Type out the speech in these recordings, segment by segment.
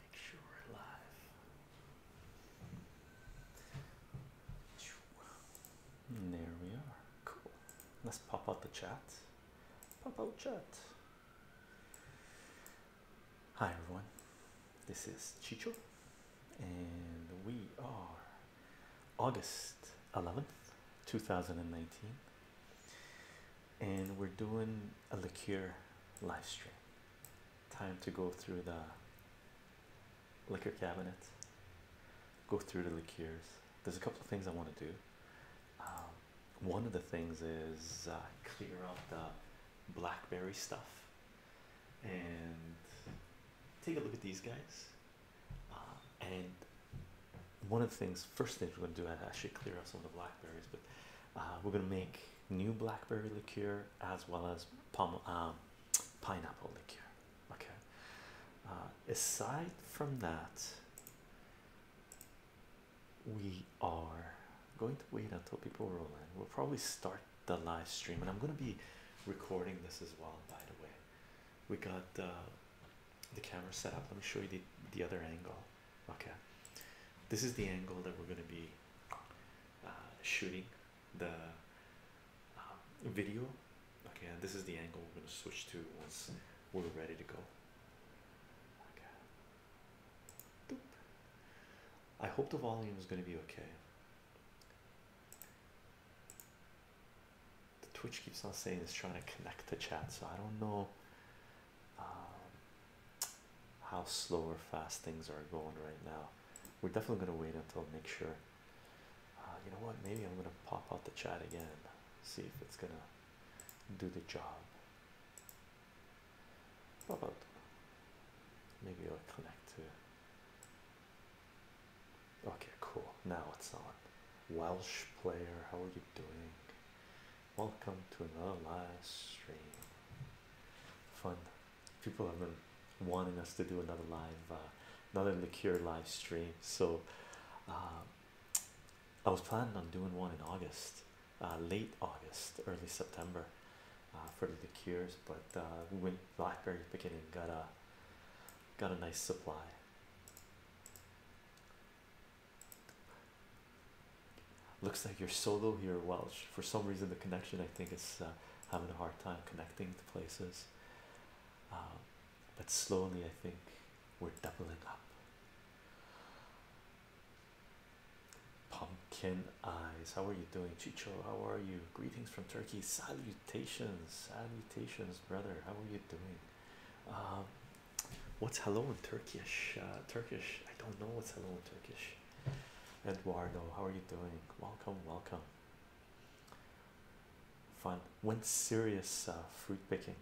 Make sure we're alive. there we are. Cool. Let's pop out the chat. Pop out chat. Hi everyone. This is Chicho and we are August 11th, 2019 and we're doing a liqueur live stream. Time to go through the liquor cabinet, go through the liqueurs. There's a couple of things I want to do. Um, one of the things is uh, clear up the blackberry stuff and take a look at these guys uh, and one of the things first thing we're going to do i actually clear out some of the blackberries but uh, we're going to make new blackberry liqueur as well as pom um, pineapple liqueur okay uh, aside from that we are going to wait until people roll in we'll probably start the live stream and i'm going to be recording this as well by the way we got uh, the camera set up let me show you the, the other angle Okay, this is the angle that we're going to be uh, shooting the um, video. Okay, and this is the angle we're going to switch to once we're ready to go. Okay. I hope the volume is going to be okay. Twitch keeps on saying it's trying to connect the chat, so I don't know um, how slow or fast things are going right now. We're definitely going to wait until make sure. Uh, you know what? Maybe I'm going to pop out the chat again, see if it's going to do the job. How about maybe I'll connect to okay, cool. Now it's on Welsh player. How are you doing? welcome to another live stream. Fun. People have been wanting us to do another live, uh, another liqueur live stream. So, uh, I was planning on doing one in August, uh, late August, early September, uh, for the liqueurs. But we went blackberry very beginning, got a got a nice supply. Looks like you're solo here, Welsh. For some reason, the connection I think is uh, having a hard time connecting to places. Um, but slowly, I think we're doubling up. Pumpkin eyes, how are you doing, Chicho? How are you? Greetings from Turkey. Salutations, salutations, brother. How are you doing? Um, What's hello in Turkish? Uh, Turkish, I don't know what's hello in Turkish. Eduardo, how are you doing? Welcome, welcome. Fun. Went serious uh, fruit picking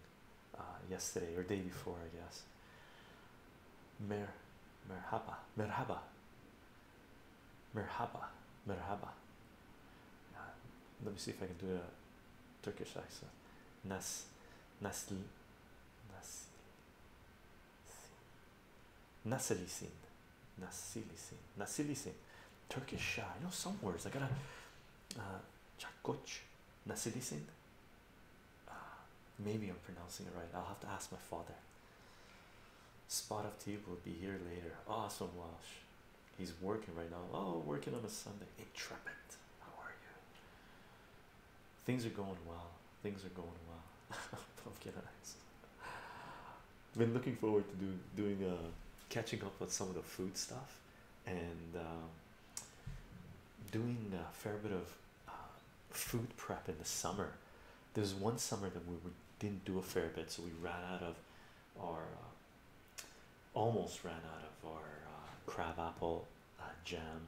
uh, yesterday or day before, I guess. Mer, merhaba, merhaba, merhaba, merhaba. Uh, let me see if I can do a Turkish accent. Nas, nasl, Nasili Sin, Nasili Sin, Nasili Sin, Turkish Shah. You know some words. I got a, Uh, Chakoch, Nasili Sin. Uh, maybe I'm pronouncing it right. I'll have to ask my father. Spot of tea will be here later. Awesome, Walsh, He's working right now. Oh, working on a Sunday. Intrepid. How are you? Things are going well. Things are going well. Pumpkin Been looking forward to doing uh, catching up with some of the food stuff and um, doing a fair bit of uh, food prep in the summer. There was one summer that we didn't do a fair bit, so we ran out of our uh, almost ran out of our uh, crabapple jam.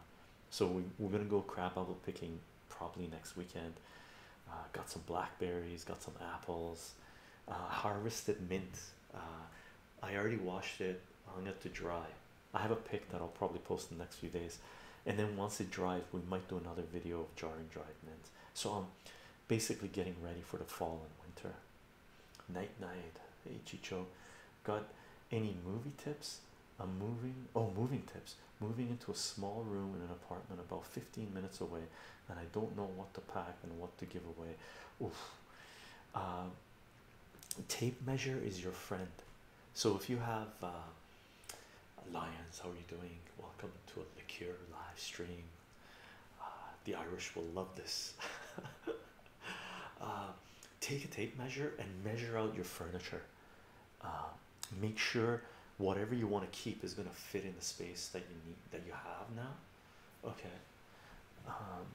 So we, we're gonna go crab apple picking probably next weekend. Uh, got some blackberries, got some apples, uh, harvested mint. Uh, I already washed it, hung it to dry. I have a pic that I'll probably post in the next few days, and then once it dries, we might do another video of jarring dried mint. So I'm basically getting ready for the fall and winter. Night night, hey Chicho, Got any movie tips? A moving oh, moving tips moving into a small room in an apartment about 15 minutes away, and I don't know what to pack and what to give away. Oof. Uh, tape measure is your friend. So if you have uh, Lions, how are you doing? Welcome to a liqueur live stream. Uh, the Irish will love this. Uh, take a tape measure and measure out your furniture. Uh, make sure whatever you want to keep is going to fit in the space that you need that you have now. Okay. Um,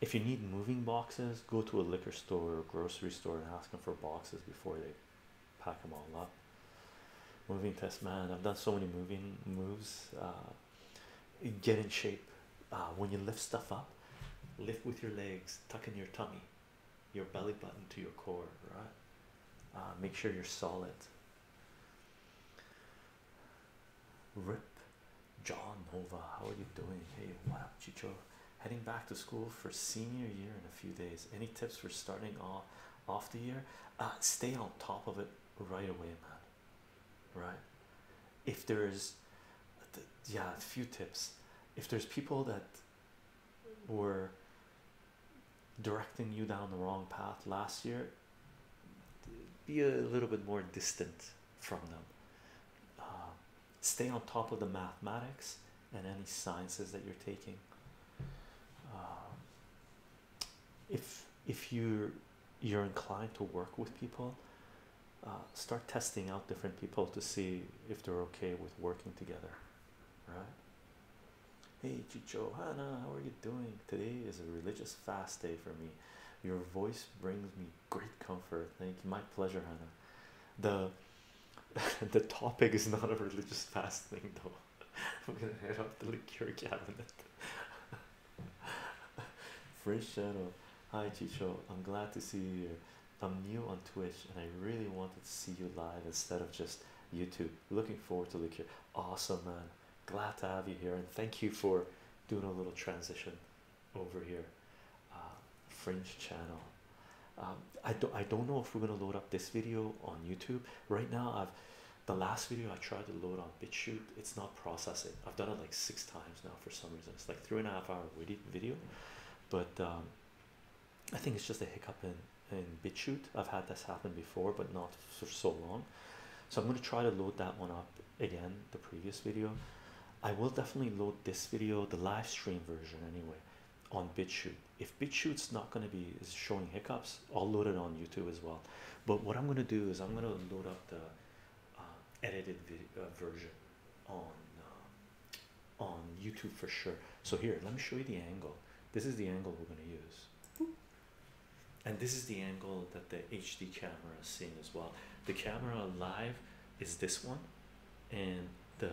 if you need moving boxes, go to a liquor store or grocery store and ask them for boxes before they pack them all up. Moving test, man, I've done so many moving moves. Uh, get in shape uh, when you lift stuff up, lift with your legs, tuck in your tummy, your belly button to your core, right? Uh, make sure you're solid. Rip John Nova, how are you doing? Hey, what up, Chicho? Heading back to school for senior year in a few days. Any tips for starting off off the year? Uh, stay on top of it right away, man. Right? If there is, yeah, a few tips if there's people that were directing you down the wrong path last year, be a little bit more distant from them. Um, stay on top of the mathematics and any sciences that you're taking. Um, if if you you're inclined to work with people, uh, start testing out different people to see if they're okay with working together, right? Hey, Chicho, Hannah, how are you doing? Today is a religious fast day for me. Your voice brings me great comfort. Thank you. My pleasure, Hannah. The the topic is not a religious fast thing though. I'm gonna head off the liqueur cabinet. Fresh shadow. Hi Chicho. I'm glad to see you I'm new on Twitch and I really wanted to see you live instead of just YouTube. Looking forward to look here. Awesome, man. Glad to have you here and thank you for doing a little transition over here. Uh, Fringe channel. Um, I don't. I don't know if we're gonna load up this video on YouTube right now. I've the last video I tried to load on BitChute. It's not processing. I've done it like six times now for some reason. It's like three and a half hour video but um, I think it's just a hiccup in in BitChute. I've had this happen before, but not for so long. So I'm going to try to load that one up again. The previous video, I will definitely load this video, the live stream version anyway, on BitChute. If BitChute's not going to be showing hiccups, I'll load it on YouTube as well. But what I'm going to do is I'm going to load up the uh, edited uh, version on uh, on YouTube for sure. So here, let me show you the angle. This is the angle we're going to use, and this is the angle that the HD camera is seeing as well. The camera live is this one, and the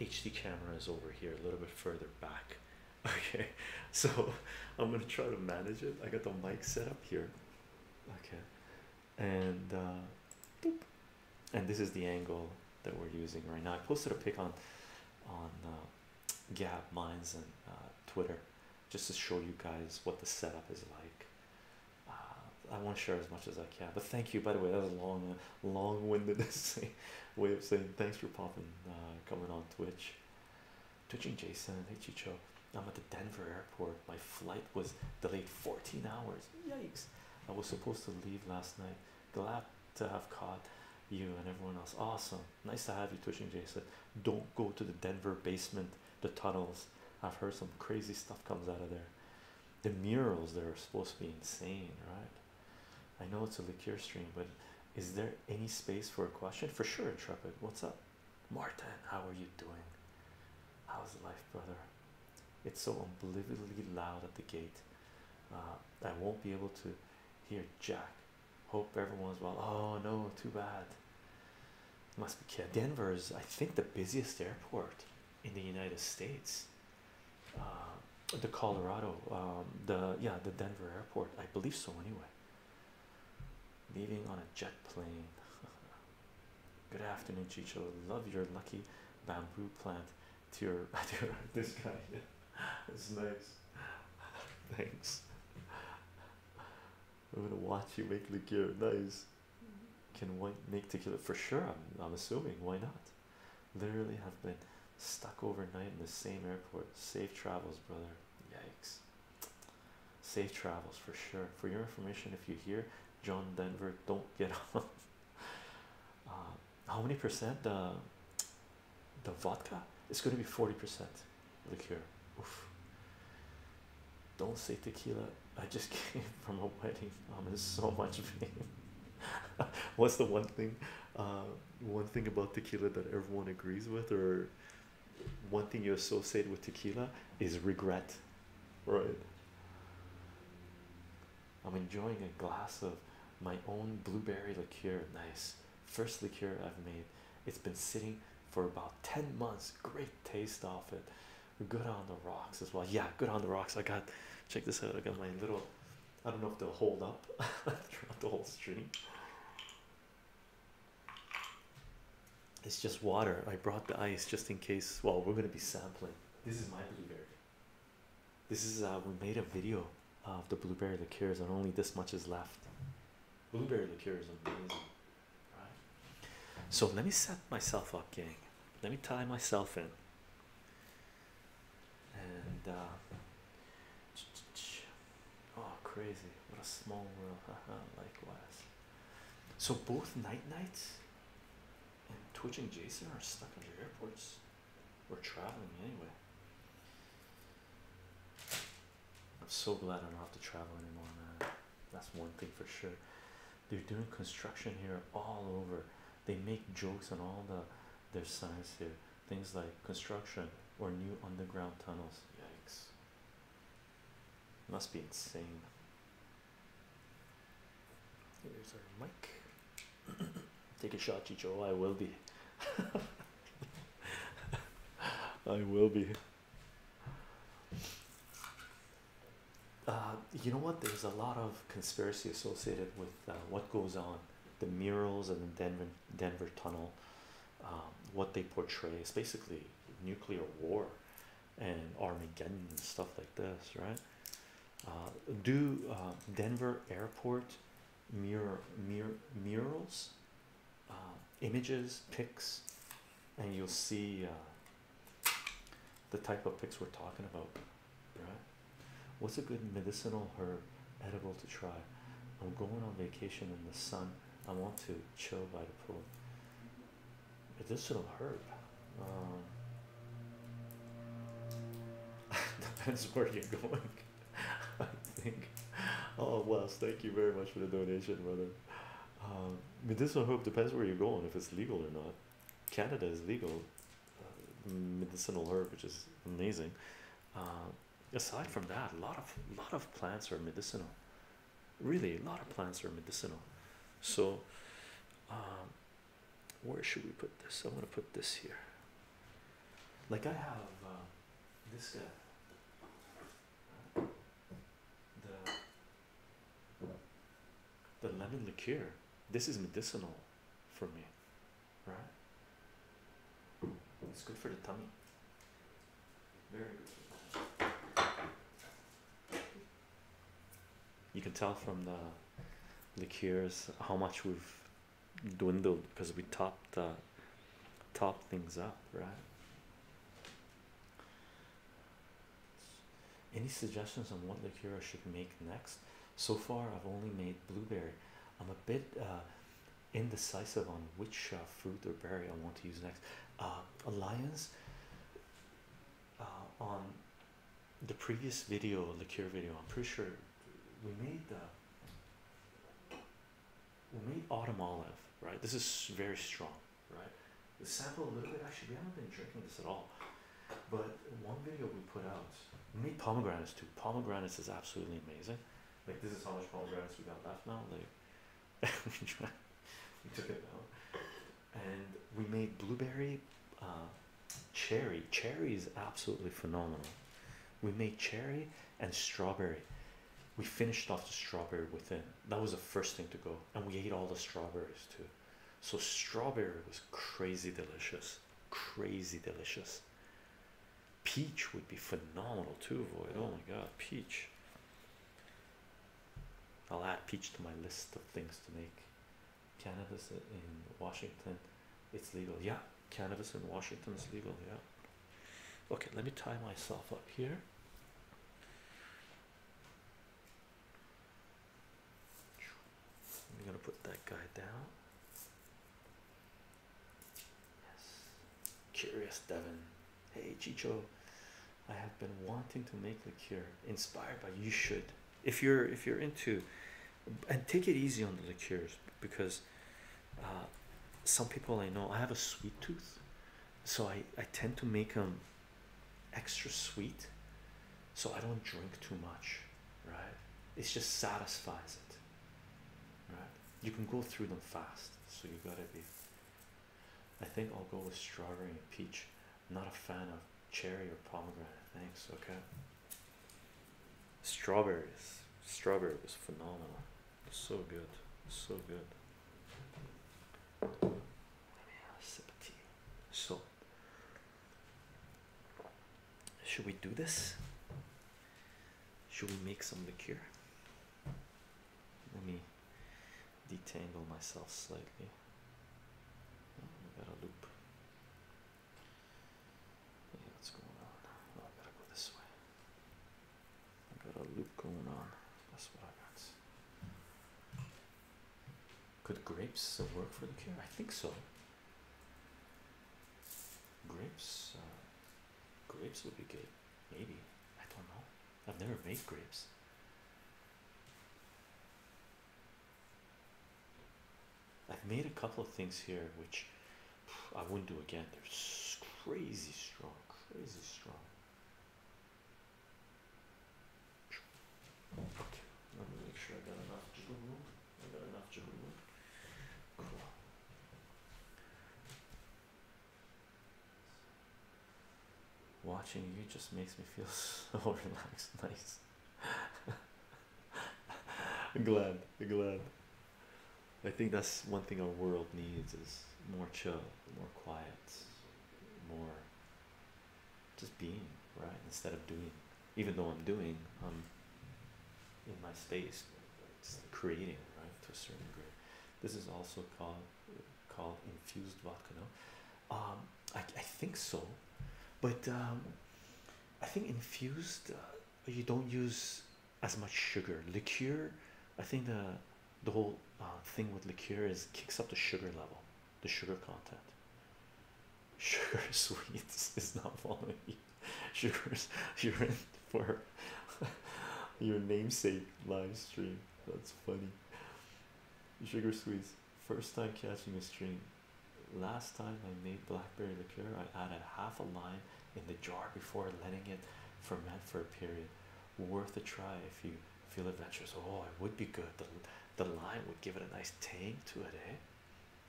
HD camera is over here, a little bit further back. Okay, so I'm gonna try to manage it. I got the mic set up here. Okay, and uh, and this is the angle that we're using right now. I posted a pic on on uh, Gab Mines and uh, Twitter just to show you guys what the setup is like. I want to share as much as I can, but thank you. By the way, that was a long, long-winded way of saying thanks for popping, coming on Twitch. Twitching Jason, hey Chicho, I'm at the Denver airport. My flight was delayed 14 hours. Yikes. I was supposed to leave last night. Glad to have caught you and everyone else. Awesome. Nice to have you, Twitching Jason. Don't go to the Denver basement, the tunnels. I've heard some crazy stuff comes out of there. The murals they are supposed to be insane, right? I know it's a liquor stream, but is there any space for a question? For sure, Intrepid. What's up? Martin, how are you doing? How's life, brother? It's so unbelievably loud at the gate. Uh, I won't be able to hear Jack. Hope everyone's well. Oh no, too bad. Must be kid. Denver is, I think, the busiest airport in the United States. Uh, the Colorado, um, the yeah, the Denver airport. I believe so. Anyway, leaving on a jet plane. Good afternoon, Chicho. Love your lucky bamboo plant. To your, to your this guy, yeah, it's nice. Thanks. I'm gonna watch you make the gear. Nice. Can white make tequila for sure? I'm, I'm assuming. Why not? Literally have been stuck overnight in the same airport. Safe travels, brother. Yikes. Safe travels for sure. For your information, if you hear John Denver don't get on. Um, how many percent the uh, the vodka? is going to be forty percent liquor. Don't say tequila. I just came from a wedding. I'm um, in so much pain. What's the one thing? Uh, one thing about tequila that everyone agrees with, or one thing you associate with tequila is regret, right? I'm enjoying a glass of my own blueberry liqueur. Nice. First liqueur I've made. It's been sitting for about 10 months. Great taste off it. Good on the rocks as well. Yeah, good on the rocks. I got, check this out. I got my little, I don't know if they'll hold up throughout the whole stream. It's just water. I brought the ice just in case. Well, we're going to be sampling. This is my blueberry. This is uh, we made a video of the blueberry liqueurs, and only this much is left. Blueberry liqueur is amazing. So let me set myself up, gang. Let me tie myself in. And uh, oh, crazy! What a small world. Likewise. So both night nights and Twitch Jason are stuck under airports. We're traveling anyway. I'm so glad I don't have to travel anymore, That's one thing for sure. They're doing construction here all over. They make jokes on all the their signs here. Things like construction or new underground tunnels. Yikes. Must be insane. There's our mic. Take a shot, Chicho. I will be. I will be. Uh, you know what? There's a lot of conspiracy associated with uh, what goes on, the murals and the Denver Denver tunnel, um, what they portray. is basically nuclear war, and Armageddon and stuff like this, right? uh, do uh, Denver airport mirror mirror murals uh, images pics and you'll see uh, the type of pics we're talking about right what's a good medicinal herb edible to try I'm going on vacation in the sun I want to chill by the pool medicinal herb depends um, where you're going. I think. Oh well, thank you very much for the donation, brother. Um, medicinal herb depends where you're going. If it's legal or not. Canada is legal. Uh, medicinal herb, which is amazing. Um, aside from that, a lot of lot of plants are medicinal. Really, a lot of plants are medicinal. So, um, where should we put this? I am going to put this here. Like I have um, this guy, the lemon liqueur. This is medicinal for me, right? It's good for the tummy. Very good. You can tell from the liqueurs how much we've dwindled because we topped uh, things up right any suggestions on what liqueur I should make next so far I've only made blueberry I'm a bit uh, indecisive on which uh, fruit or berry I want to use next uh, alliance on the previous video the cure video i'm pretty sure we made the we made autumn olive right this is very strong right the sample a little bit actually we haven't been drinking this at all but one video we put out we made pomegranates too pomegranates is absolutely amazing like this is how much pomegranates we got left now like we took it out and we made blueberry uh, cherry. Cherry is absolutely phenomenal. We made cherry and strawberry. We finished off the strawberry with within. That was the first thing to go, and we ate all the strawberries too. So strawberry was crazy delicious, crazy delicious. Peach would be phenomenal too, Void. Oh my god, peach. I'll add peach to my list of things to make cannabis in Washington it's legal yeah cannabis in Washington is legal yeah okay let me tie myself up here I'm gonna put that guy down yes curious Devin. hey Chicho I have been wanting to make liqueur inspired by you should if you're if you're into and take it easy on the liqueurs because uh, some people I know I have a sweet tooth, so I, I tend to make them extra sweet so I don't drink too much, right? It just satisfies it, right? You can go through them fast, so you gotta be. I think I'll go with strawberry and peach. Not a fan of cherry or pomegranate. Thanks. Okay. Strawberries. Strawberries phenomenal. So good. So good. Let So, should we do this? Should we make some liqueur? Let me detangle myself slightly. Oh, got a loop. Yeah, what's going on? Oh, I gotta go this way. I got a loop going on. That's what I got. Could grapes work for the cure? I think so. Grapes, uh, grapes would be good. Maybe I don't know. I've never made grapes. I've made a couple of things here which I wouldn't do again. They're crazy strong, crazy strong. Okay, let me make sure I got enough I got enough Watching you just makes me feel so relaxed. Nice. I'm glad, I'm glad. I think that's one thing our world needs is more chill, more quiet, more just being, right? Instead of doing. Even though I'm doing, I'm in my space creating, right? To a certain degree. This is also called called infused vodka, no? Um, I I think so. But um, I think infused uh, you don't use as much sugar. Liqueur, I think the the whole uh, thing with liqueur is kicks up the sugar level, the sugar content. Sugar sweets is not following you. Sugar's you're for your namesake live stream. That's funny. Sugar sweets, first time catching a stream. Last time I made blackberry liqueur, I added half a lime in the jar before letting it ferment for a period. Worth a try if you feel adventurous. Oh, it would be good. The, the lime would give it a nice tang to it, eh?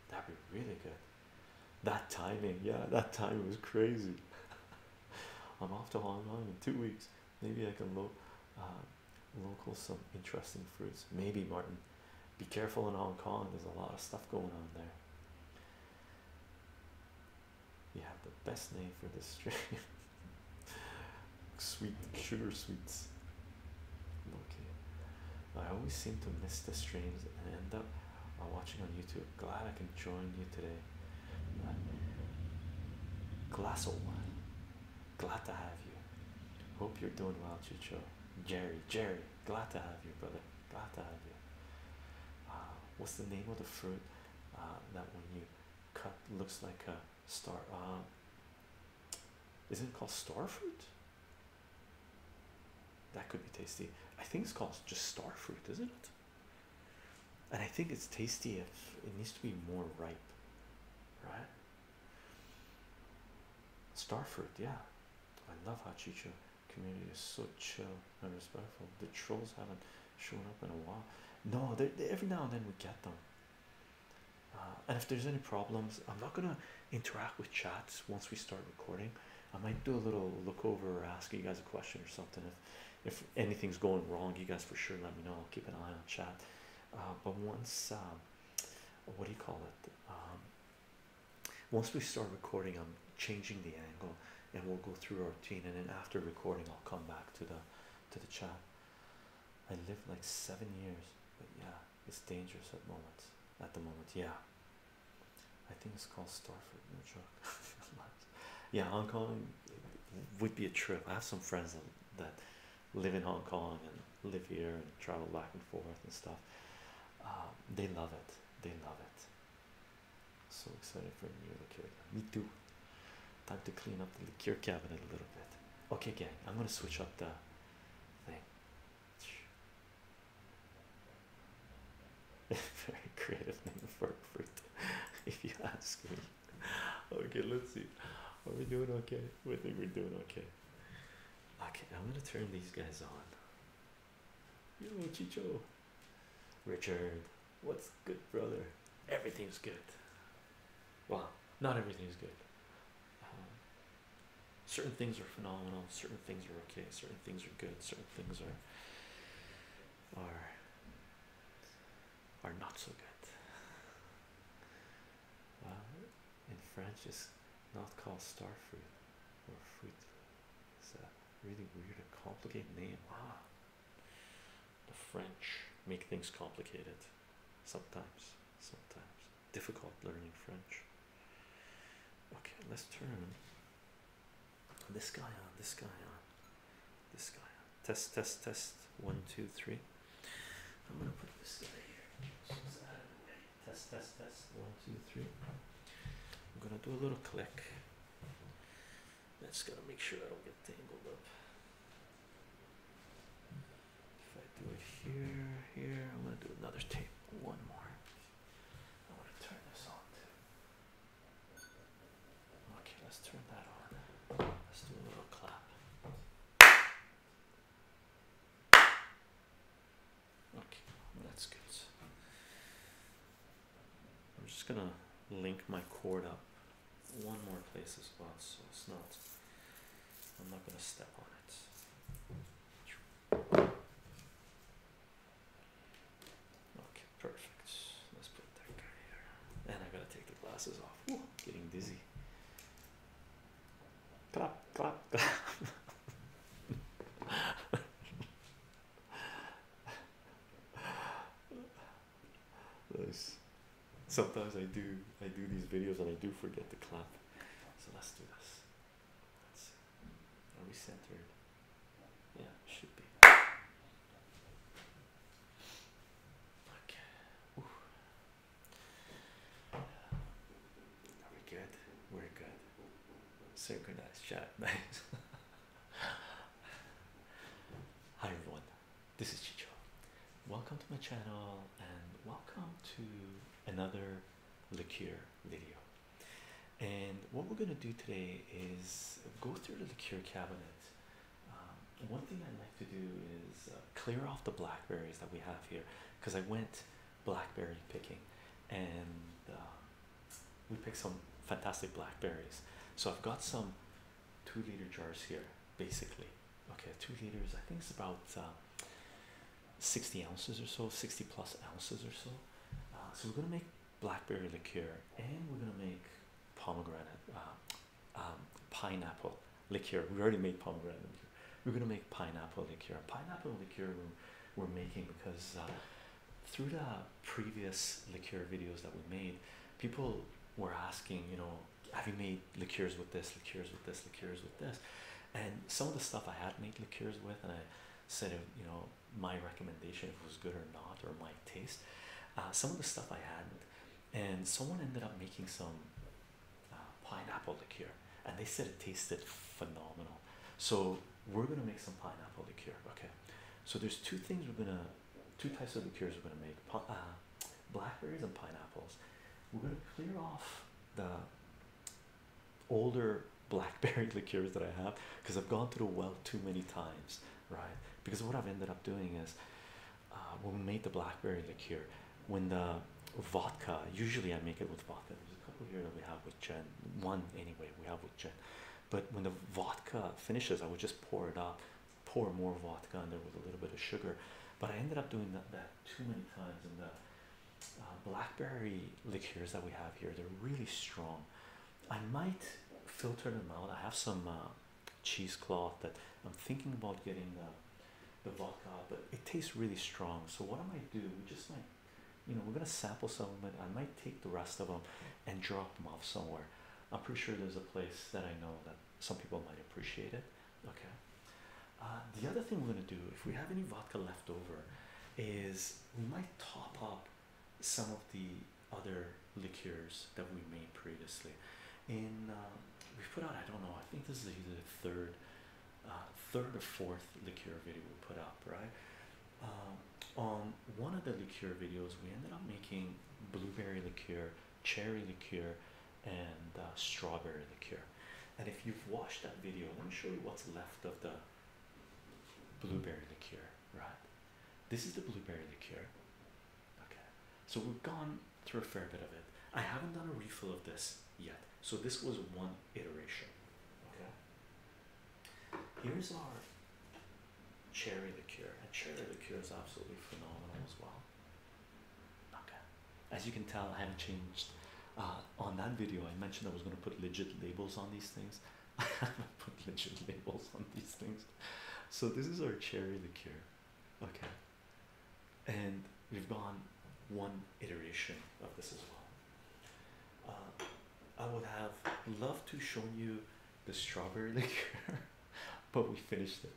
That'd be really good. That timing, yeah, that timing was crazy. I'm off to Hong Kong in two weeks. Maybe I can lo uh, local some interesting fruits. Maybe Martin, be careful in Hong Kong, there's a lot of stuff going on there. You have the best name for this stream. Sweet sugar sweets. Okay. I always seem to miss the streams and end up uh, watching on YouTube. Glad I can join you today. Uh, Glass old one. Glad to have you. Hope you're doing well, Chicho. Jerry, Jerry. Glad to have you, brother. Glad to have you. Uh, what's the name of the fruit uh, that when you cut looks like a star? Uh, um, isn't it called star fruit? That could be tasty. I think it's called just star fruit, isn't it? And I think it's tasty if it needs to be more ripe, right? fruit, yeah, I love how Hachicho. Community is so chill and respectful. The trolls haven't shown up in a while. No, they every now and then we get them. Uh, and if there's any problems, I'm not gonna interact with chats once we start recording. I might do a little look over or ask you guys a question or something. If if anything's going wrong, you guys for sure let me know. I'll keep an eye on chat. Uh, but once, um, what do you call it? Um, once we start recording, I'm changing the angle, and we'll go through our routine. And then after recording, I'll come back to the to the chat. I lived like seven years, but yeah, it's dangerous at moments. At the moment, yeah. I think it's called Starford, no joke. yeah, Hong Kong would be a trip. I have some friends that live in Hong Kong and live here and travel back and forth and stuff. Uh, they love it. They love it. So excited for a new liqueur. Me too. Time to clean up the liquor cabinet a little bit. Okay, gang. I'm gonna switch up the thing. Very creative name for fruit, if you ask me. Okay, let's see. Are we doing okay? We think we're doing okay. Okay, I'm gonna turn these guys on. Yo, Chicho, Richard, what's good, brother? Everything's good. Well, not everything's good. Um, certain things are phenomenal. Certain things are okay. Certain things are good. Certain things are are are not so good. Wow, uh, in French, just not called star fruit or fruit. It's a really weird and complicated name. Ah, the French make things complicated sometimes, sometimes difficult learning French. Okay, let's turn this guy on, this guy on, this guy on. Test, test, test. One, two, three. I'm gonna put this guy here. the Test, test, test. One, two, three. I'm gonna do a little click. That's got to make sure I don't get tangled up. If I do it here, here, I'm gonna do another tape. One more. I want to turn this on too. Okay, let's turn that on. Let's do a little clap. Okay, that's good. I'm just gonna link my cord up one more place as well, so it's not, I'm not gonna step on it. Okay, perfect. Let's put that guy here. And I gotta take the glasses off. getting dizzy clap clap clap Nice. Sometimes I do I do these videos and I do forget to clap. So let's do this. Let's see. Are we centered? Yeah, should be. Okay. Are we good? We're good. Synchronized chat, nice. Hi everyone, this is Chicho. Welcome to my channel and welcome to another liquor video. And what we're going to do today is go through the liqueur cabinet. Um, one thing I like to do is uh, clear off the blackberries that we have here because I went blackberry picking, and uh, we picked some fantastic blackberries. So I've got some two liter jars here, basically. Okay, two liters. I think it's about uh, sixty ounces or so, sixty plus ounces or so. Uh, so we're gonna make blackberry liqueur, and we're gonna make pomegranate, um, pineapple liqueur. We already made pomegranate. Liqueur. We're gonna make pineapple liqueur. Pineapple liqueur we're making because uh, through the previous liqueur videos that we made, people were asking, you know, have you made liqueurs with this, liqueurs with this, liqueurs with this? And some of the stuff I had made liqueurs with, and I said, you know, my recommendation if it was good or not, or my taste. Uh, some of the stuff I hadn't, and someone ended up making some uh, pineapple liqueur, and they said it tasted phenomenal. So we're gonna make some pineapple liqueur. Okay. So there's two things we're gonna, two types of liqueurs we're gonna make: uh, blackberries and pineapples. We're gonna clear off the older blackberry liqueurs that I have because I've gone through the well too many times, right? Because what I've ended up doing is, uh, when we made the blackberry liqueur, when the vodka, usually I make it with vodka couple here that we have with Jen. One anyway, we have with Jen. But when the vodka finishes, I would just pour it up, pour more vodka in there with a little bit of sugar. But I ended up doing that, too many times. And the uh, blackberry liqueurs that we have here, they're really strong. I might filter them out. I have some uh, cheesecloth that I'm thinking about getting the, vodka, but it tastes really strong. So what am I might do, just like you know, we're gonna sample some of it. I might take the rest of them and drop them off somewhere. I'm pretty sure there's a place that I know that some people might appreciate it. Okay. Uh, the other thing we're gonna do, if we have any vodka left over, is we might top up some of the other liqueurs that we made previously. In um, we put out, I don't know, I think this is either the third, uh, third or fourth liqueur video we put up, right? Um, on one of the liqueur videos, we ended up making blueberry liqueur, cherry liqueur, and uh, strawberry liqueur. And if you've watched that video, let me show you what's left of the blueberry liqueur, right? This is the blueberry liqueur. Okay, so we've gone through a fair bit of it. I haven't done a refill of this yet, so this was one iteration. Okay, Here's our cherry liqueur, and cherry liqueur is absolutely phenomenal as well. Okay, as you can tell, I haven't changed. Uh, on that video, I mentioned I was going to put legit labels on these things. I haven't put legit labels on these things. So this is our cherry liqueur, okay, and we've gone one iteration of this as well. Um, I would have loved to show you the strawberry liqueur, but we finished it.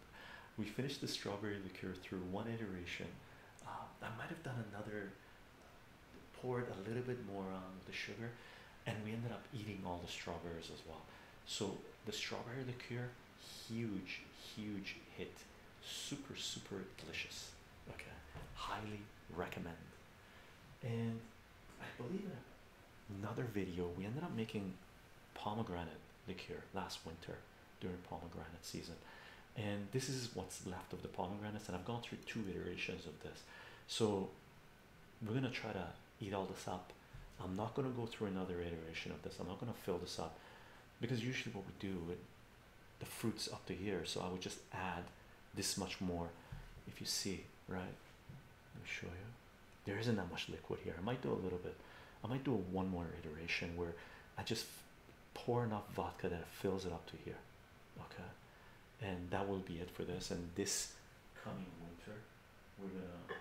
We finished the strawberry liqueur through one iteration. Um, I might have done another, poured a little bit more on the sugar, and we ended up eating all the strawberries as well. So the strawberry liqueur, huge, huge hit, super, super delicious. Okay, highly recommend and I believe another video we ended up making pomegranate liqueur last winter during pomegranate season, and this is what's left of the pomegranates. And I've gone through two iterations of this, so we're gonna try to eat all this up. I'm not gonna go through another iteration of this. I'm not gonna fill this up because usually what we do the fruits up to here so i would just add this much more if you see right let me show you there isn't that much liquid here i might do a little bit i might do one more iteration where i just pour enough vodka that fills it up to here okay and that will be it for this and this coming winter we're gonna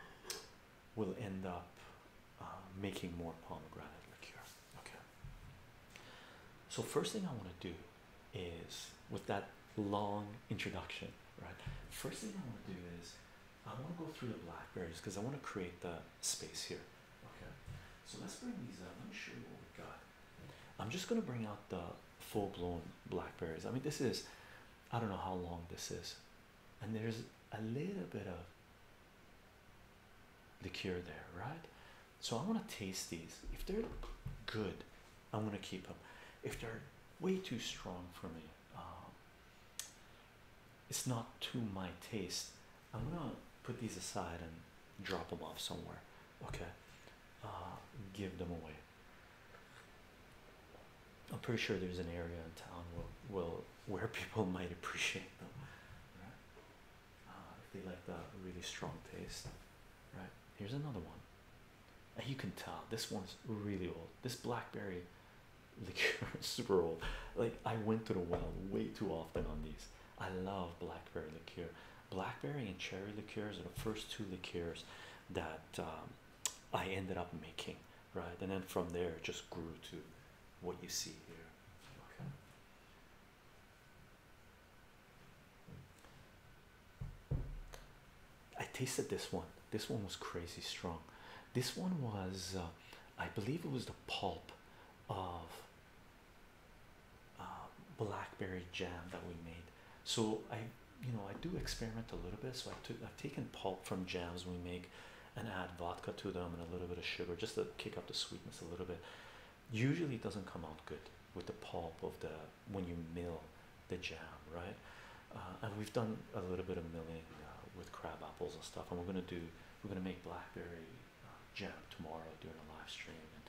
will end up uh, making more pomegranate liqueur okay so first thing i want to do is with that long introduction, right? First thing I want to do is I want to go through the blackberries because I want to create the space here. Okay, so let's bring these out. Let me show you what we have got. I'm just gonna bring out the full-blown blackberries. I mean, this is I don't know how long this is, and there's a little bit of the cure there, right? So I want to taste these. If they're good, I'm going to keep them. If they're way too strong for me, um, it's not to my taste. I'm going to put these aside and drop them off somewhere. Okay. Uh, give them away. I'm pretty sure there's an area in town will will where people might appreciate them. Right? Uh, if they like the really strong taste, right? Here's another one. you can tell this one's really old. This blackberry liqueur super old. Like I went to the well way too often on these. I love blackberry liqueur. Blackberry and cherry liqueurs are the first two liqueurs that um, I ended up making, right? And then from there, just grew to what you see here. I tasted this one. This one was crazy strong. This one was, uh, I believe, it was the pulp of uh, blackberry jam that we made. So I, you know, I do experiment a little bit. So I took, I've taken pulp from jams we make, and add vodka to them and a little bit of sugar just to kick up the sweetness a little bit usually it doesn't come out good with the pulp of the when you mill the jam, right? Uh, and we've done a little bit of milling uh, with crab apples and stuff, and we're gonna do we're gonna make blackberry uh, jam tomorrow during a live stream. And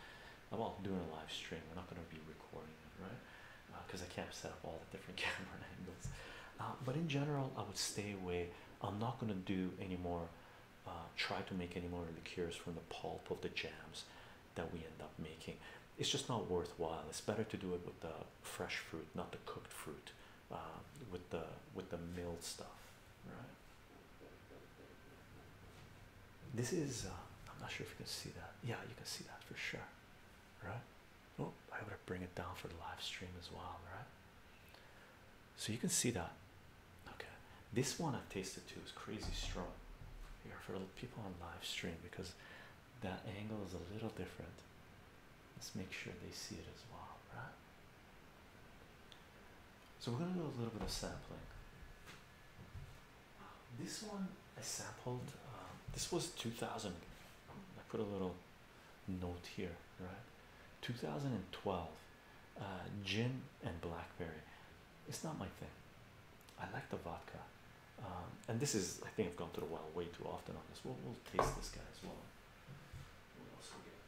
well, doing a live stream, we're not gonna be recording it, right? Because I can't set up all the different camera angles. but in general, I would stay away. I'm not gonna do any more. try to make any more liqueurs from the pulp of the jams that we end up making. It's just not worthwhile. It's better to do it with the fresh fruit, not the cooked fruit, um, with the with the milled stuff, right? This is uh, I'm not sure if you can see that. Yeah, you can see that for sure, right? Oh, I gotta bring it down for the live stream as well, right? So you can see that. Okay, this one I've tasted too is crazy strong here for people on live stream because that angle is a little different. Let's make sure they see it as well, right? So we're gonna do a little bit of sampling. This one I sampled. Um, this was 2000. I put a little note here, right? 2012. Uh, gin and blackberry. It's not my thing. I like the vodka. Um, and this is, I think I've gone to the well way too often on this. We'll, we'll taste this guy as well. What else we get?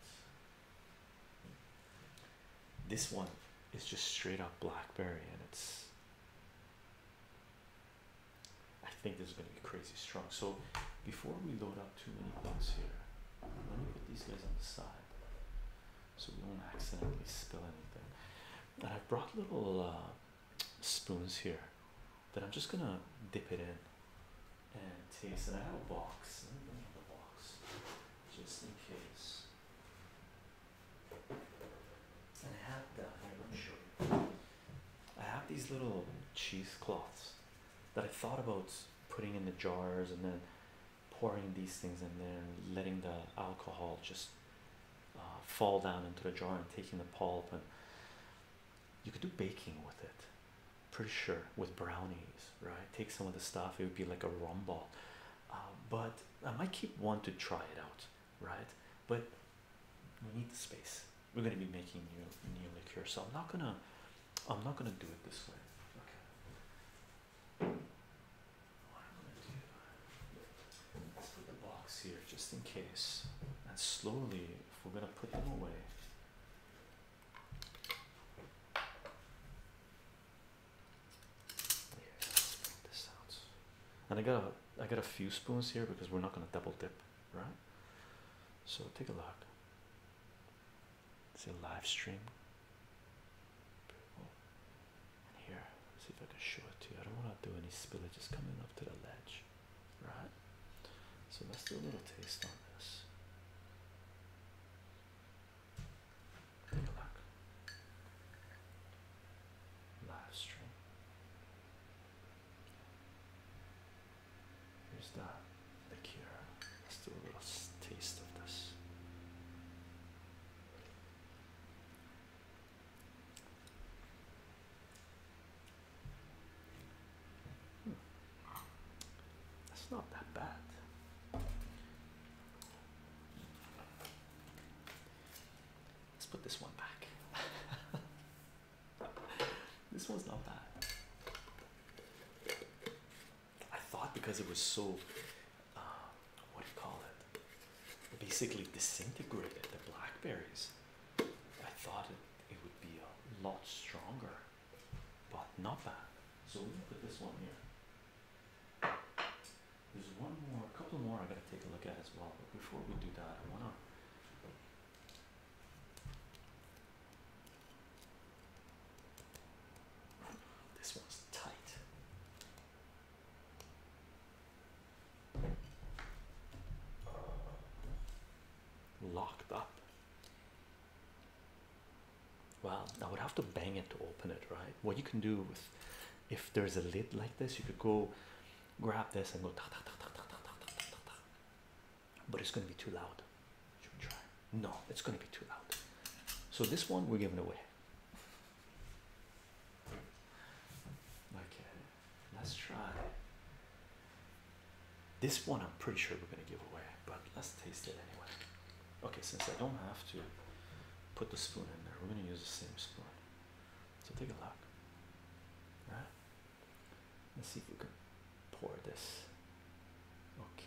This one is just straight up blackberry, and it's. I think this is going to be crazy strong. So, before we load up too many bucks here, let me put these guys on the side so we don't accidentally spill anything. And I brought little uh, spoons here that I'm just gonna dip it in and taste. it. I have a box. the box just in case. I have I have these little cheesecloths that I thought about putting in the jars and then pouring these things in there and letting the alcohol just uh, fall down into the jar and taking the pulp and you could do baking with it pretty sure with brownies right take some of the stuff it would be like a rumble uh, but i might keep one to try it out right but we need the space we're going to be making new new liquor so i'm not gonna i'm not gonna do it this way okay Let's put the box here just in case. And slowly, if we're gonna put them away. Here, this out. And I got a, I got a few spoons here because we're not gonna double dip, right? So take a look. It's a live stream. And here, see if I can show it to you. I don't want to do any spillage, it's coming up to the ledge, right? So let's do a little taste on this. Take a look. Live stream. Here's that here. Let's do a little taste of this. That's not that bad. Let's put this one back. this one's not bad. I thought because it was so what call it? Basically disintegrated the blackberries. I thought it, it would be a lot stronger, but not that. So let me put this one here. There's one more, a couple more I gotta take a look at as well. But before we do that, I wanna this one's tight. Locked up. Well, I would have to bang it to open it, right? What you can do with if there's a lid like this, you could go grab this and go But it's gonna be too loud. Should we try? No, it's gonna be too loud. So this one we're giving away. Okay, let's try. This one I'm pretty sure we're gonna give away, but let's taste it anyway. Okay, since I don't have to put the spoon in there, we're gonna use the same spoon. So take a look. right? Let's see if we can pour this. Okay.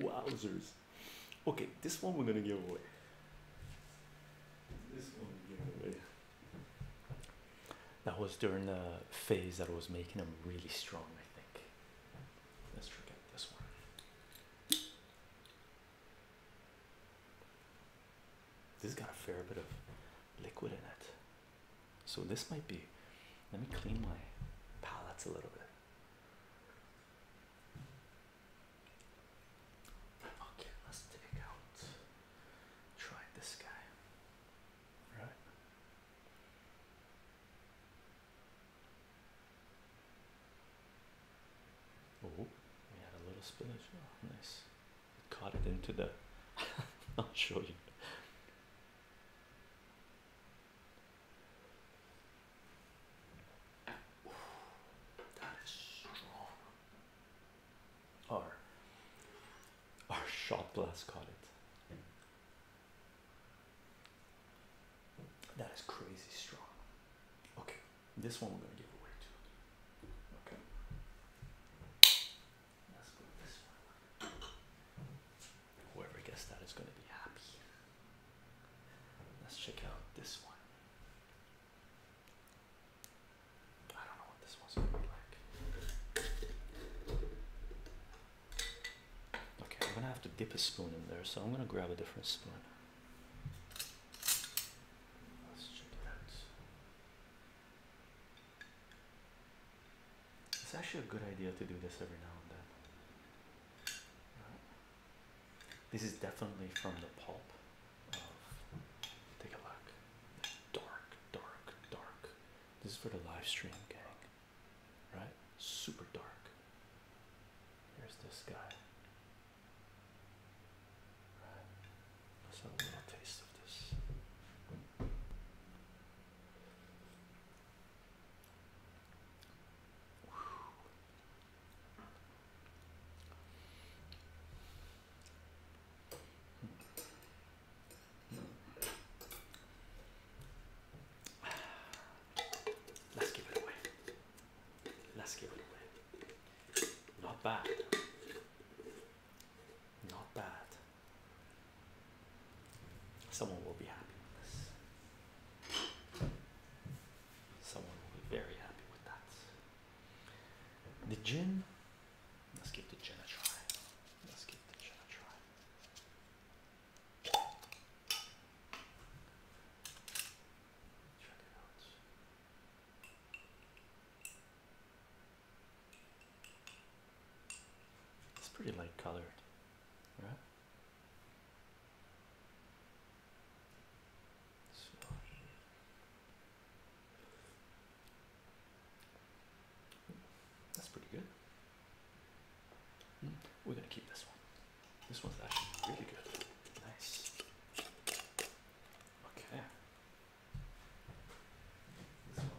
Wowzers. Okay, this one we're gonna give away. This one we're giving away. That was during the phase that was making him really strong, I think. Let's forget this one. This got a fair bit of liquid in it. So this might be let me clean my palettes a little bit. Okay, let's take out try this guy. Oh, we had a little spinach. Oh, nice. It caught it into the. I'll show you. Ooh, our shot glass caught it. That is crazy strong. Okay, this one we're gonna give away to. Okay. Let's put this one. Whoever gets that is gonna be happy. Let's check out this one. I Okay, I'm gonna have to dip a spoon in there, so I'm gonna grab a different spoon. Let's check it out. It's actually a good idea to do this every now and then. This is definitely from the pulp. take a look. Dark, dark, dark this is for the live stream, gang. Right? Super dark. Here's this guy. Right. Let's have a little taste of this. Let's give it away. Let's give it away. Not bad. Not bad. Someone will be happy with this. Someone will be very happy with that. The gin Let's give the gin a try. Let's give the gin try. Check it out. It's pretty light colored, right? That's pretty good. Hmm, we're gonna keep this one. This one's actually really good. Nice. Okay. This one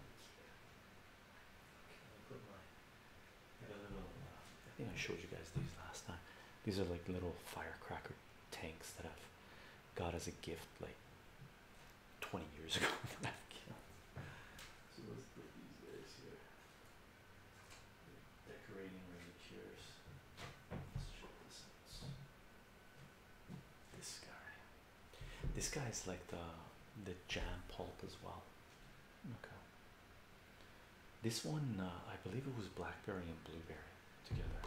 uh, I think I showed you guys these last time. These are like little firecracker tanks that I've got as a gift, like 20 years ago. so let's put these guys here. Decorating miniatures. Let's check this This guy. This guy is like the the jam pulp as well. Okay. This one, uh, I believe it was blackberry and blueberry together.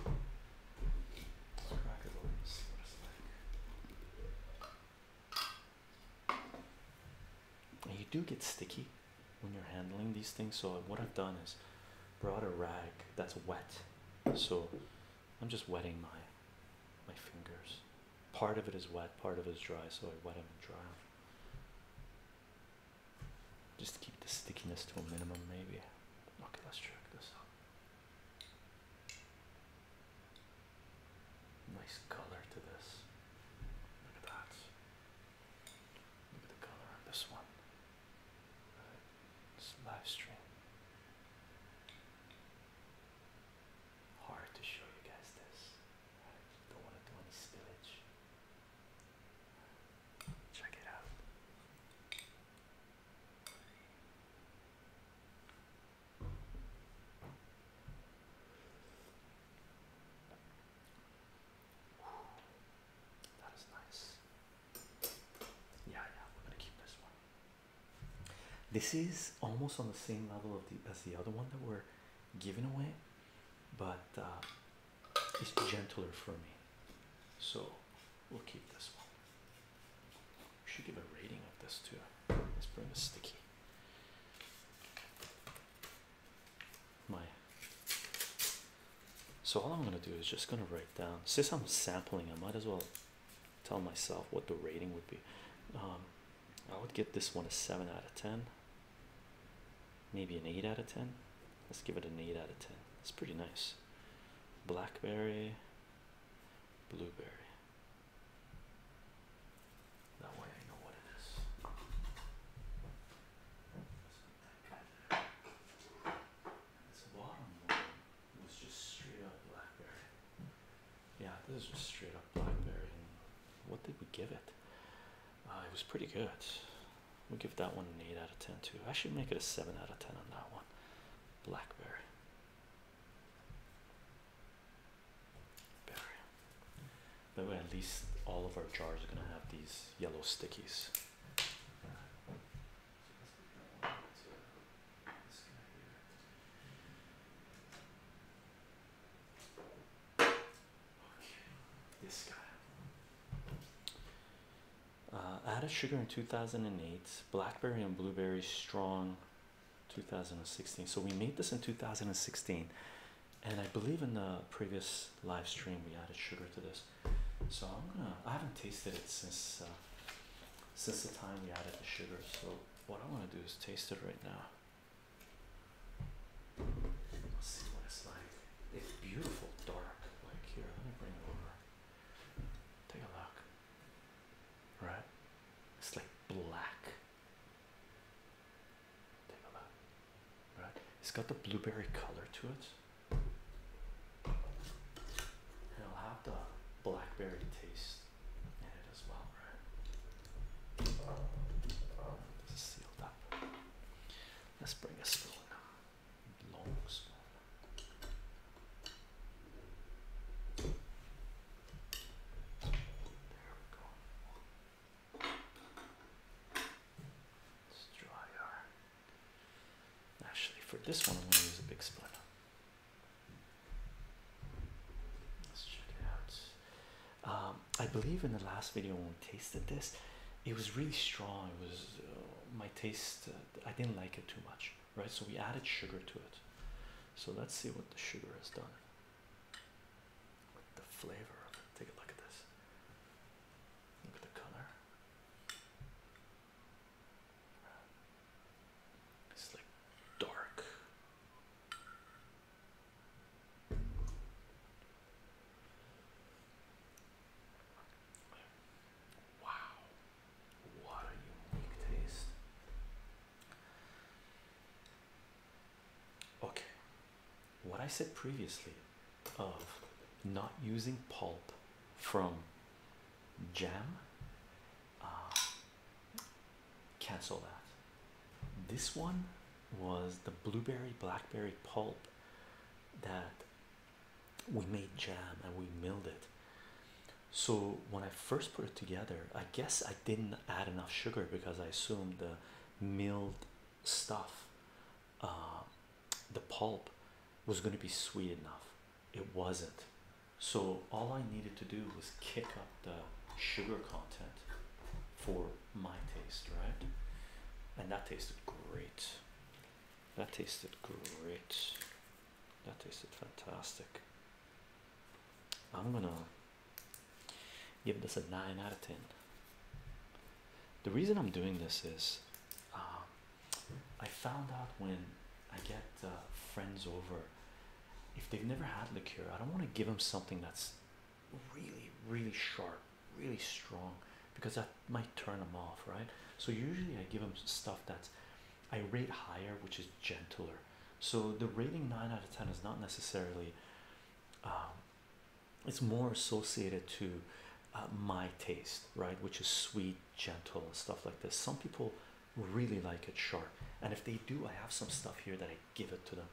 Let's crack it open. See what it's like. And you do get sticky when you're handling these things. So, what I've done is brought a rag that's wet. So, I'm just wetting my my fingers. Part of it is wet, part of it is dry, so I wet them and dry them. Just keep the stickiness to a minimum, maybe. Okay, let's check this out. Nice color to this. Look at that. Look at the color on this one. It's live stream. Hard to show you guys this. Don't want to do any spillage. Check it out. That is nice. Yeah, yeah, we're gonna keep this one. This is almost on the same level of the as the other one that we're giving away, but uh, it's gentler for me. So we'll keep this one should give a rating of this too. Let's bring a sticky. My so all I'm gonna do is just gonna write down since I'm sampling, I might as well tell myself what the rating would be. Um, I would give this one a seven out of ten, maybe an eight out of ten. Let's give it an eight out of ten. It's pretty nice. Blackberry, blueberry. That way I know what it is. This bottom one was just straight up blackberry. Yeah, this is just straight up blackberry. what did we give it? Uh, it was pretty good. We'll give that one an 8 out of 10 too. I should make it a 7 out of 10 on that one. Blackberry. That way, at least all of our jars are gonna have these yellow stickies. Okay, this guy. Uh, added sugar in two thousand and eight. Blackberry and blueberry strong 2016. So we made this in 2016, and I believe in the previous live stream we added sugar to this. So I'm gonna. I haven't tasted it since uh, since the time we added the sugar. So what I want to do is taste it right now. Let's see what it's like. It's beautiful, dark. Like here, let me bring it over. Take a look. Right? It's like black. Take a Right? It's got the blueberry color to it. it'll have the blackberry taste in it as well, right? This is sealed up. Let's bring a spoon. Long spoon. There we go. Let's dry our. Actually, for this one, I'm going to use a big spoon. Let's check it out. Um, I believe in the last video when we tasted this, it was really strong. It was uh, my taste, uh, I didn't like it too much, right? So we added sugar to it. So let's see what the sugar has done with the flavor of it. Take a look at this. Look at the color. It's like dark. Wow, what a unique taste. Okay, what I said previously of not using pulp from jam, uh, cancel that. This one was the blueberry blackberry pulp that we made jam and we milled it. So when I first put it together, I guess I didn't add enough sugar because I assumed the milled stuff, uh, the pulp, was going to be sweet enough. It wasn't. So all I needed to do was kick up the sugar content for my taste, right? And that tasted great. That tasted great. That tasted fantastic. I'm gonna give this a 9 out of 10. The reason I'm doing this is um, I found out when I get uh, friends over, if they've never had liqueur, I don't want to give them something that's really, really sharp, really strong, because that might turn them off, right? So, usually I give them stuff that's I rate higher, which is gentler, so the rating nine out of ten is not necessarily. Um, it's more associated to uh, my taste, right? Which is sweet, gentle, stuff like this. Some people really like it sharp, and if they do, I have some stuff here that I give it to them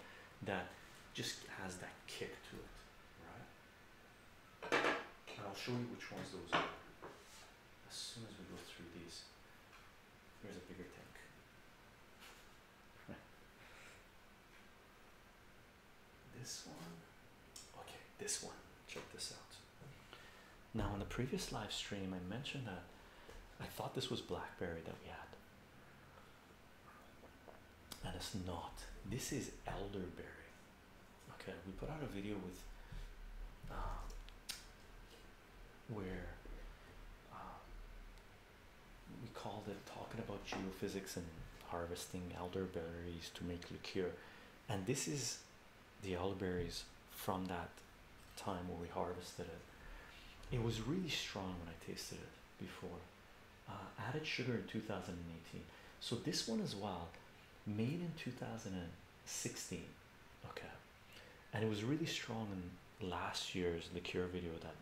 that just has that kick to it, right? And I'll show you which ones those are as soon as we go through these. Here's a bigger tank. This one, okay, this one. Check this out. Now, in the previous live stream, I mentioned that I thought this was blackberry that we had, and it's not. This is elderberry. Okay, we put out a video with uh, where. Uh, we called it talking about geophysics and harvesting elderberries to make liqueur and this is the elderberries from that time where we harvested it it was really strong when i tasted it before uh, added sugar in 2018 so this one as well made in 2016 okay and it was really strong in last year's liqueur video that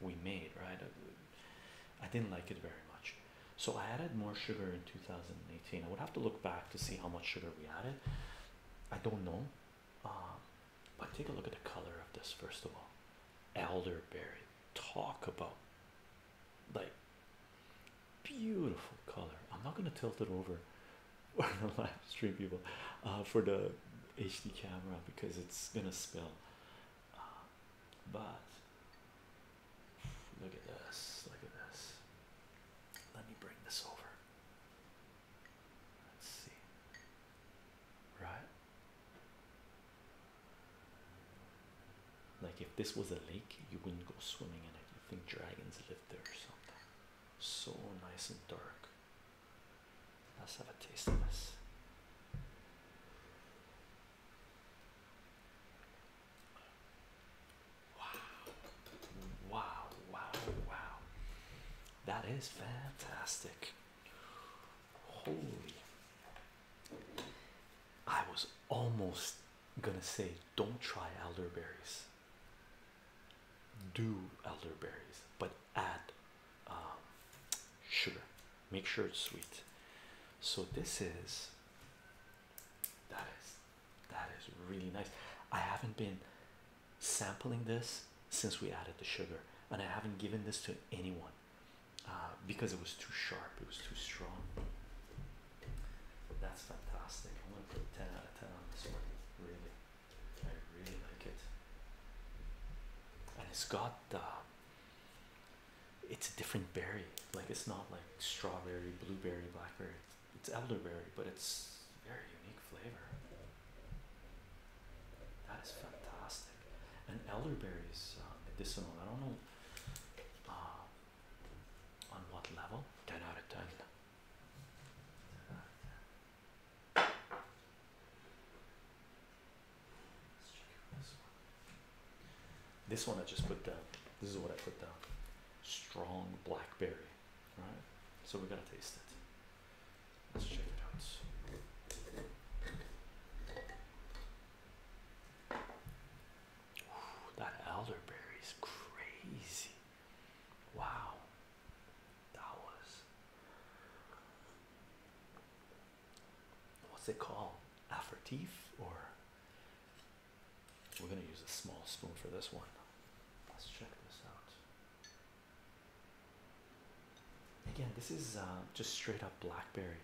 we made, right? Uh, I didn't like it very much. So I added more sugar in 2018. I would have to look back to see how much sugar we added. I don't know. Um, but take a look at the color of this first of all. Elderberry. Talk about like beautiful color. I'm not gonna tilt it over live stream people uh, for the HD camera because it's gonna spill. Um, but look at this, look at this. Let me bring this over. Let's see. Right? Like if this was a lake, you wouldn't go swimming in it. You think dragons live there or something. So nice and dark. Let's have a taste of this. Wow, wow, wow, wow. That is fantastic. Holy. I was almost gonna say, don't try elderberries do elderberries but add um, sugar make sure it's sweet so this is that is that is really nice i haven't been sampling this since we added the sugar and i haven't given this to anyone uh, because it was too sharp it was too strong that's fantastic i'm gonna put 10 out of 10 on this one really I really like it. And it's got the. it's a different berry. Like it's not like strawberry, blueberry, blackberry. It's elderberry, but it's very unique flavor. That is fantastic. And elderberry is um, medicinal. I don't know uh, on what level. Ten out of ten. 10 out of 10 this one I just put down. This is what I put down. Strong blackberry. All right. So we're gonna taste it. Let's check it out. that elderberry is crazy. Wow. That was what's it called? Aperitif or we're gonna use a small spoon for this one. Let's check this out. Again, this is uh, just straight up blackberry.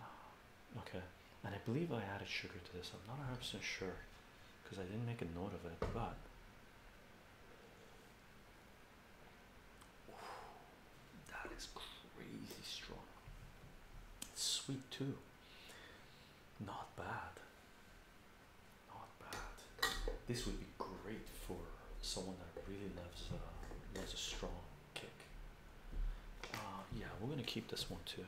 Uh, okay, and I believe I added sugar to this. I'm not 100% sure because I didn't make a note of it, but that is crazy strong. Sweet too. Not bad. Not bad. This would be great for someone that really loves uh, loves a strong kick. Uh, yeah, we're gonna keep this one too.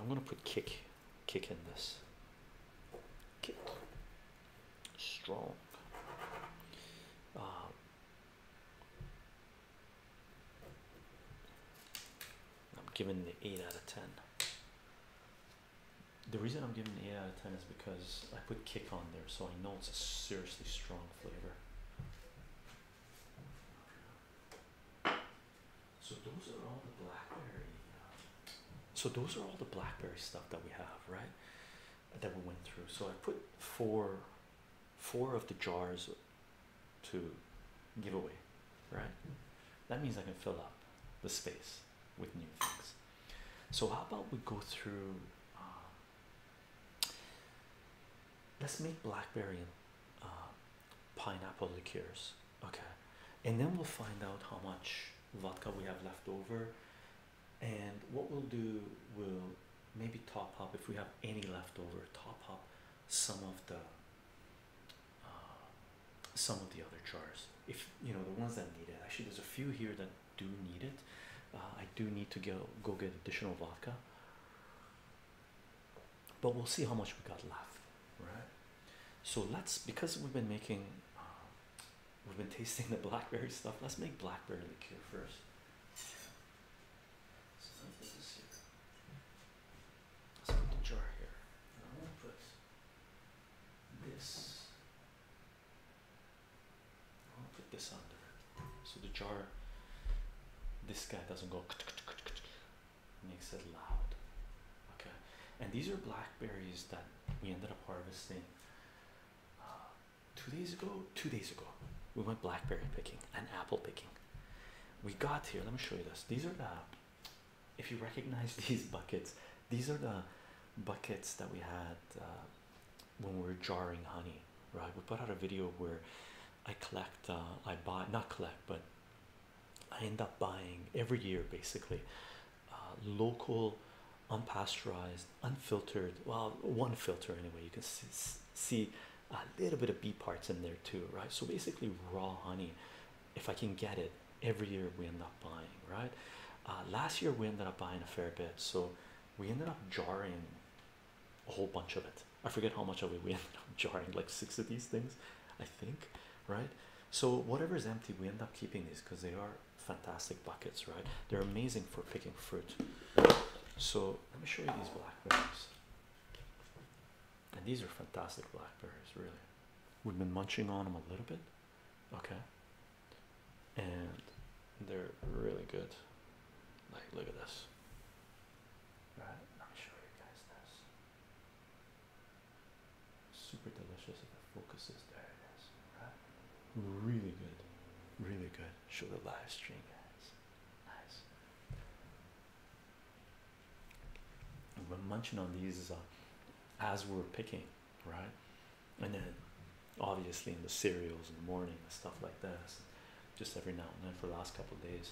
I'm gonna put kick, kick in this. Kick strong. Um, I'm giving the 8 out of 10. The reason I'm giving the 8 out of 10 is because I put kick on there, so I know it's a seriously strong flavor. So those are all the blackberry uh, so those are all the BlackBerry stuff that we have, right? That we went through. So I put four, four of the jars to give away, right? That means I can fill up the space with new things. So how about we go through? Um, let's make blackberry and uh, pineapple liqueurs, okay? And then we'll find out how much vodka we have left over and what we'll do we'll maybe top up if we have any leftover. top up some of the uh, some of the other jars if you know the ones that need it actually there's a few here that do need it uh, I do need to go go get additional vodka but we'll see how much we got left right so let's because we've been making uh, We've been tasting the blackberry stuff. Let's make blackberry liqueur first. So let me put this here. Let's put the jar here. And I'm gonna put this. I'm gonna put this under. So the jar this guy doesn't go makes it loud. Okay. And these are blackberries that we ended up harvesting uh, two days ago, two days ago, we went blackberry picking and apple picking. We got here, let me show you this. These are the, if you recognize these buckets, these are the buckets that we had uh, when we were jarring honey, right? We put out a video where I collect, uh, I buy, not collect, but I end up buying every year basically uh, local, unpasteurized, unfiltered. Well, one filter anyway. You can see, a little bit of bee parts in there too, right? So basically, raw honey. If I can get it, every year we end up buying, right? Uh, last year we ended up buying a fair bit, so we ended up jarring a whole bunch of it. I forget how much of we ended up jarring, like six of these things, I think, right? So whatever is empty, we end up keeping these because they are fantastic buckets, right? They're amazing for picking fruit. So let me show you these blackberries. And these are fantastic blackberries, really. We've been munching on them a little bit, okay? And they're really good. Like, look at this. Right, let me show you guys this. Super delicious the focus is there it is right really good really good show the live stream guys nice we're munching on these uh, as we're picking right and then obviously in the cereals in the morning and stuff like this just every now and then for the last couple of days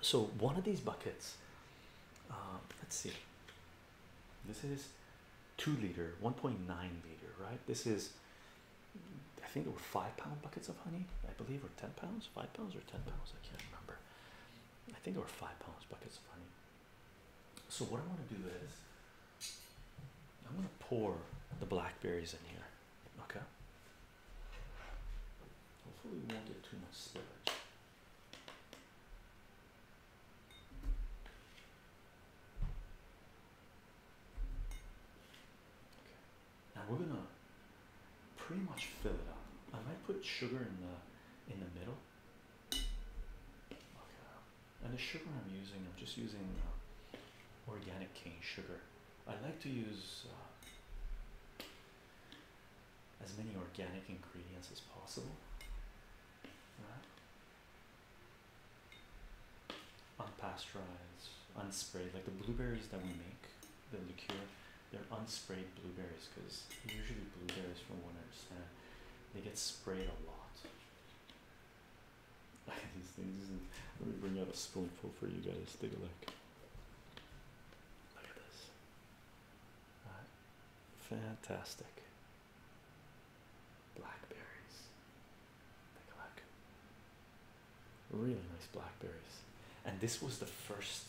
so one of these buckets uh, let's see this is 2 liter, 1.9 liter, right? This is, I think there were 5 pound buckets of honey, I believe, or 10 pounds, 5 pounds, or 10 pounds, I can't remember. I think there were 5 pounds buckets of honey. So, what I want to do is, I'm going to pour the blackberries in here, okay? Hopefully, we won't get too much spillage. Now we're gonna pretty much fill it up. I might put sugar in the in the middle. And the sugar I'm using, I'm just using uh, organic cane sugar. I like to use uh, as many organic ingredients as possible. Right. Unpasteurized, unsprayed, like the blueberries that we make, the liqueur, they're unsprayed blueberries because usually blueberries, from what I understand, they get sprayed a lot. These things, let me bring out a spoonful for you guys. Take a look. Look at this. Fantastic. Blackberries. Take a Really nice blackberries. And this was the first.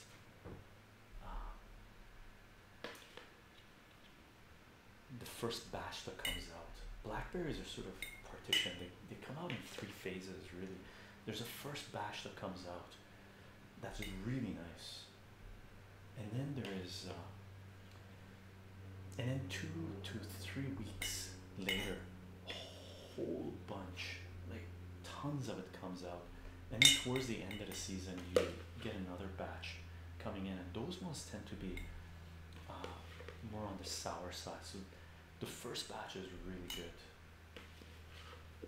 Um, the first batch that comes out. Blackberries are sort of partitioned. They, they come out in three phases, really. There's a first batch that comes out that's really nice and then there is uh, and then two to three weeks later a whole bunch like tons of it comes out and then towards the end of the season you get another batch coming in and those ones tend to be uh, more on the sour side so the first batch is really good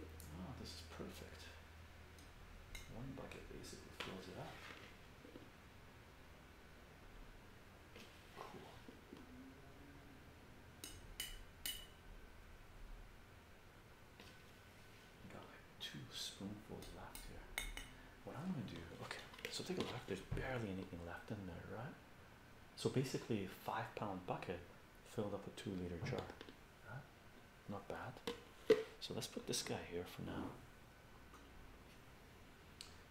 oh this is perfect one bucket basically fills it up Got like two spoonfuls left here. What I'm gonna do, okay, so take a look, there's barely anything left in there, right? So basically, a five pound bucket filled up a two liter jar. Not bad. So let's put this guy here for now.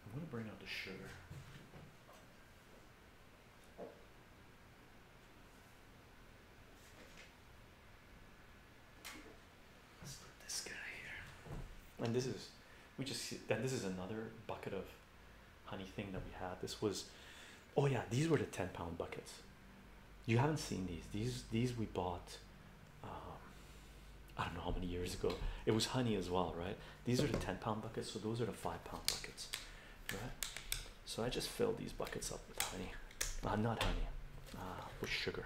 I'm going to bring out the sugar. Let's put this guy here. And this is, we just, then this is another bucket of honey thing that we had. This was, oh yeah, these were the 10 pound buckets. You haven't seen these. These, these we bought um, I don't know how many years ago. It was honey as well, right? These are the 10 pound buckets, so those are the 5 pound buckets, right? So I just filled these buckets up with honey. Uh, not honey, uh, with sugar.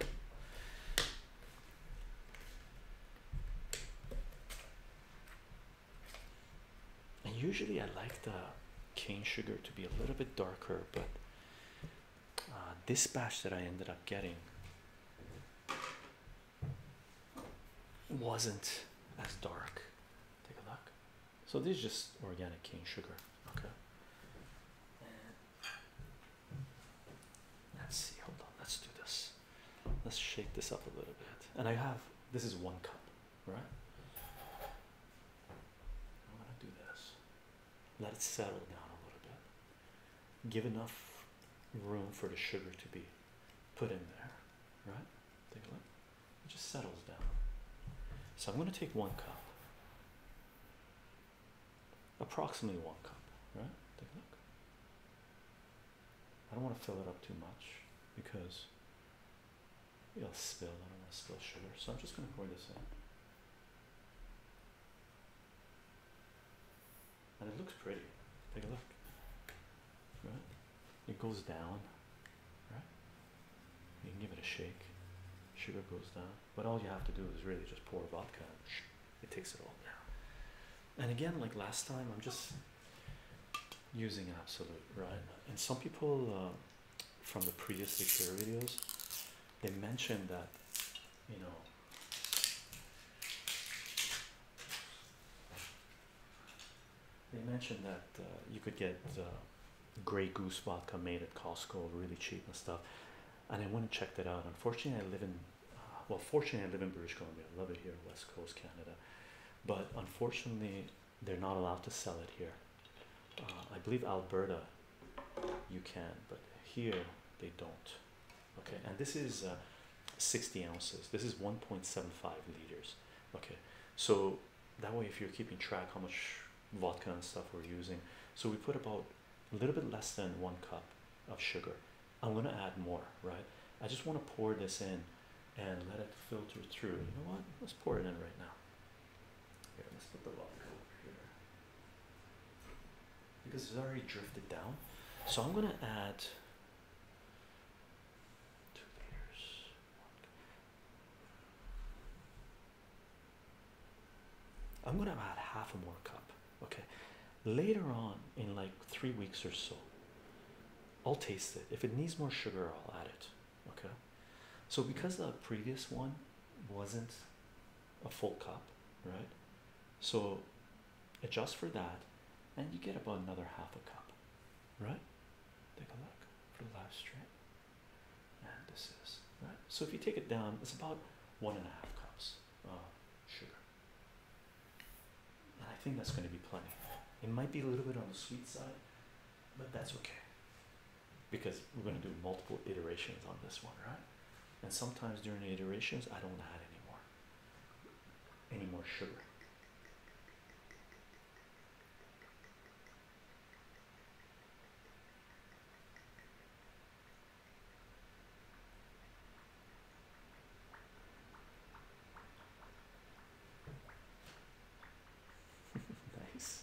And usually I like the cane sugar to be a little bit darker, but uh, this batch that I ended up getting wasn't as dark. Take a look. So this is just organic cane sugar. Okay. Let's see. Hold on. Let's do this. Let's shake this up a little bit. And I have this is one cup, right? I'm gonna do this. Let it settle down a little bit give enough room for the sugar to be put in there, right? Take a look. It just settles down. So I'm going to take one cup, approximately one cup, right? Take a look. I don't want to fill it up too much because it'll spill. I don't want to spill sugar, so I'm just going to pour this in and it looks pretty. Take a look. Right? It goes down. Right? You can give it a shake. Sugar goes down. But all you have to do is really just pour vodka it takes it all down. And again, like last time, I'm just using absolute, right? And some people uh, from the previous six videos, they mentioned that, you know, they mentioned that uh, you could get uh, Grey Goose vodka made at Costco, really cheap and stuff. And I went and checked it out. Unfortunately, I live in, uh, well, fortunately, I live in British Columbia. I love it here, West Coast Canada. But unfortunately, they're not allowed to sell it here. I believe Alberta, you can, but here they don't okay and this is uh, 60 ounces this is 1.75 liters okay so that way if you're keeping track how much vodka and stuff we're using so we put about a little bit less than one cup of sugar i'm going to add more right i just want to pour this in and let it filter through you know what let's pour it in right now here let's put the vodka over here because it's already drifted down. So I'm gonna add two meters. I'm gonna add half a more cup. Okay. Later on, in like three weeks or so, I'll taste it. If it needs more sugar, I'll add it. Okay. So because the previous one wasn't a full cup, right? So adjust for that, and you get about another half a cup, right? Take a look for the last stream. And this is right. So if you take it down, it's about one and a half cups of sugar. And I think that's going to be plenty. It might be a little bit on the sweet side, but that's okay. Because we're going to do multiple iterations on this one, right? And sometimes during the iterations, I don't add anymore any more sugar. nice.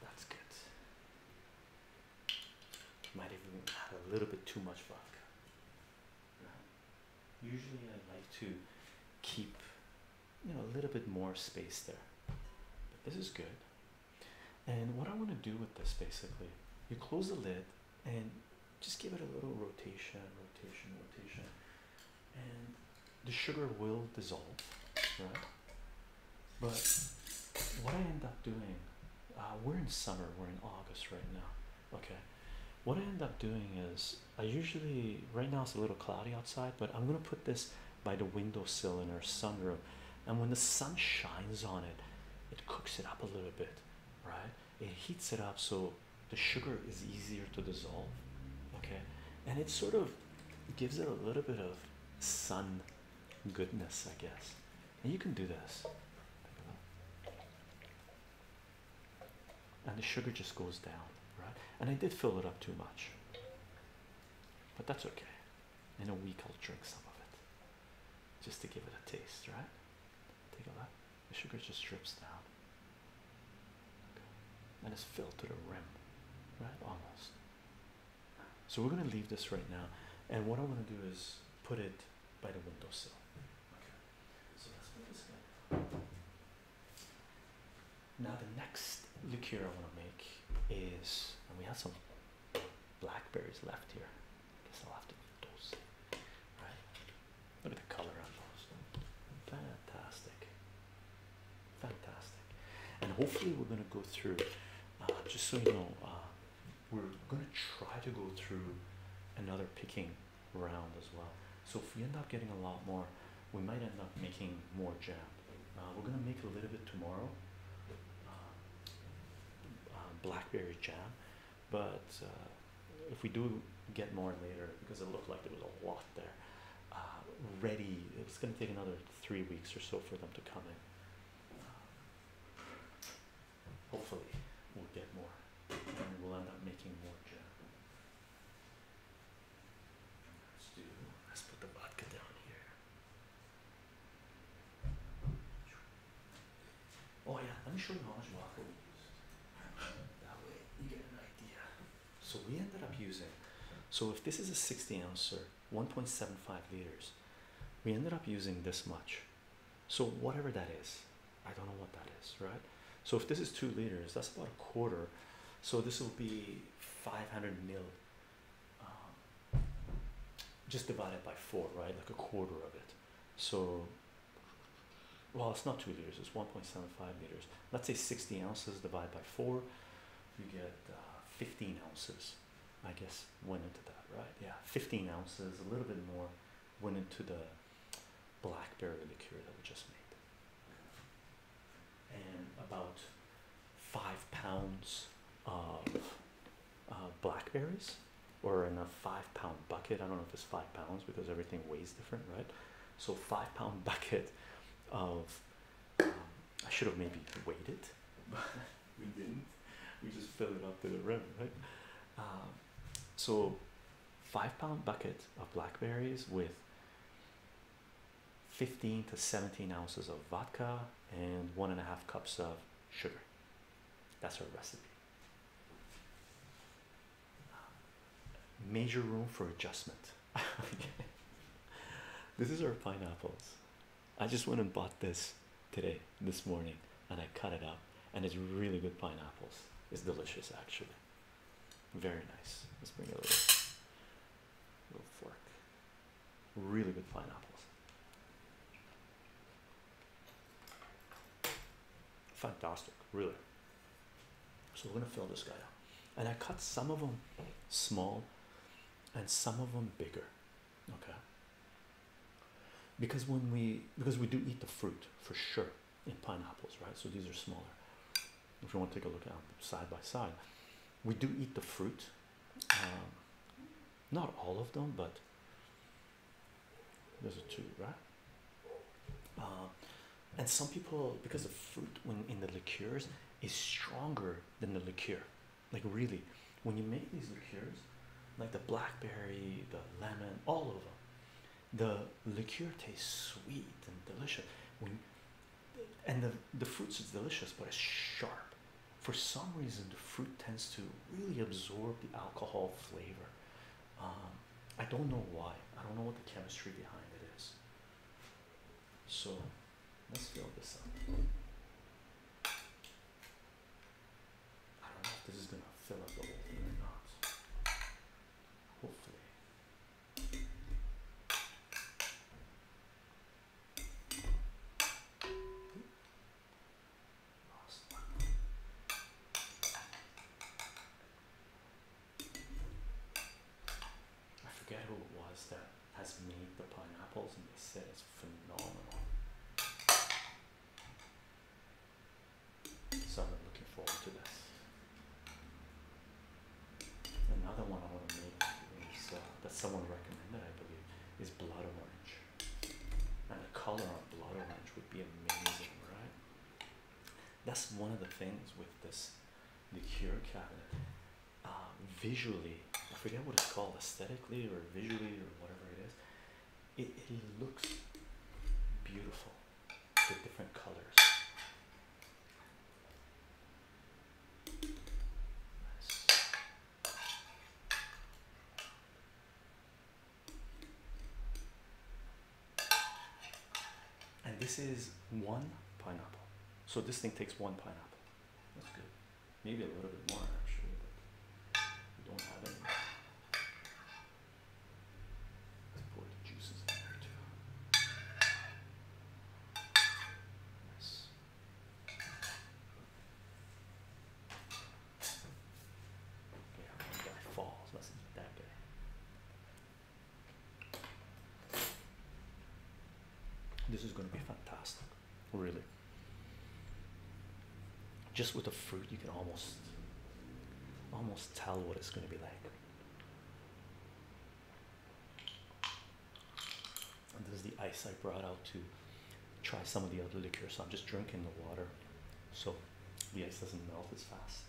That's good. Might even add a little bit too much vodka. Usually, I like to keep you know a little bit more space there, but this is good. And what I want to do with this basically, you close the lid and just give it a little rotation, rotation, rotation, and the sugar will dissolve, right? But what I end up doing, uh, we're in summer, we're in August right now. Okay, what I end up doing is I usually right now it's a little cloudy outside, but I'm gonna put this by the windowsill in our sunroom, and when the sun shines on it, it cooks it up a little bit, right? It heats it up so the sugar is easier to dissolve, okay, and it sort of gives it a little bit of sun goodness, I guess. And you can do this. And the sugar just goes down, right? And I did fill it up too much. But that's okay. In a week, I'll drink some of it just to give it a taste, right? Take a look. The sugar just drips down. And it's filled to the rim, right? Almost. So we're going to leave this right now. And what I want to do is put it by the windowsill. Okay. So that's what this guy. Now the next liqueur I want to make is, and we have some blackberries left here. guess I'll have to eat those. Right? Look at the color on those. Fantastic. Fantastic. And hopefully we're gonna go through. Uh, just so you know, uh, we're going to try to go through another picking round as well. So if we end up getting a lot more, we might end up making more jam. Uh, we're going to make a little bit tomorrow, uh, uh, blackberry jam, but if we do get more later, because it looked like there was a lot there, ready, it's going to take another three weeks or so for them to come in hopefully we'll get more and we'll end up making more gin. Let's do let's put the vodka down here. Oh yeah, let me show you how much vodka we used. That way you get an idea. So we ended up using so if this is a 60 ouncer, 1.75 liters, we ended up using this much. So whatever that is, I don't know what that is, right? So if this is two liters, that's about a quarter. So this will be 500 mil, um, just divided by four, right? Like a quarter of it. So, well, it's not two liters. It's 1.75 liters. Let's say 60 ounces divided by four. You get uh, 15 ounces. I guess went into that, right? Yeah, 15 ounces, a little bit more, went into the blackberry liqueur that we just made, and about five pounds of uh, blackberries, or in a five pound bucket. I don't know if it's five pounds because everything weighs different, right? So, five pound bucket of um, I should have maybe weighed it, but we didn't. We just filled it up to the rim, right? Um, so five pound bucket of blackberries with 15 to 17 ounces of vodka and one and a half cups of sugar. That's our recipe. Major room for adjustment. this is our pineapples. I just went and bought this today this morning and I cut it up, and it's really good pineapples. It's delicious, actually. Very nice. Let's bring a little, little fork. Really good pineapples. Fantastic, really. So we're gonna fill this guy up, and I cut some of them small, and some of them bigger. Okay, because when we because we do eat the fruit for sure in pineapples right so these are smaller if you want to take a look at them side by side we do eat the fruit um, not all of them but there's a two right um, and some people because the fruit when in the liqueurs is stronger than the liqueur like really when you make these liqueurs like the blackberry the lemon all of them the liqueur tastes sweet and delicious when, and the, the fruits is delicious but it's sharp for some reason the fruit tends to really absorb the alcohol flavor um, i don't know why i don't know what the chemistry behind it is so let's fill this up I don't know if this is gonna fill up the whole thing or not. Hopefully. Lost one. I forget who it was that has made the pineapples and they said it's phenomenal. So I'm looking forward to this. Another one I want to make is uh, that someone recommended, I believe, is blood orange. And the color on blood orange would be amazing, right? That's one of the things with this the cure cabinet. Um, visually, I forget what it's called, aesthetically or visually or whatever it is. It, it looks beautiful different colors. And this is one pineapple. So this thing takes one pineapple. That's good. Maybe a little bit more actually, but we don't have any let guy falls. Must have that guy. This is going to be fantastic, really just with the fruit you can almost almost tell what it's going to be like this is the ice i brought out to try some of the other liquor so i'm just drinking the water so the ice doesn't melt as fast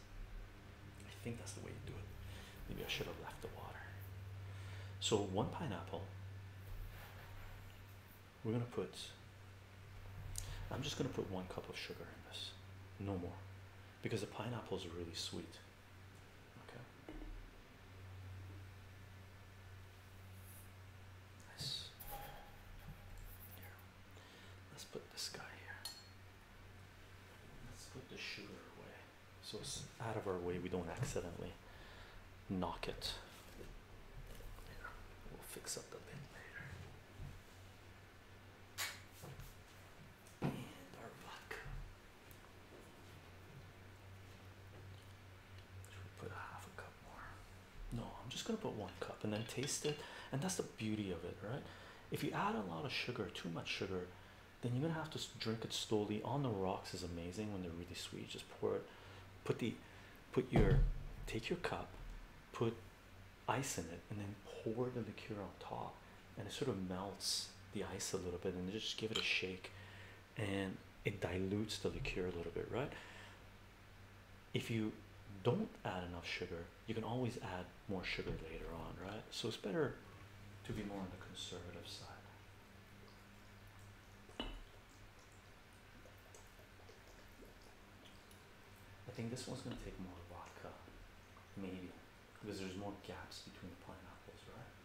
i think that's the way you do it maybe i should have left the water so one pineapple we're going to put I'm just going to put one cup of sugar in this, no more, because the pineapples are really sweet. Okay. Nice. Here. Let's put this guy here. Let's put the sugar away so it's out of our way, we don't accidentally knock it. We'll fix up the lid later. And our vodka. Should we put half a cup more? No, I'm just gonna put one cup and then taste it. And that's the beauty of it, right? If you add a lot of sugar, too much sugar, then you're gonna have to drink it slowly. On the rocks is amazing when they're really sweet. Just pour it, put the, put your, take your cup, put ice in it and then pour the liqueur on top and it sort of melts the ice a little bit and just give it a shake and it dilutes the liqueur a little bit right if you don't add enough sugar you can always add more sugar later on right so it's better to be more on the conservative side I think this one's going to take more vodka, maybe, because there's more gaps between the pineapples, right?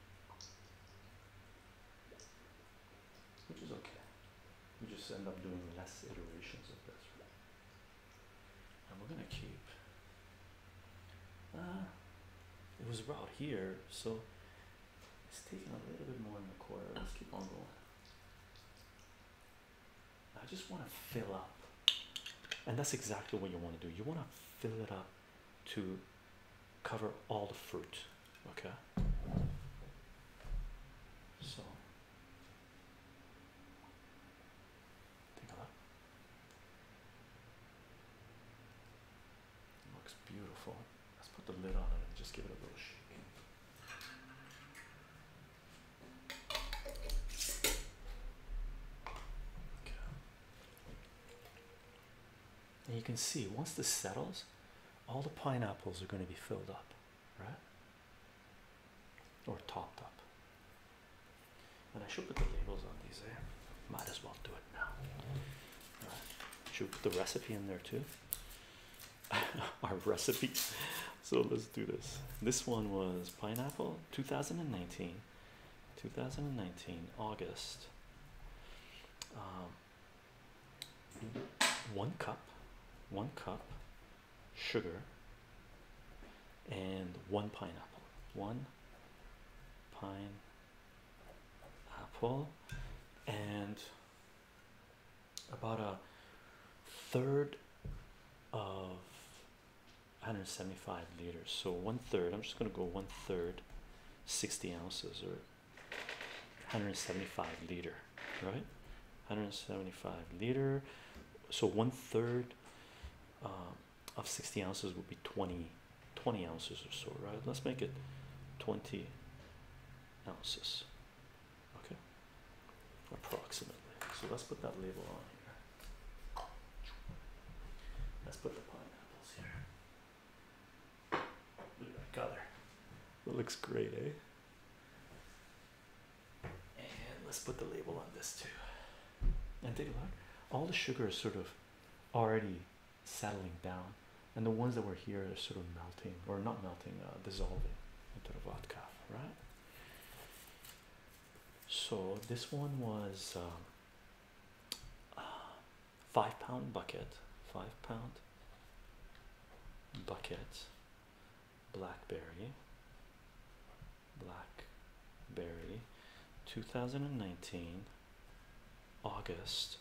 Which is okay. We just end up doing less iterations of this, right? And we're going to keep. Uh, it was about here, so it's taking a little bit more in the corner. Let's keep on going. I just want to fill up, and that's exactly what you want to do. You want to fill it up to cover all the fruit, okay? So, looks beautiful. Let's put the lid on it and just give it a little shake. And you can see once this settles, all the pineapples are going to be filled up, right? Or topped up. And I should put the labels on these there. Eh? Might as well do it now. All right. Should put the recipe in there too. Our recipes. So let's do this. This one was pineapple 2019, 2019 August. Um, one cup, one cup sugar, and one pineapple. One pine apple, and about a third of 175 liters so one third i'm just going to go one third 60 ounces or 175 liter right 175 liter so one third um, of 60 ounces would be 20 20 ounces or so right let's make it 20 ounces okay approximately. So let's put that label on here. Let's put the pineapples here. Look at that color. That looks great, eh? And let's put the label on this too. And take a look. All the sugar is sort of already settling down, and the ones that were here are sort of melting, or not melting, uh, dissolving into the vodka, right? so this one was um, uh, five pound bucket five pound bucket blackberry blackberry 2019 august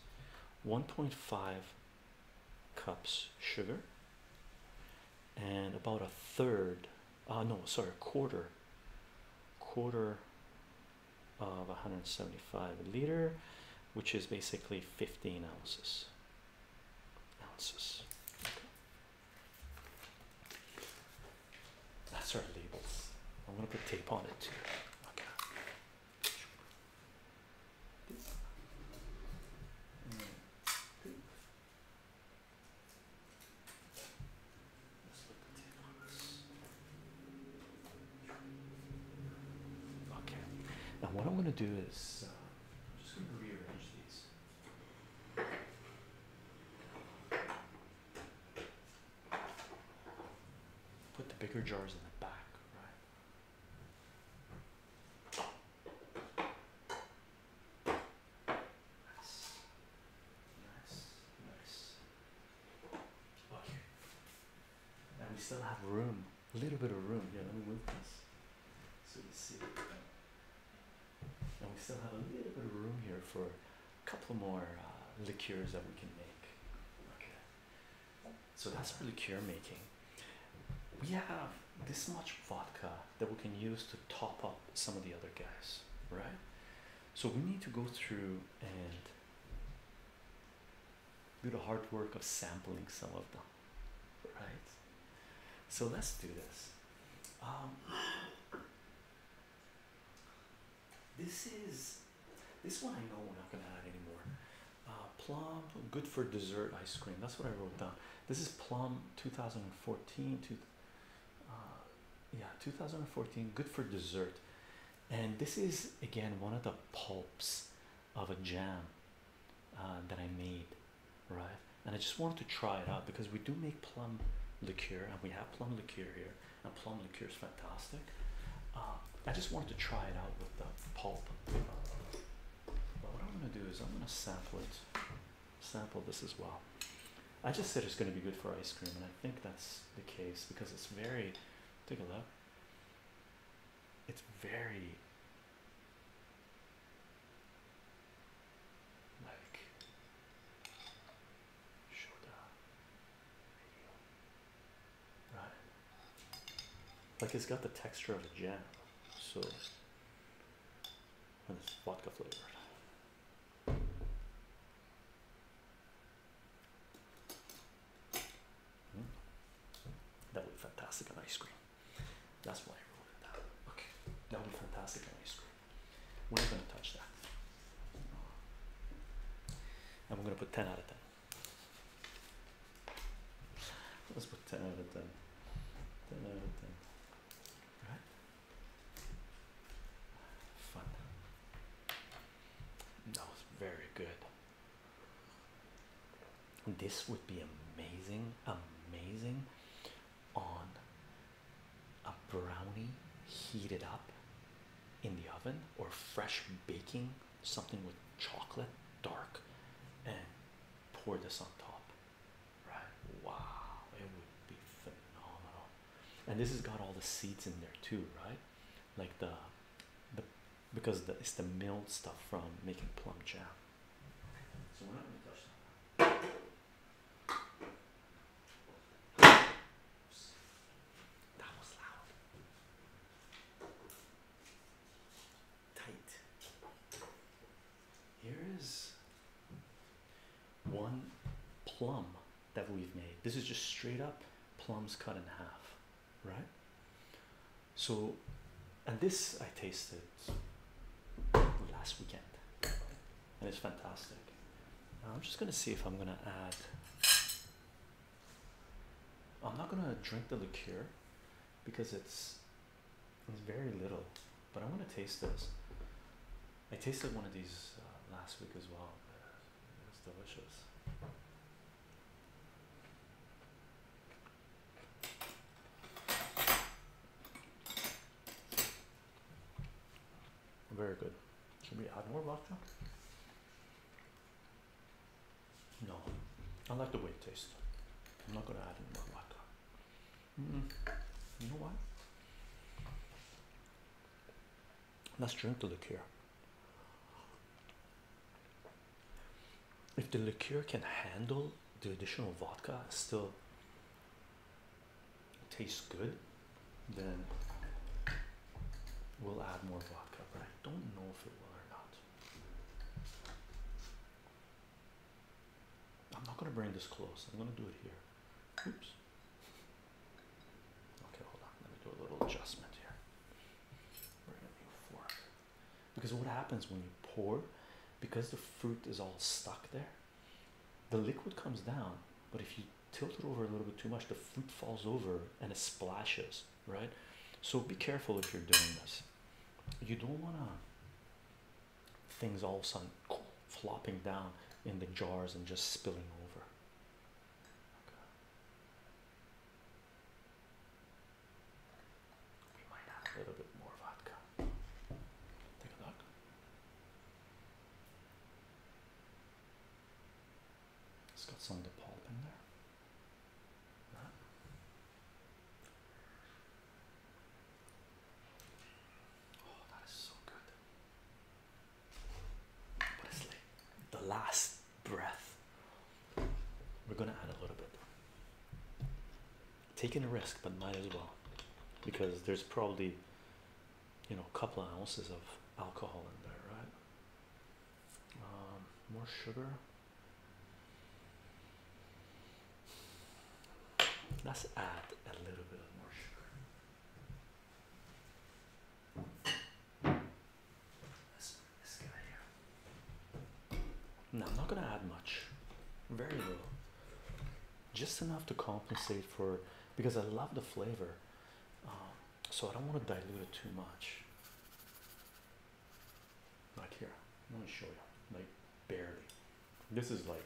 1.5 cups sugar and about a third uh, no sorry quarter quarter of 175 liter which is basically 15 ounces ounces that's our labels i'm going to put tape on it too Okay, now what I'm going to do is uh, I'm just going to rearrange these. Put the bigger jars in the back, right? Nice. Nice. Nice. Okay. And we still have room. A little bit of room. Yeah, let me move this. So you see. And we still have a little bit of room here for a couple more uh, liqueurs that we can make. Okay. So that's for liqueur making. We have this much vodka that we can use to top up some of the other guys, right? So we need to go through and do the hard work of sampling some of them, right? So let's do this. Um, this is this one I know we're not gonna add anymore. Uh, plum, good for dessert ice cream. That's what I wrote down. This is plum 2014, uh, yeah 2014 good for dessert and this is again one of the pulps of a jam uh, that I made right and I just wanted to try it out because we do make plum liqueur and we have plum liqueur here and plum liqueur is fantastic uh, I just wanted to try it out with the pulp but what I'm gonna do is I'm gonna sample it sample this as well. I just said it's going to be good for ice cream, and I think that's the case because it's very. Take a look. It's very. Like. Right. Like it's got the texture of a jam, so. And it's vodka flavored. Hmm? That would be fantastic ice cream. That's why I wrote it down. Okay, that would be fantastic ice cream. We're not gonna touch that. And we're gonna put 10 out of 10. Let's put 10 out of 10. 10 out of 10. All right? Fun. That was very good. This would be amazing, amazing on a brownie heated up in the oven or fresh baking something with chocolate dark and pour this on top right? Wow, it would be phenomenal. And this has got all the seeds in there too, right? Like the the because the, it's the milled stuff from making plum jam. That was loud. Tight. Here is one plum that we've made. This is just straight up plums cut in half, right? So, and this I tasted last weekend, and it's fantastic. Now I'm just gonna see if I'm gonna add. I'm not gonna drink the liqueur because it's it's very little, but I want to taste this. I tasted one of these uh, last week as well. It's delicious. Very good. Should we add more vodka? No, I like the way it tastes. I'm not going to add any more vodka. Hmm. You know what? Let's drink the liqueur. If the liqueur can handle the additional vodka, still tastes good, then we'll add more vodka. But I don't know if it will or not. I'm not going to bring this close, I'm going to do it here. Oops. Okay, hold on. Let me do a little adjustment here. We're gonna need fork because what happens when you pour, because the fruit is all stuck there, the liquid comes down. But if you tilt it over a little bit too much, the fruit falls over and it splashes. Right. So be careful if you're doing this. You don't wanna things all of a sudden flopping down in the jars and just spilling over. We might add a little bit more vodka. Take a look. It's got some of in there. Oh, that is so good but the last breath. We're gonna add a little bit. Taking a risk, but might as well, because there's probably, you know, a couple of ounces of alcohol in there, right? Um, more sugar. Let's add a little bit of more sugar. I'm not gonna add much, very little, just enough to compensate for because I love the flavor, um, so I don't want to dilute it too much. Like here, let me show you, like barely. This is like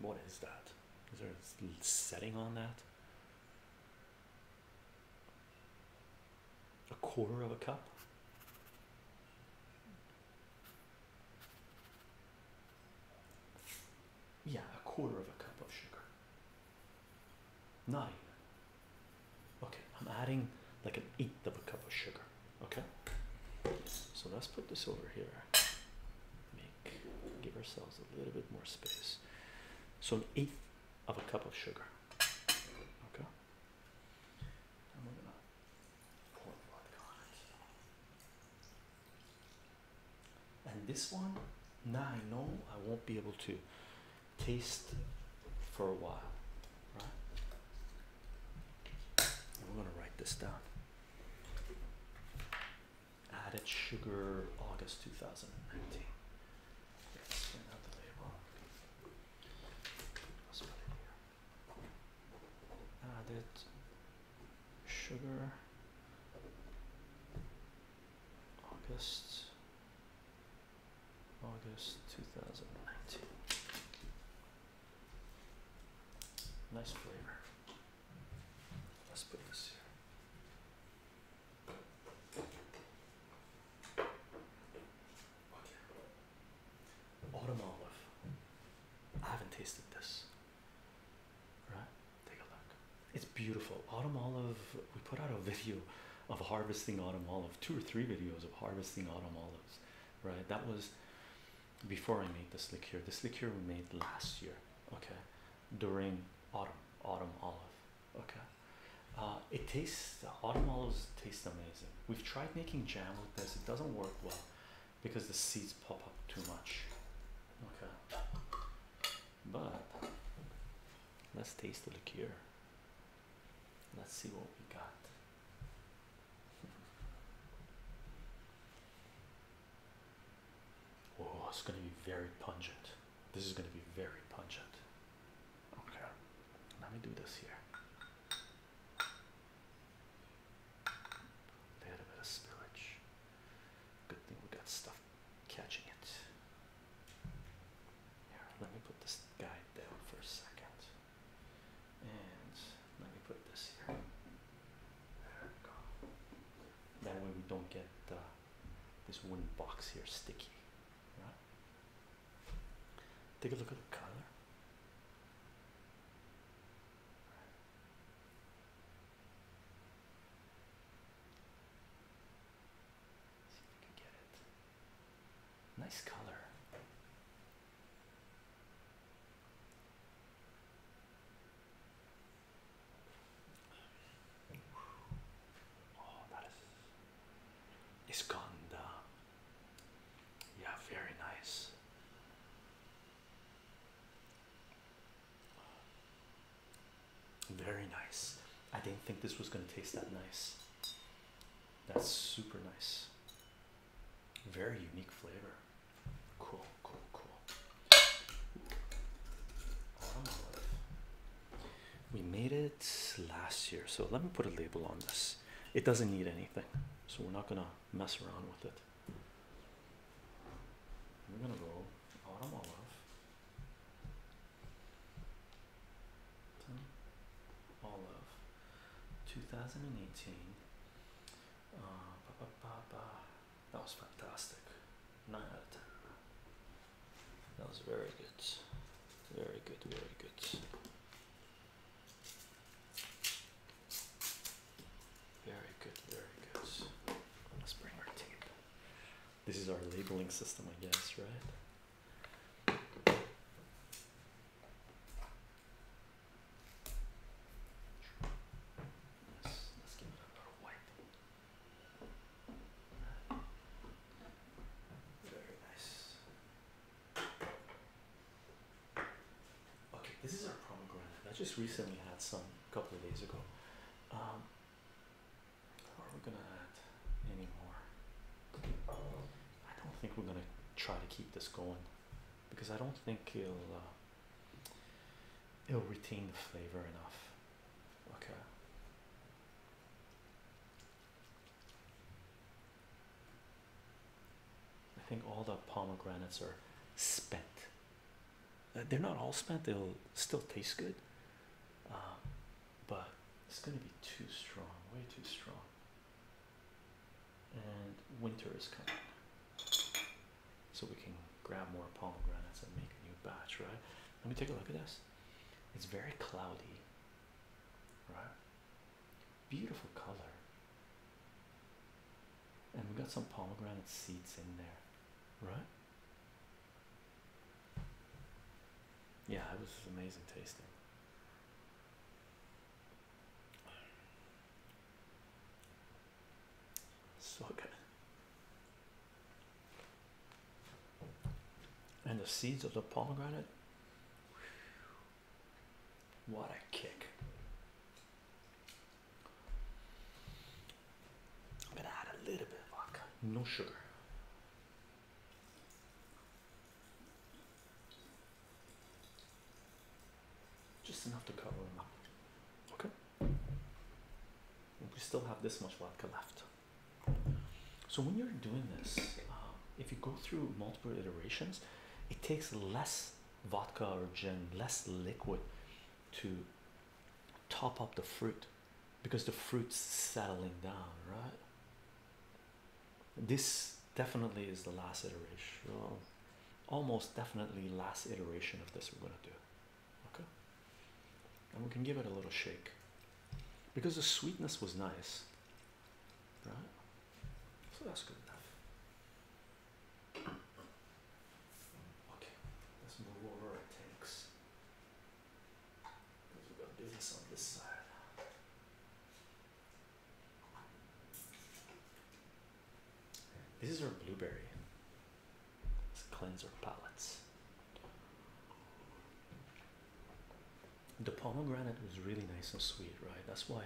what is that? Is there a setting on that? A quarter of a cup? Yeah, a quarter of a cup of sugar. Not even. Okay, I'm adding like an eighth of a cup of sugar. Okay, so let's put this over here. Make give ourselves a little bit more space. So an eighth of a cup of sugar. Okay. And this one, now I know I won't be able to taste for a while, right? And we're gonna write this down. Added sugar August 2019. Let's out the label. Added sugar August August 2019. Nice flavor. Let's put this here. Autumn olive. I haven't tasted this. Right? Take a look. It's beautiful. Autumn olive. We put out a video of harvesting autumn olive, two or three videos of harvesting autumn olives. Right? That was before I made this liqueur. This liqueur we made last year, okay, during autumn, autumn olive, okay. Uh, it tastes the autumn olives taste amazing. We've tried making jam with this; it doesn't work well because the seeds pop up too much. Okay, but let's taste the liqueur. Let's see what we got. Oh, it's going to be very pungent. This is going to be very pungent. Okay, let me do this here. A little bit of spillage. Good thing we got stuff catching it. Here, let me put this guy down for a second. And let me put this here. There we go. That way we don't get uh, this wooden box here sticky. Take a look at the color. See if you can get it. Nice color. Oh, is it's gone uh, Yeah, very nice. Very nice. I didn't think this was going to taste that nice. That's super nice. Very unique flavor. Cool, cool, cool. We made it last year, so let me put a label on this. It doesn't need anything, so we're not gonna mess around with it. We're gonna go autumn All of. 2018. Uh, ba, ba, ba, ba. That was fantastic. Nine out of ten. That was very good. Very good, very good. Very good, very good. Let's bring our tape. This is our labeling system, I guess, right? Okay, this is our pomegranate. I just recently had some a couple of days ago. Um, are we gonna add any I don't think we're gonna try to keep this going because I don't think he will uh, it'll retain the flavor enough. Okay. I think all the pomegranates are spent. Uh, they're not all spent, they'll still taste good. Um, but it's going to be too strong, way too strong. And winter is coming so we can grab more pomegranates and make a new batch, right? Let me take a look at this. It's very cloudy, right? Beautiful color. And we got some pomegranate seeds in there, right? Yeah, it was amazing tasting. So good. And the seeds of the pomegranate. What a kick. I'm gonna add a little bit of vodka, no sugar just enough to cover them up. Okay, we still have this much vodka left. So, when you're doing this, um, if you go through multiple iterations, it takes less vodka or gin, less liquid to top up the fruit because the fruit's settling down, right? This definitely is the last iteration, almost definitely last iteration of this we're going to do. Okay, and we can give it a little shake because the sweetness was nice, right? So that's good enough. Okay, let's move over our tanks because we got business on this side. This is our blueberry. Let's cleanse our palates. The pomegranate was really nice and sweet, right? That's why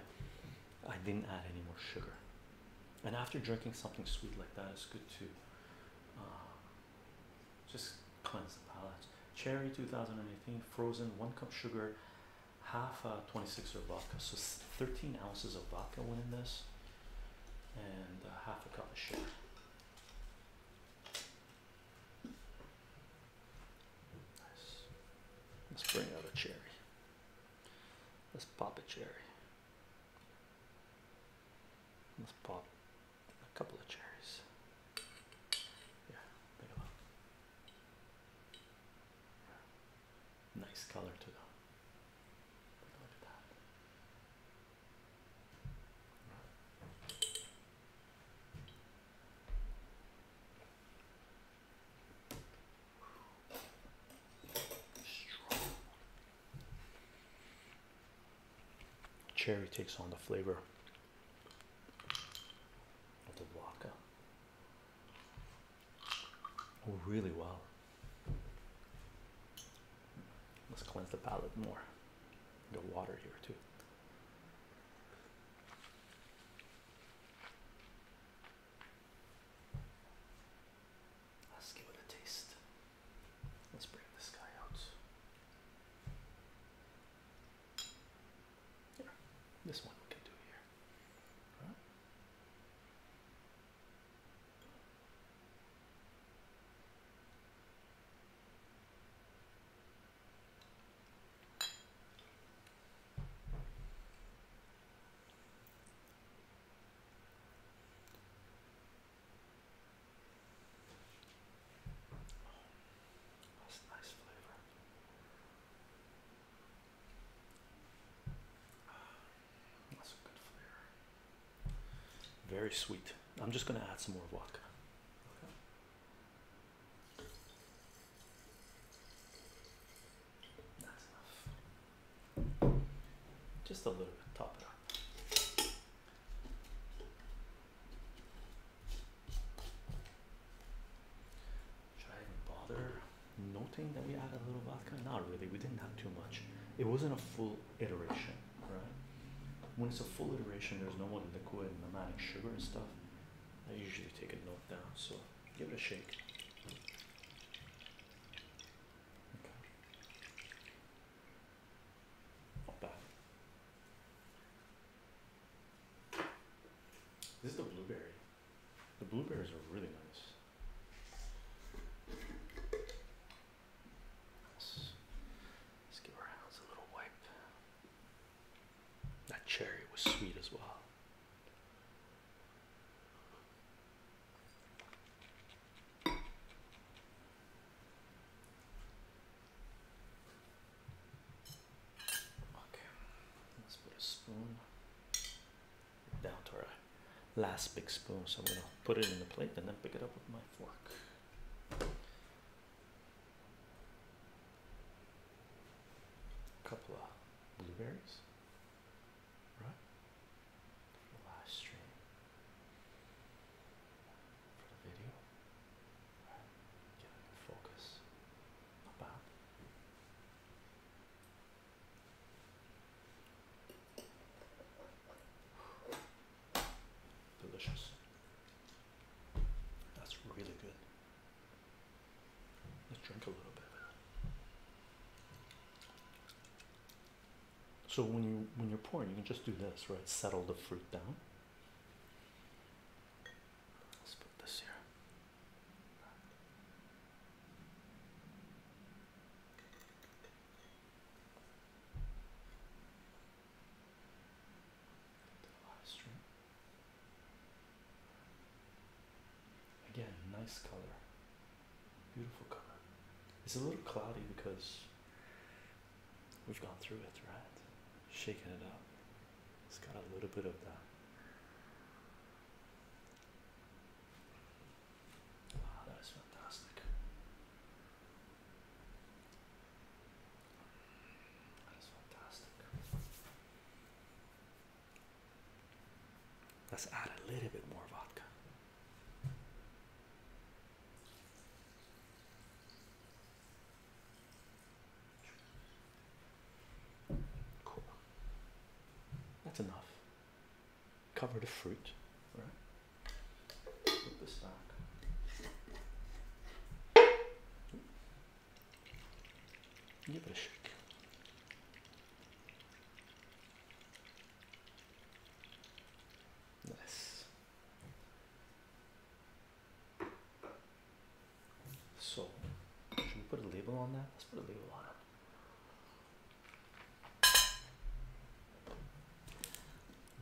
I didn't add any more sugar. And after drinking something sweet like that, it's good to uh, just cleanse the palate. Cherry 2018, frozen, one cup sugar, half a uh, 26er vodka. So 13 ounces of vodka went in this and half a cup of sugar. Nice. Let's bring out a cherry. Let's pop a cherry. Let's pop a couple of cherries. Yeah, big enough. Yeah. Nice color to them. that. Cherry takes on the flavor of the vodka. Oh, really well. Let's cleanse the palate more. The water here too. Let's give it a taste. Let's bring this guy out. Here, this one we can do here. Right. That's a nice flavor. That's a good flavor. Very sweet. I'm just going to add some more vodka. That's enough. Just a little bit, top it up. Should I even bother noting that we added a little vodka? Not really, we didn't have too much. It wasn't a full iteration, right? When it's a full iteration, there's no more liquid and manic sugar and stuff. I usually take a note down, so give it a shake. Okay. Not bad. This is the blueberry. The blueberries are really nice. Let's, give our hands a little wipe. That cherry was sweet as well. Okay, let's put a spoon down to our last big spoon. So I'm going to put it in the plate and then pick it up with my fork. A couple of blueberries. Right? Live stream for the video. Right. in focus. Not bad. Delicious. That's really good. Let's drink a little bit. So when you when you're pouring, you can just do this, right? Settle the fruit down. Let's put this here. Again, nice color, beautiful color. It's a little cloudy because we've gone through it, right? Shaking it up. It's got a little bit of that that is fantastic. That is fantastic. Let's add a little bit more vodka. Cool. That's enough cover the fruit, Put this back. Give it a shake. Nice. So, should we put a label on that? Let's put a label on it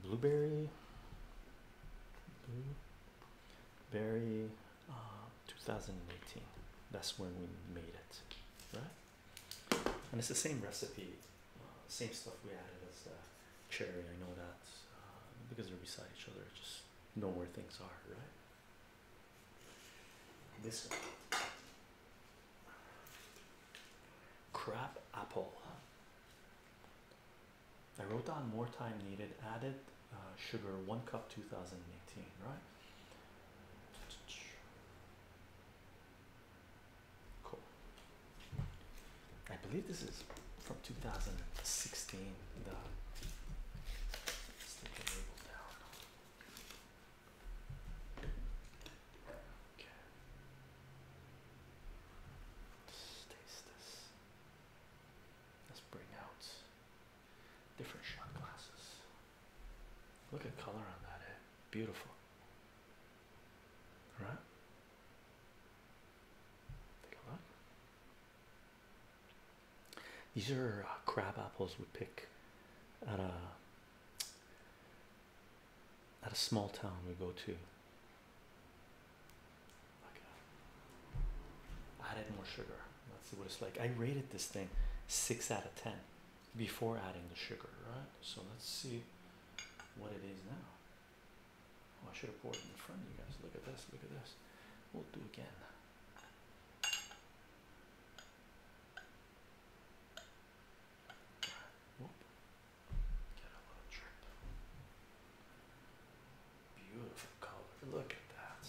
blueberry blueberry uh, 2018 that's when we made it right and it's the same recipe uh, same stuff we added as the cherry i know that uh, because we are beside each other just know where things are right this one Crap apple. I wrote down more time needed. Added uh, sugar one cup 2018, right? Cool. I believe this is from 2016. The Let's take the label down. Okay. Let's taste this. Let's bring out different shot glasses. Look at color on that, eh? Beautiful. Right? Take a look. These are uh, crab apples we pick at at a small town we go to. Uh, Added more sugar. Let's see what it's like. I rated this thing six out of ten before adding the sugar, right? So let's see what it is now. Oh, I should have poured it in front of you guys. Look at this. Look at this. We'll do again. Beautiful color. Look at that.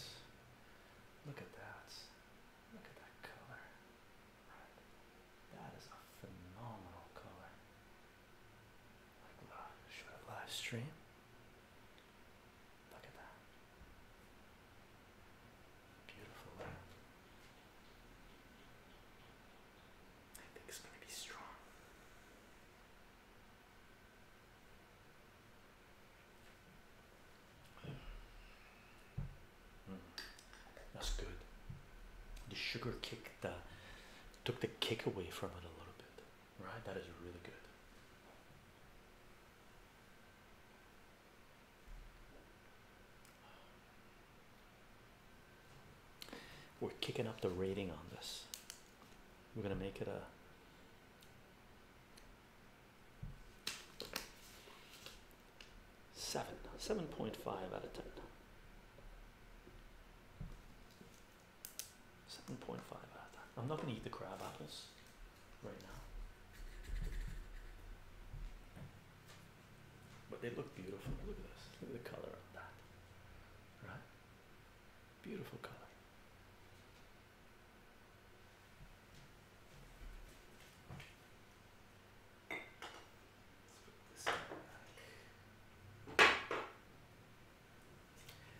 Look at that. Look at that color. That is a phenomenal color. live, should I live stream? Look at that. Beautiful I think it's going to be strong. Hmm. That's good. The sugar kick that took the kick away from it a little bit, right? That is really good. We're kicking up the rating on this. We're going to make it a seven, seven point five out of ten. Seven point five out i I'm not going to eat the crab apples right now. But they look beautiful. Look at this. Look at the color of that. Right? Beautiful color.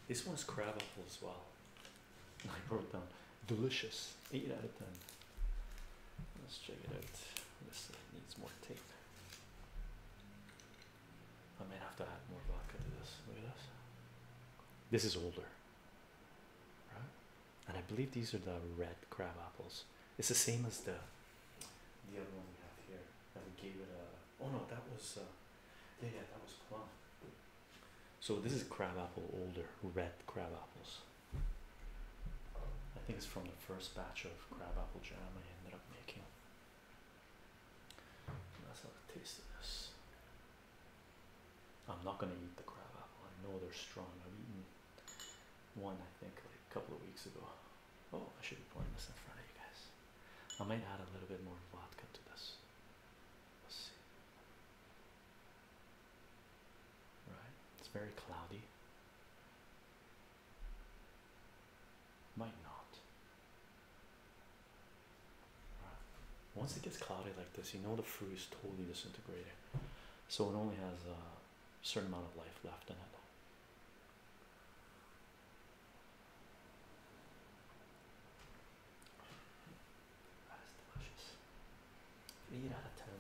this, one's craveable as well. I wrote down delicious. Eight out of ten. Let's check it out. This needs more tape. I may have to add more vodka to this. Look at this. This is older, right? And I believe these are the red crab apples. It's the same as the the other one we have here. that we gave it a. Uh, oh no, that was. Uh, yeah, yeah, that was plum. So this is crab apple older, red crab apples. I think it's from the first batch of of crabapple jam I ended up making. And let's have this. I'm not going to eat the crab apple. I know they're strong. I've eaten one, I think, like a couple of weeks ago. Oh, I should be pouring this in front of you guys. I might add a little bit more vodka to this. Let's see. Right? It's very cloudy. Might not. Once it gets cloudy like this, you know the fruit is totally disintegrated, so it only has a certain amount of life left in it. That is delicious. Eight out of ten.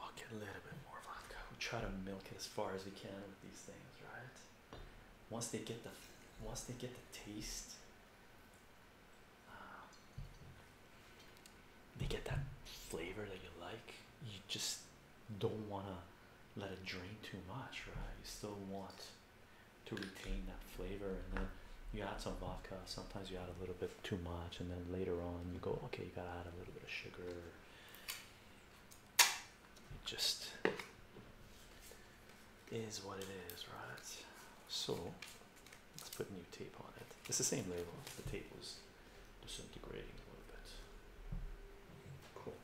I'll get a little bit more vodka. We try to milk it as far as we can with these things, right? Once they get the once they get the taste, um, they get that flavor that you like. You just don't wanna let it drain too much, right? You still want to retain that flavor, and then you add some vodka. Sometimes you add a little bit too much, and then later on you go, okay, you gotta add a little bit of sugar. just is what it is, right? So let's put new tape on it. It's the same label. The tape was disintegrating a little bit. Cool.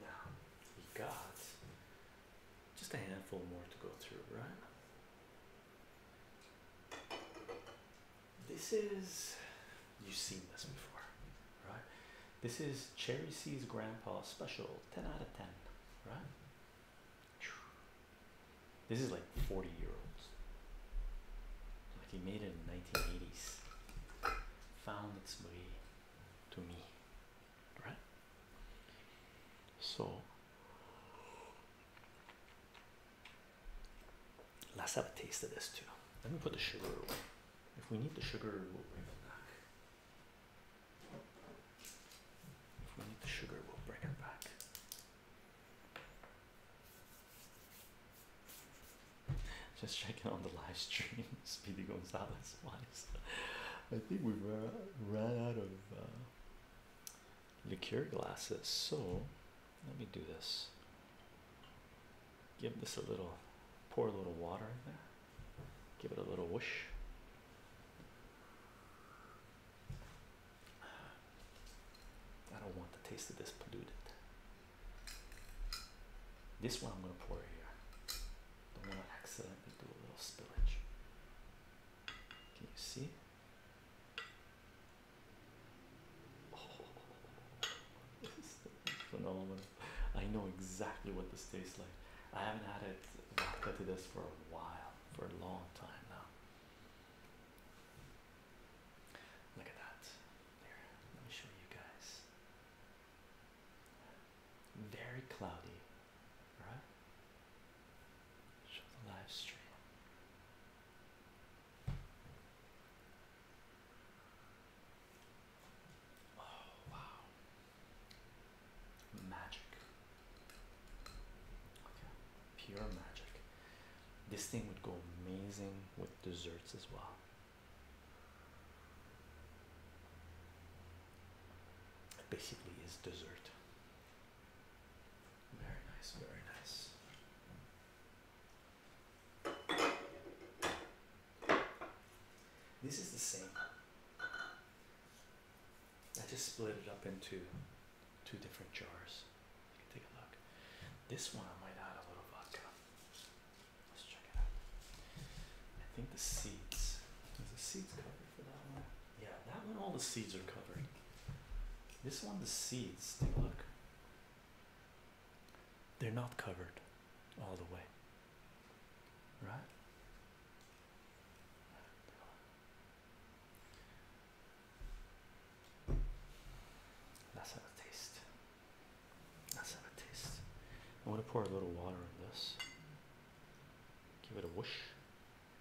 Now, we got just a handful more to go through, right? This is, you've seen this before, right? This is Cherry C's Grandpa Special, 10 out of 10, right? This is like 40 year olds. Like he made it in 1980s. Found its way to me right? So let's have a taste of this too. Let me put the sugar If we need the sugar, we'll bring it back. If we need the sugar, we'll bring it back. Just checking on the live stream. Speedy Gonzalez, one. I think we ran out of uh, liqueur glasses, so let me do this. Give this a little, pour a little water in there, give it a little whoosh. I don't want the taste of this polluted. This one I'm going to pour here. Don't want to accidentally do a little spillage. Can you see? phenomenal. I know exactly what this tastes like. I haven't had it vodka to this for a while, for a long time now. Look at that. There, let me show you guys. Very cloudy, right? Show the live stream. Oh, wow. Magic. pure magic. This thing would go amazing with desserts as well. Basically, is dessert. Very nice, very nice. This is the same. I just split it up into two different jars. take a look. This one I might add a little vodka. Let's try I think the seeds. Is the seeds covered for that one? Yeah, that one all the seeds are covered. This one the seeds, take a look. They're not covered all the way. Right? That's how it tastes. That's how it tastes. i want to pour a little water on this. Give it a whoosh.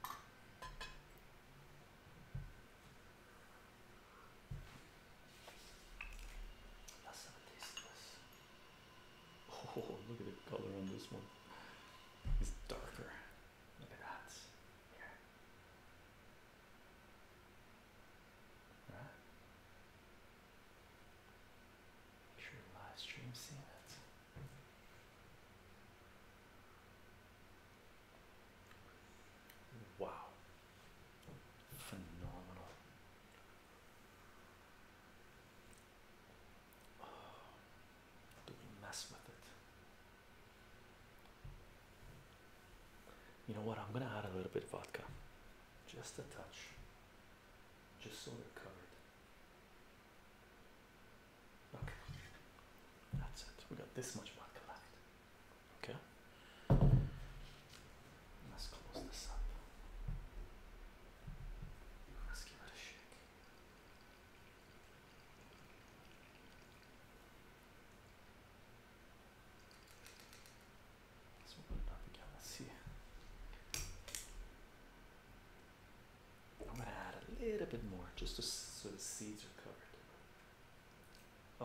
Oh, look at the color on this one. It's darker. Look at that. Here live stream Wow, phenomenal. Oh, do we mess with it? You know what? I'm gonna add a little bit of vodka, just a touch, just so we covered. Okay, that's it. We got this much vodka left. Okay, let's close this up. Let's give it a shake. Let's see. I'm gonna add a little bit more just to, so the seeds are covered.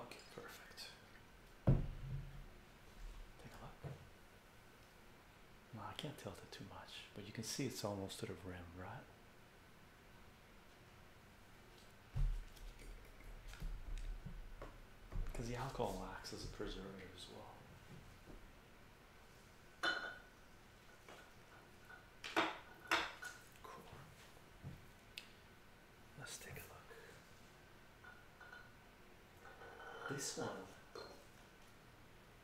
Okay, perfect. Take a look. No, I can't tilt it too much, but you can see it's almost to the rim, right? Because the alcohol acts as a preservative as well. Let's take a look. This one.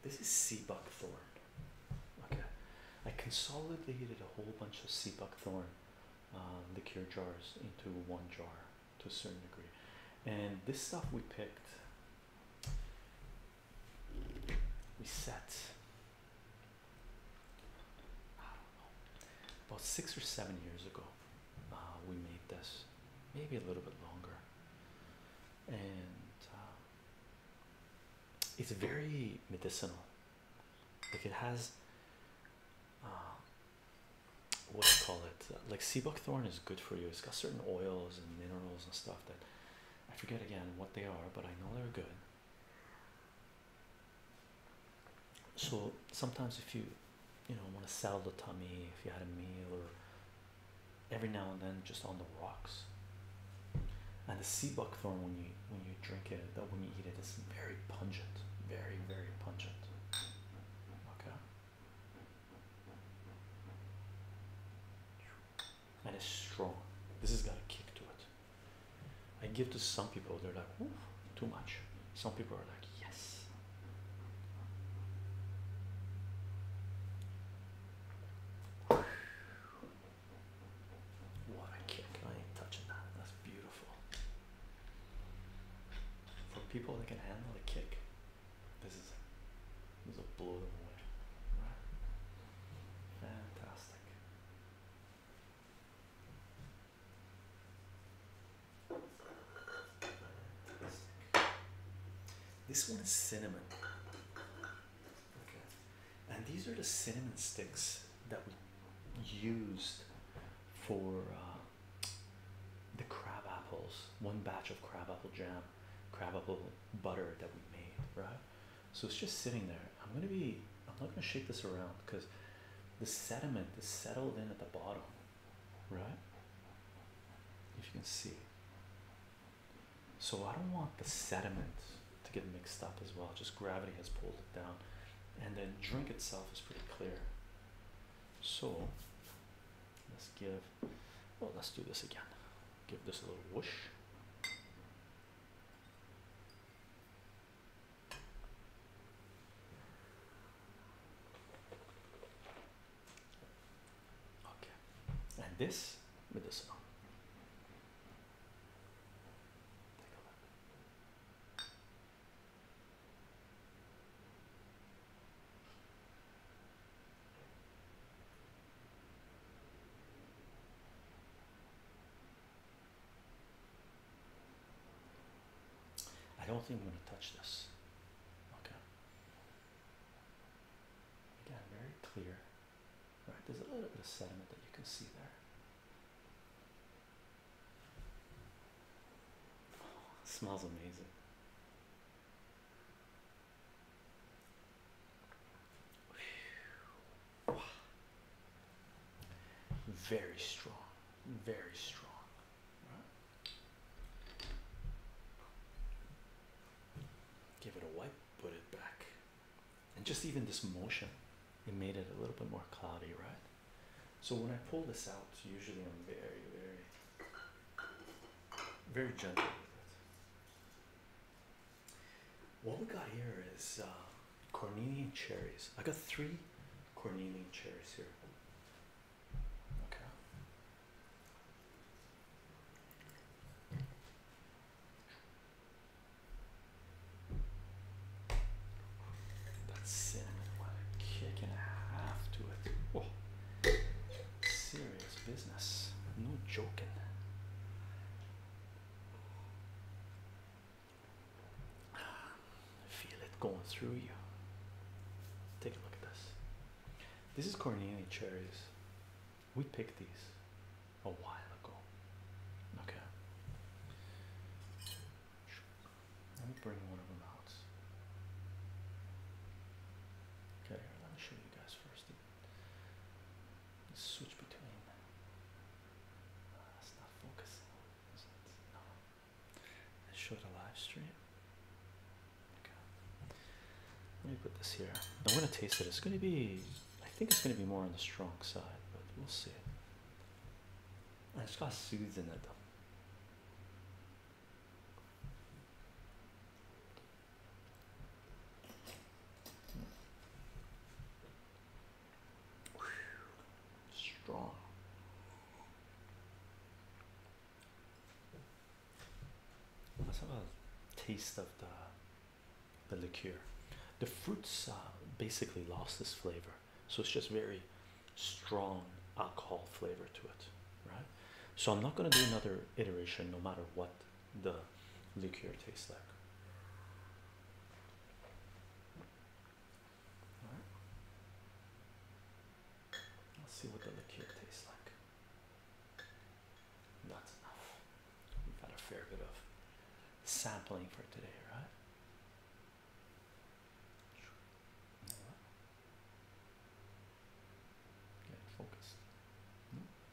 This is seabuckthorn. Okay, I consolidated a whole bunch of seabuckthorn, buckthorn um, jars into one jar to a certain degree, and this stuff we picked we set About six or seven years ago, uh, we made this, maybe a little bit longer, and uh, it's very medicinal. Like it has, uh, what do you call it? like sea buckthorn is good for you. It's got certain oils and minerals and stuff that I forget again what they are, but I know they're good. So sometimes if you you know want to sell the tummy if you had a meal or every now and then just on the rocks. And the sea buckthorn when you when you drink it that when you eat it is very pungent. Very, very pungent. Okay and it's strong. This has got a kick to it. I give to some people, they're like, Ooh, too much. Some people are like, yes. What a kick. I ain't touching that. That's beautiful. For people that can handle a kick, this is This will blow them away. Fantastic. This one is cinnamon. Okay. And these are the cinnamon sticks that were used for uh, the crab apples. One batch of crab apple jam craveable butter that we made, right? So it's just sitting there. I'm gonna be I'm not gonna shake this around because the sediment is settled in at the bottom, right? If you can see. So I don't want the sediment to get mixed up as well. Just gravity has pulled it down. And then drink itself is pretty clear. So Let's give, well, let's do this again. Give this a little whoosh. Okay, and this with medicinal. I don't think I'm going to touch this. Okay. Again, very clear. All right, there's a little bit of sediment that you can see there. smells amazing. Very strong, very strong. Give it a wipe, put it back. And just even this motion, it made it a little bit more cloudy, right? So when I pull this out, usually I'm very, very, very gentle with it. What we got here is uh, cornelian cherries. I got three cornelian cherries here. That cinnamon, what a kick and a half to it. Oh, serious. It's business. No joking. Feel it going through you. Take a look at this. This is Cornelia cherries. We picked these a while ago. Okay. Let me bring one of them out. Okay, let me show you guys first switch between. that's uh, not focusing. Is it? No. Let's the live stream. Let me put this here. I'm gonna taste it. It's gonna be. I think it's gonna be more on the strong side, but we'll see. It's got seeds in it. Strong. Let's a taste of the the liqueur. The fruits uh, basically lost this flavor, so it's just very strong alcohol flavor to it, right? So I'm not going to do another iteration, no matter what the liqueur tastes like. right. Let's see what the liqueur tastes like. That's enough. We've got a fair bit of sampling for today, right? Get focused. Mm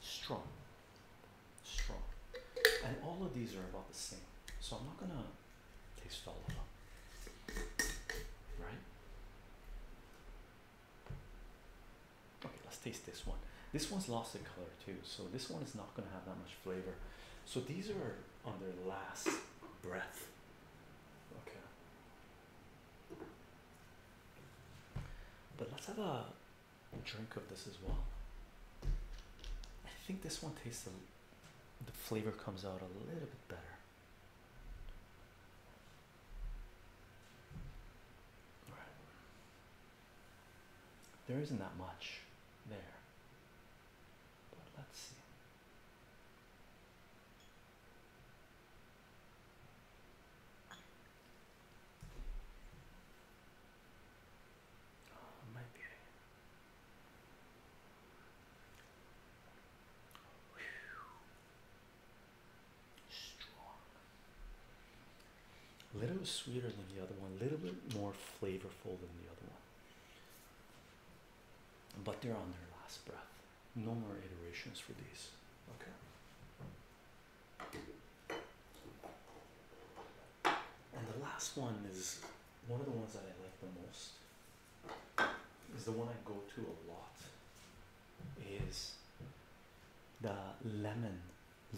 Strong. Strong. And all of these are about the same. So I'm not gonna taste all of them. Right? Okay, let's taste this one. This one's lost in color too, so this one is not going to have that much flavor. So these are on their last breath. Okay. But let's have a drink of this as well. I think this one tastes the flavor comes out a little bit better. All right. There isn't that much there. But let's see. Oh, Strong. A little sweeter than the other one, a little bit more flavorful than the other one. But they're on their last breath. No more iterations for these. Okay. And the last one is one of the ones that I like the most. Is the one I go to a lot. Is the lemon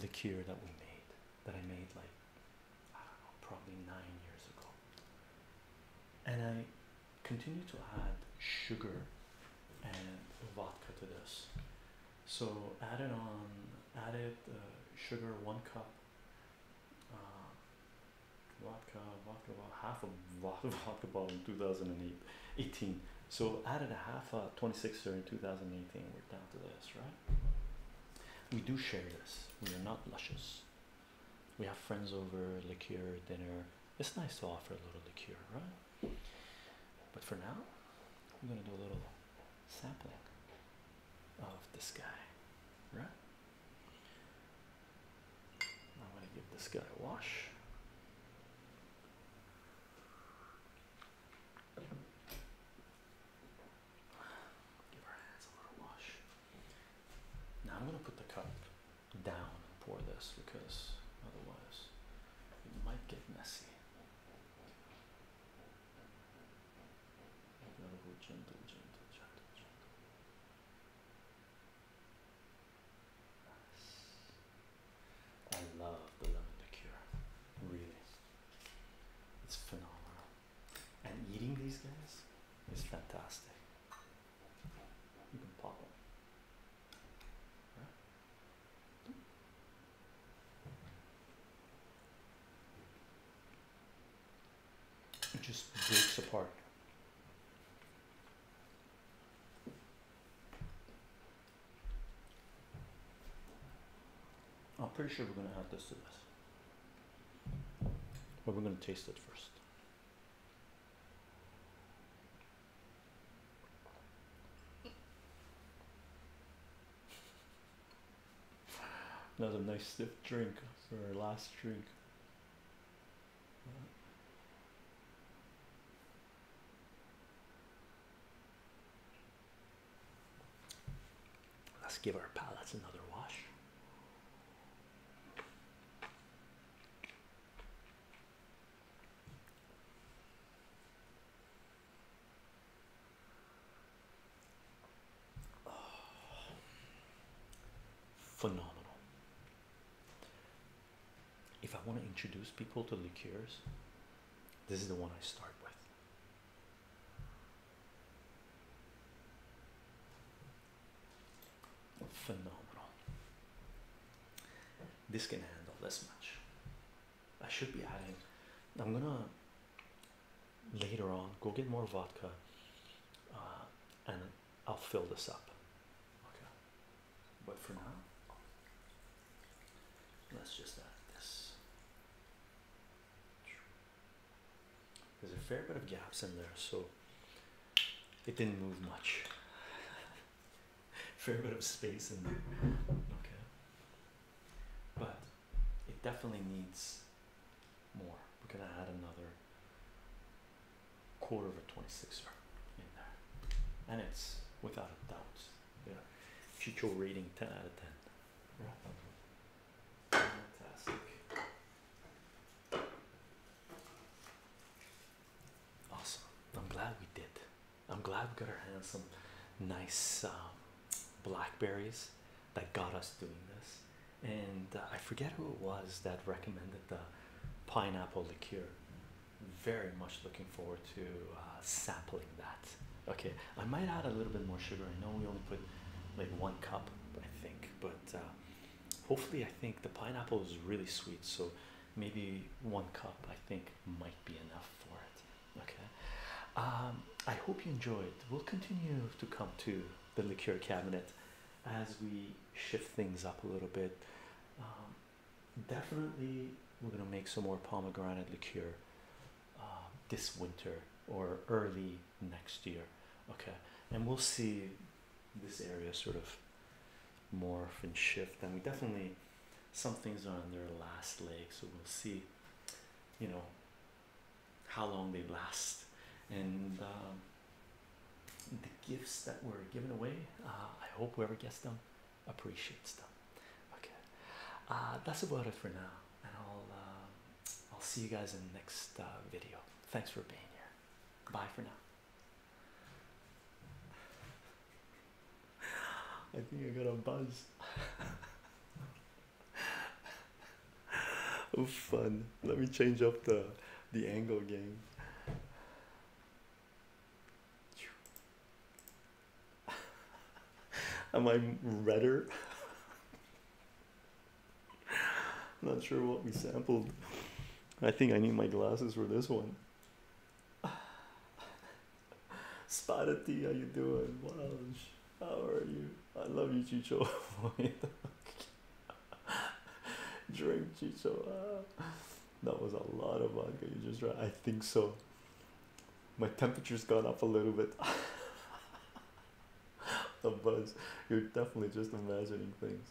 liqueur that we made that I made like I don't know probably nine years ago and I continued to add sugar and vodka to this so added on added uh, sugar one cup uh, Vodka, vodka about half a vodka bottle in 2018 so added a half a uh, 26er in 2018 we're down to this right we do share this. We are not luscious. We have friends over, liqueur, dinner. It's nice to offer a little liqueur, right? But for now, we're going to do a little sampling of this guy, right? I'm going to give this guy a wash. Give our hands a little wash. Now I'm gonna put the cup down and pour this because otherwise it might get messy. gentle, gentle, gentle, gentle. Nice. I love the lemon liqueur, really. It's phenomenal. And eating these guys is fantastic. You can pop them. It just breaks apart. I'm pretty sure we're gonna add this to this, but we're gonna taste it first. Another nice stiff drink for our last drink. Let's give our palettes another wash. Oh. phenomenal. If I want to introduce people to liqueurs, this is the one I start with. Phenomenal. This can handle this much. I should be adding. I'm gonna later on go get more vodka uh, and I'll fill this up. Okay. But for now, let's just add this. There's a fair bit of gaps in there, so it didn't move much. fair bit of space in there. Okay. But it definitely needs more. We're gonna add another quarter of a 26er in there. And it's without a doubt. Yeah. Chicho rating 10 out of 10. Fantastic. Awesome. I'm glad we did. I'm glad we got our hands some nice um, blackberries that got us doing this. And uh, I forget who it was that recommended the pineapple liqueur. Very much looking forward to uh, sampling that. Okay, I might add a little bit more sugar. I know we only put like one cup, I think, but uh, hopefully, I think the pineapple is really sweet, so maybe one cup I think might be enough for it. Okay, um, I hope you enjoyed. We'll continue to come to the liqueur cabinet as we shift things up a little bit. Um, definitely, we're gonna make some more pomegranate liqueur um, this winter or early next year okay and we'll see this area sort of morph and shift and we definitely some things are on their last leg so we'll see you know how long they last and um, the gifts that were given away uh, i hope whoever gets them appreciates them okay uh, that's about it for now and i'll uh, I'll see you guys in the next uh, video. Thanks for being here. Bye for now. I think I got a buzz. Oh, fun. Let me change up the the angle game. Am I redder? Not sure what we sampled. I think I need my glasses for this one. Spotted tea, how you doing? how are you? I love you, Chicho. Drink, Chicho. Ah. That was a lot of vodka you just drank. I think so. My temperature's gone up a little bit. the buzz. You're definitely just imagining things.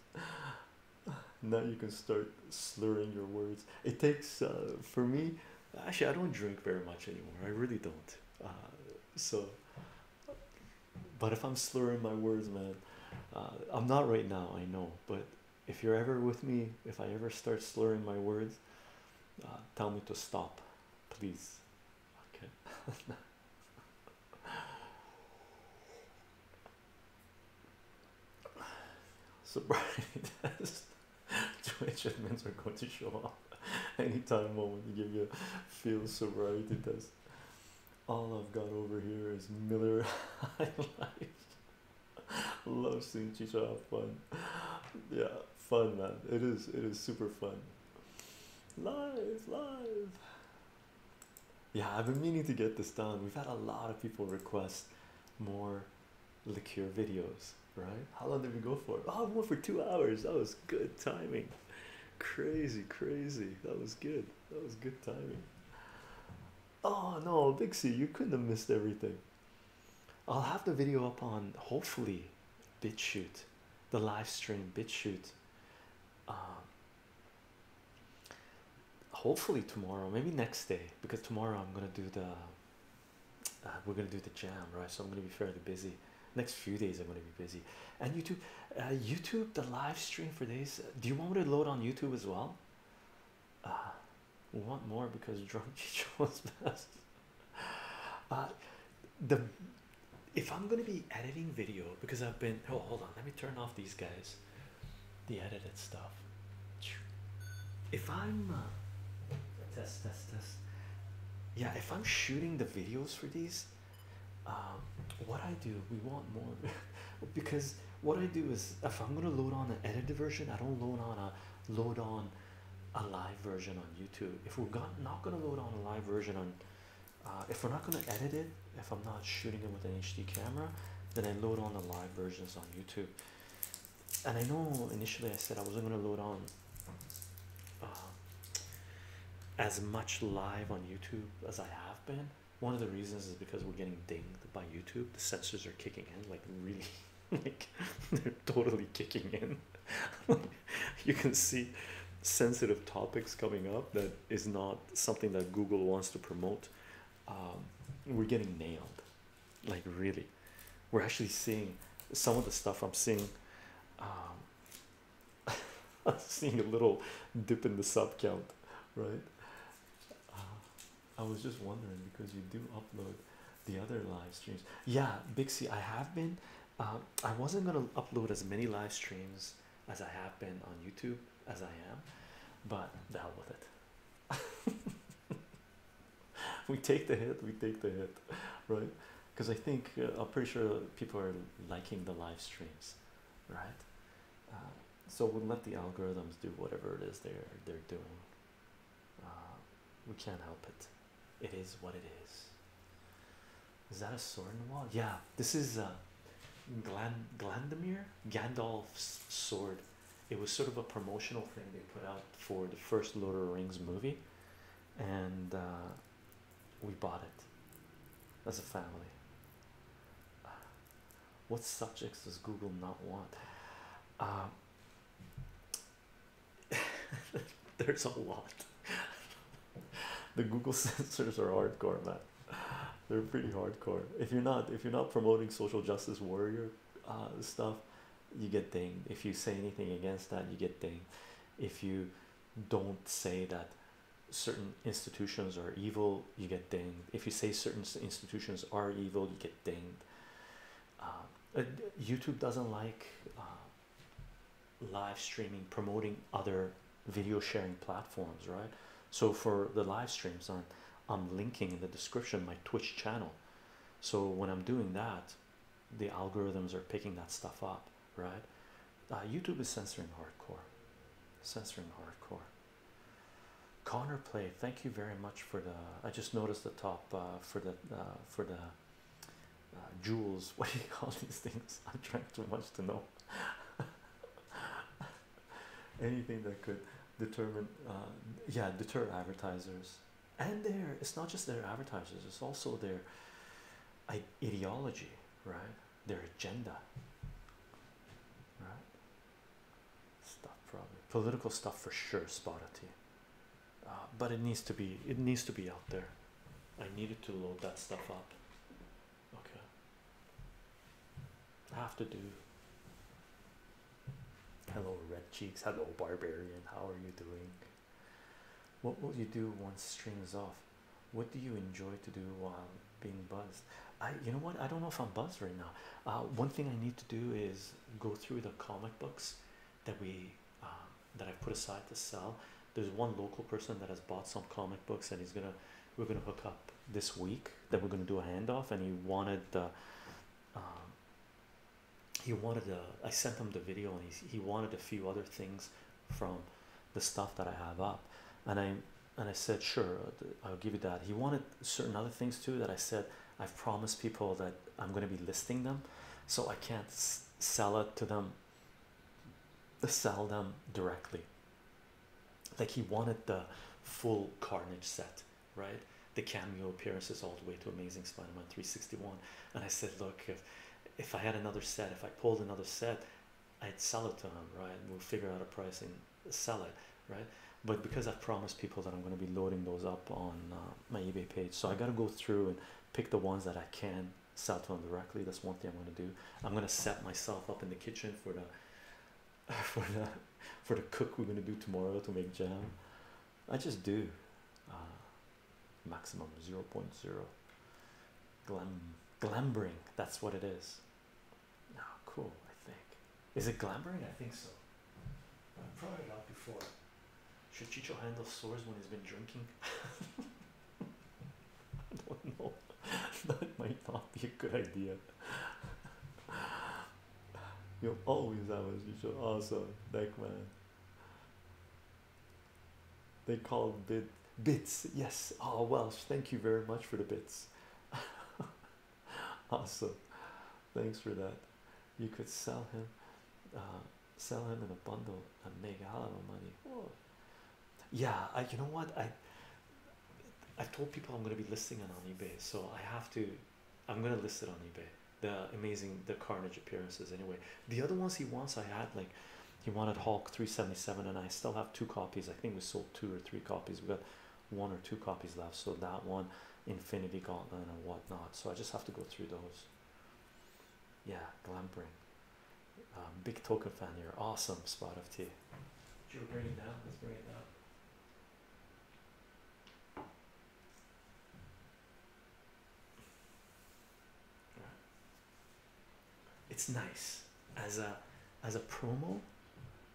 Now you can start slurring your words. It takes, uh, for me, actually, I don't drink very much anymore. I really don't. Uh, so, but if I'm slurring my words, man, uh, I'm not right now, I know. But if you're ever with me, if I ever start slurring my words, uh, tell me to stop, please. Okay. Sobriety test. Twitch admins are going to show up anytime moment to give you a feel sobriety test. All I've got over here is Miller High Love seeing Chicha have fun. Yeah, fun man. It is it is super fun. Live, live. Yeah, I've been meaning to get this done. We've had a lot of people request more liqueur videos, right? How long did we go for? Oh, we went for two hours. That was good timing. Crazy, crazy. That was good. That was good timing. Oh no, Big you couldn't have missed everything. I'll have the video up on hopefully BitChute, the live stream BitChute. Um, hopefully tomorrow, maybe next day, because tomorrow I'm gonna do the uh, we're gonna do the jam, right? So I'm gonna be fairly busy. Next few days I'm gonna be busy. And YouTube, uh, YouTube, the live stream for days. Uh, do you want me to load on YouTube as well? Uh, we want more because drunk teacher was best. Uh, the if I'm gonna be editing video because I've been oh hold on let me turn off these guys, the edited stuff. If I'm uh, test test test, yeah. If I'm shooting the videos for these, um, what I do we want more because what I do is if I'm gonna load on an edited version I don't load on a load on a live version on YouTube. If we're not going to load on a live version on, uh, if we're not going to edit it, if I'm not shooting it with an HD camera, then I load on the live versions on YouTube. And I know initially I said I wasn't going to load on uh, as much live on YouTube as I have been. One of the reasons is because we're getting dinged by YouTube. The sensors are kicking in, like really, like they're totally kicking in. you can see sensitive topics coming up that is not something that Google wants to promote. Um, we're getting nailed, like really. We're actually seeing some of the stuff I'm seeing. Um, seeing a little dip in the sub count, right? Uh, I was just wondering because you do upload the other live streams. Yeah, Bixie, I have been. Um, I wasn't gonna upload as many live streams as I have been on YouTube as I am, but the hell with it. we take the hit, we take the hit, right? Because I think uh, I'm pretty sure people are liking the live streams, right? Um, so we'll let the algorithms do whatever it is they're they're doing. Uh, we can't help it it is what it is. Is that a sword in the wall? Yeah, this is uh, Glan Glandamir Gandalf's sword. It was sort of a promotional thing they put out for the first Lord of the Rings movie, and uh, we bought it as a family. What subjects does Google not want? Uh, There's a lot. the Google censors are hardcore, man. They're pretty hardcore. If you're not, if you're not promoting social justice warrior uh, stuff, you get dinged. If you say anything against that, you get dinged. If you don't say that certain institutions are evil, you get dinged. If you say certain institutions are evil, you get dinged. Uh, uh YouTube doesn't like. Uh, live streaming promoting other video sharing platforms right so for the live streams I'm, I'm linking in the description my twitch channel so when i'm doing that the algorithms are picking that stuff up right uh, youtube is censoring hardcore censoring hardcore connor play thank you very much for the i just noticed the top uh, for the uh, for the uh, uh, jewels. What do you call these things? I'm trying too much to know. Anything that could determine, uh, yeah, deter advertisers. And their it's not just their advertisers; it's also their ideology, right? Their agenda, right? Stuff probably political stuff for sure. Spotty, uh, but it needs to be it needs to be out there. I needed to load that stuff up. Okay. I have to do. Hello, Red Cheeks. Hello, Barbarian. How are you doing? What will you do once strings off? What do you enjoy to do while being buzzed? I, you know what? I don't know if I'm buzzed right now. Uh, one thing I need to do is go through the comic books that we um, that I've put aside to sell. There's one local person that has bought some comic books and he's gonna we're gonna hook up this week that we're gonna do a handoff and he wanted the um, he wanted the. I sent him the video and he he wanted a few other things from the stuff that I have up and I and I said sure I'll give you that he wanted certain other things too that I said I've promised people that I'm gonna be listing them so I can't sell it to them sell them directly. Like he wanted the full Carnage set, right? The cameo appearances all the way to Amazing Spider-Man 361. And I said, look, if if I had another set, if I pulled another set, I'd sell it to him, right? We'll figure out a price and sell it, right? But because i promised people that I'm going to be loading those up on uh, my eBay page, so I got to go through and pick the ones that I can Sato directly. That's one thing I'm gonna do. I'm gonna set myself up in the kitchen for the for the for the cook we're gonna do tomorrow to make jam. I just do uh, maximum 0, glam glambering. That's what it is. Now, cool. I think is it glambering? I think so. I've tried it before. Should Chicho handle sores when he's been drinking? don't know. that might not be a good idea. You'll always have as usual. Awesome, deck man. They call bid bits. Yes. ah, Welsh. Thank you very much for the bits. awesome. Thanks for that. You could sell him, uh, sell him in a bundle and make a lot of money yeah I, you know what i i told people i'm going to be listing it on ebay so i have to i'm going to list it on ebay the amazing the carnage appearances anyway the other ones he wants i had like he wanted hulk 377 and i still have two copies i think we sold two or three copies we got one or two copies left so that one infinity gauntlet and whatnot so i just have to go through those yeah glampering um, big token fan, here. awesome. Spot of tea. You're bring it down. Let's bring it down. It's nice as a as a promo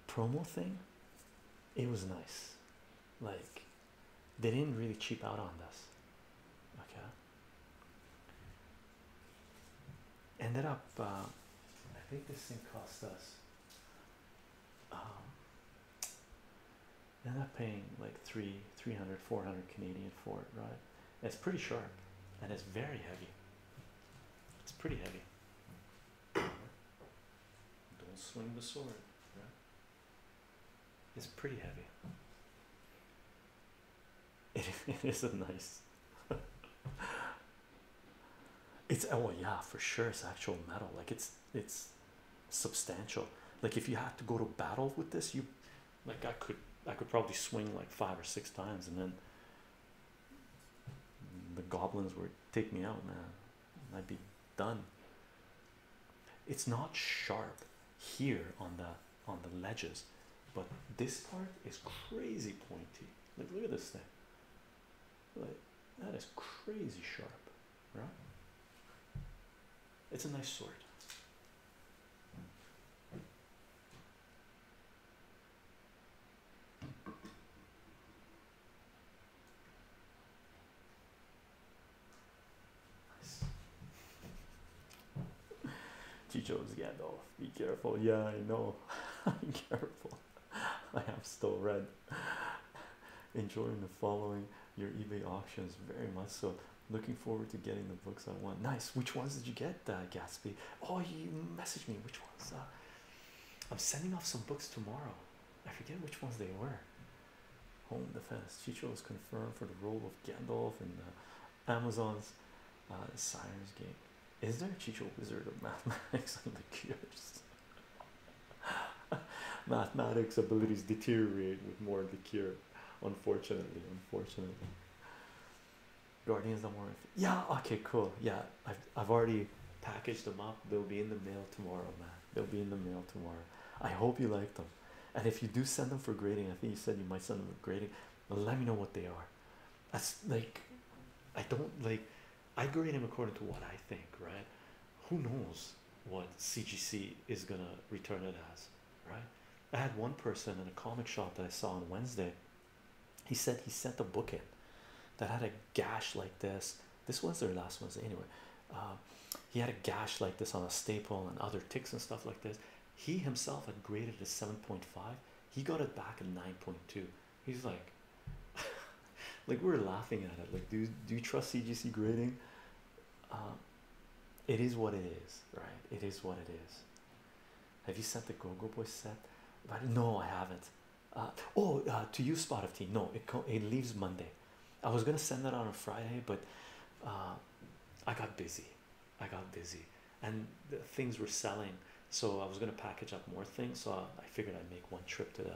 promo thing. It was nice, like they didn't really cheap out on us. Okay ended up um, I think this thing cost us um, ended up paying like three hundred, four hundred Canadian for it right it's pretty sharp and it's very heavy it's pretty heavy don't swing the sword right? it's pretty heavy it, it is a nice it's oh yeah for sure it's actual metal like it's it's substantial like if you had to go to battle with this you like i could i could probably swing like five or six times and then the goblins would take me out man i'd be done it's not sharp here on the on the ledges, but this part is crazy pointy. Like, look at this thing. Like, that is crazy sharp, right? It's a nice sword. Chicho is Gandalf. Be careful. Yeah, I know. Be careful. I have still read, Enjoying the following your eBay auctions very much so. Looking forward to getting the books I want. Nice. Which ones did you get, uh, Gatsby? Oh, you messaged me. Which ones? Uh? I'm sending off some books tomorrow. I forget which ones they were. Home defense. Chicho was confirmed for the role of Gandalf in the uh, Amazon's uh, science game. Is there a Chicho Wizard of Mathematics on the cure? Mathematics abilities deteriorate with more of the cure, unfortunately. Unfortunately, Guardians don't worry. Yeah, okay, cool. Yeah, I've, I've already packaged them up, they'll be in the mail tomorrow, man. They'll be in the mail tomorrow. I hope you like them. And if you do send them for grading, I think you said you might send them for grading let me know what they are. That's like I don't like I grade them according to what I think, right? Who knows what CGC is gonna return it as, right? I had one person in a comic shop that I saw on Wednesday. He said he sent a book in that had a gash like this. This was their last Wednesday, anyway. Uh, he had a gash like this on a staple and other ticks and stuff like this. He himself had graded a 7.5 he got it back at 9.2. He's like, like we're laughing at it. Like, do do you trust CGC grading? Um, it is what it is, right? It is what it is. Have you sent the Go-Go Boy set? But no, I haven't. Uh, oh, uh, to you, Spot of Tea. No, it it leaves Monday. I was gonna send that on a Friday, but uh, I got busy. I got busy and things were selling, so I was going to package up more things. So I, figured I'd make one trip to the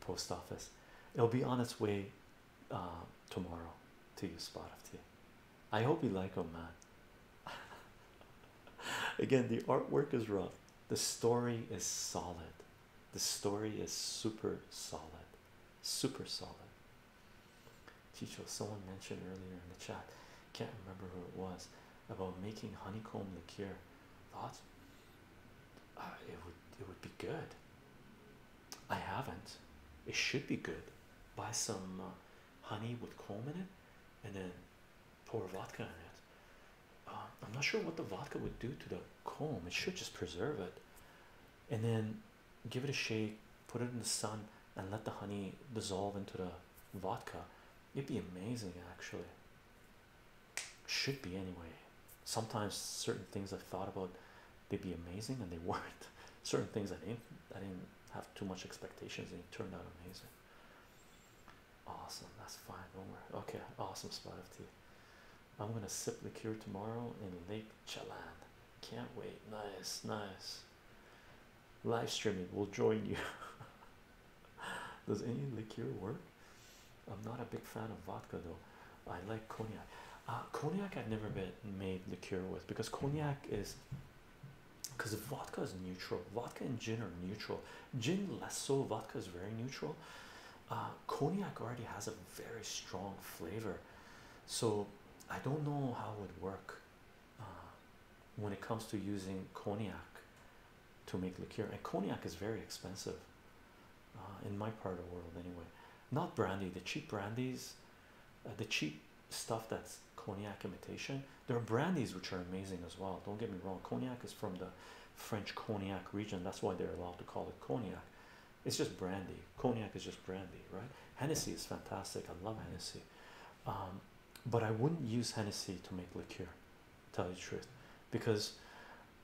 post office. It'll be on its way uh, tomorrow to you, Spot of Tea. I hope you like them, man. Again, the artwork is rough, the story is solid. The story is super solid, super solid. Chicho, someone mentioned earlier in the chat, can't remember who it was, about making honeycomb liqueur. Thoughts? Uh, it would it would be good. I haven't. It should be good. Buy some uh, honey with comb in it, and then pour vodka in it. Uh, I'm not sure what the vodka would do to the comb. It should just preserve it, and then give it a shake, put it in the sun, and let the honey dissolve into the vodka. It'd be amazing, actually. Should be anyway. Sometimes certain things I've thought about, they'd be amazing, and they weren't. Certain things I didn't, I didn't have too much expectations, and it turned out amazing. Awesome, that's fine. No more. Okay, awesome spot of tea. I'm gonna sip liqueur tomorrow in Lake Chelan. Can't wait. Nice, nice. Live streaming will join you. Does any liqueur work? I'm not a big fan of vodka though. I like cognac. Uh, cognac I've never been made liqueur with because cognac is because vodka is neutral. Vodka and gin are neutral. Gin less so. Vodka is very neutral. Uh, cognac already has a very strong flavor, so I don't know how it would work. Uh, when it comes to using cognac to make liqueur, and cognac is very expensive uh, in my part of the world, anyway. Not brandy, the cheap brandies, uh, the cheap stuff that's cognac imitation. There are brandies which are amazing as well. Don't get me wrong, cognac is from the French cognac region, that's why they're allowed to call it cognac. It's just brandy, cognac is just brandy, right? Hennessy is fantastic. I love Hennessy. Um, but I wouldn't use Hennessy to make liqueur, tell you the truth, because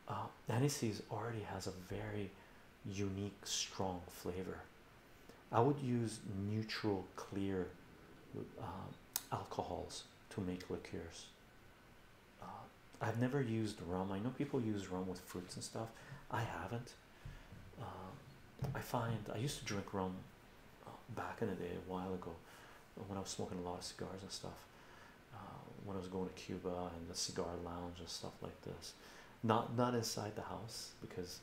uh, Hennessy's already has a very unique, strong flavor. I would use neutral, clear uh, alcohols to make liqueurs. Uh, I've never used rum. I know people use rum with fruits and stuff. I haven't. Uh, I find I used to drink rum back in the day, a while ago, when I was smoking a lot of cigars and stuff. Uh, when I was going to Cuba and the cigar lounge and stuff like this, not not inside the house because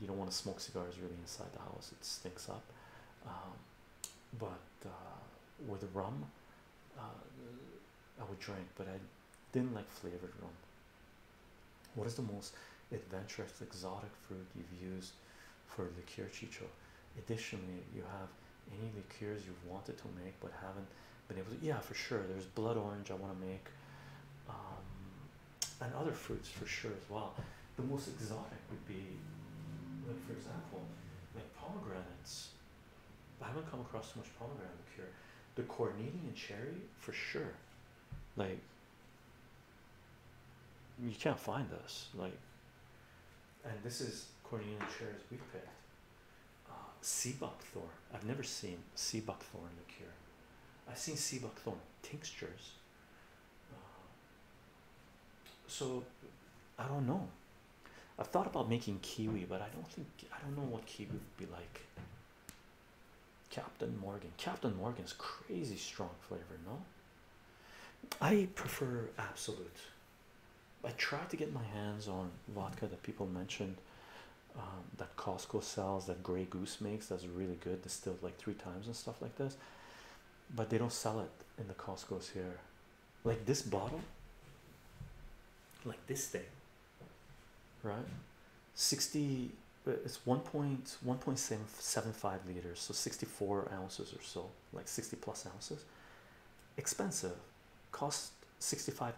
you don't want to smoke cigars really inside the house; it stinks up. Um, but uh, with rum, uh, I would drink, but I didn't like flavored rum. What is the most adventurous exotic fruit you've used for liqueur chicho? Additionally, you have any liqueurs you've wanted to make but haven't been able to. Yeah, for sure. There's blood orange I want to make, um, and other fruits for sure as well. The most exotic would be, like for example, like pomegranates. I haven't come across so much pomegranate liqueur. The Cornelian cherry for sure. Like you can't find this like and this is Cornelia shares we picked uh, sea buckthorn I've never seen sea buckthorn liqueur I've seen sea buckthorn tinctures uh, so I don't know I've thought about making kiwi but I don't think I don't know what kiwi would be like Captain Morgan Captain Morgan's crazy strong flavor no I prefer absolute. I tried to get my hands on vodka that people mentioned um, that Costco sells, that Grey Goose makes, that's really good, distilled like three times and stuff like this. But they don't sell it in the Costco's here. Like this bottle, like this thing, right? 60 but uh, it's 1.1.775 liters so 64 ounces or so like 60 plus ounces expensive cost $65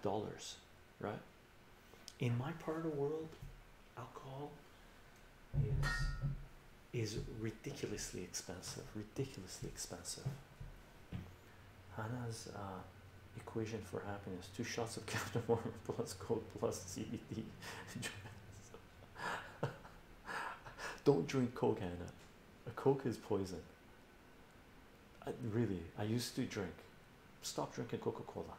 right in my part of the world alcohol is is ridiculously expensive ridiculously expensive Hannah's uh, equation for happiness two shots of Captain Morgan plus gold plus CBD Don't drink Coke, Anna. A Coke is poison. really, I used to drink. Stop drinking Coca Cola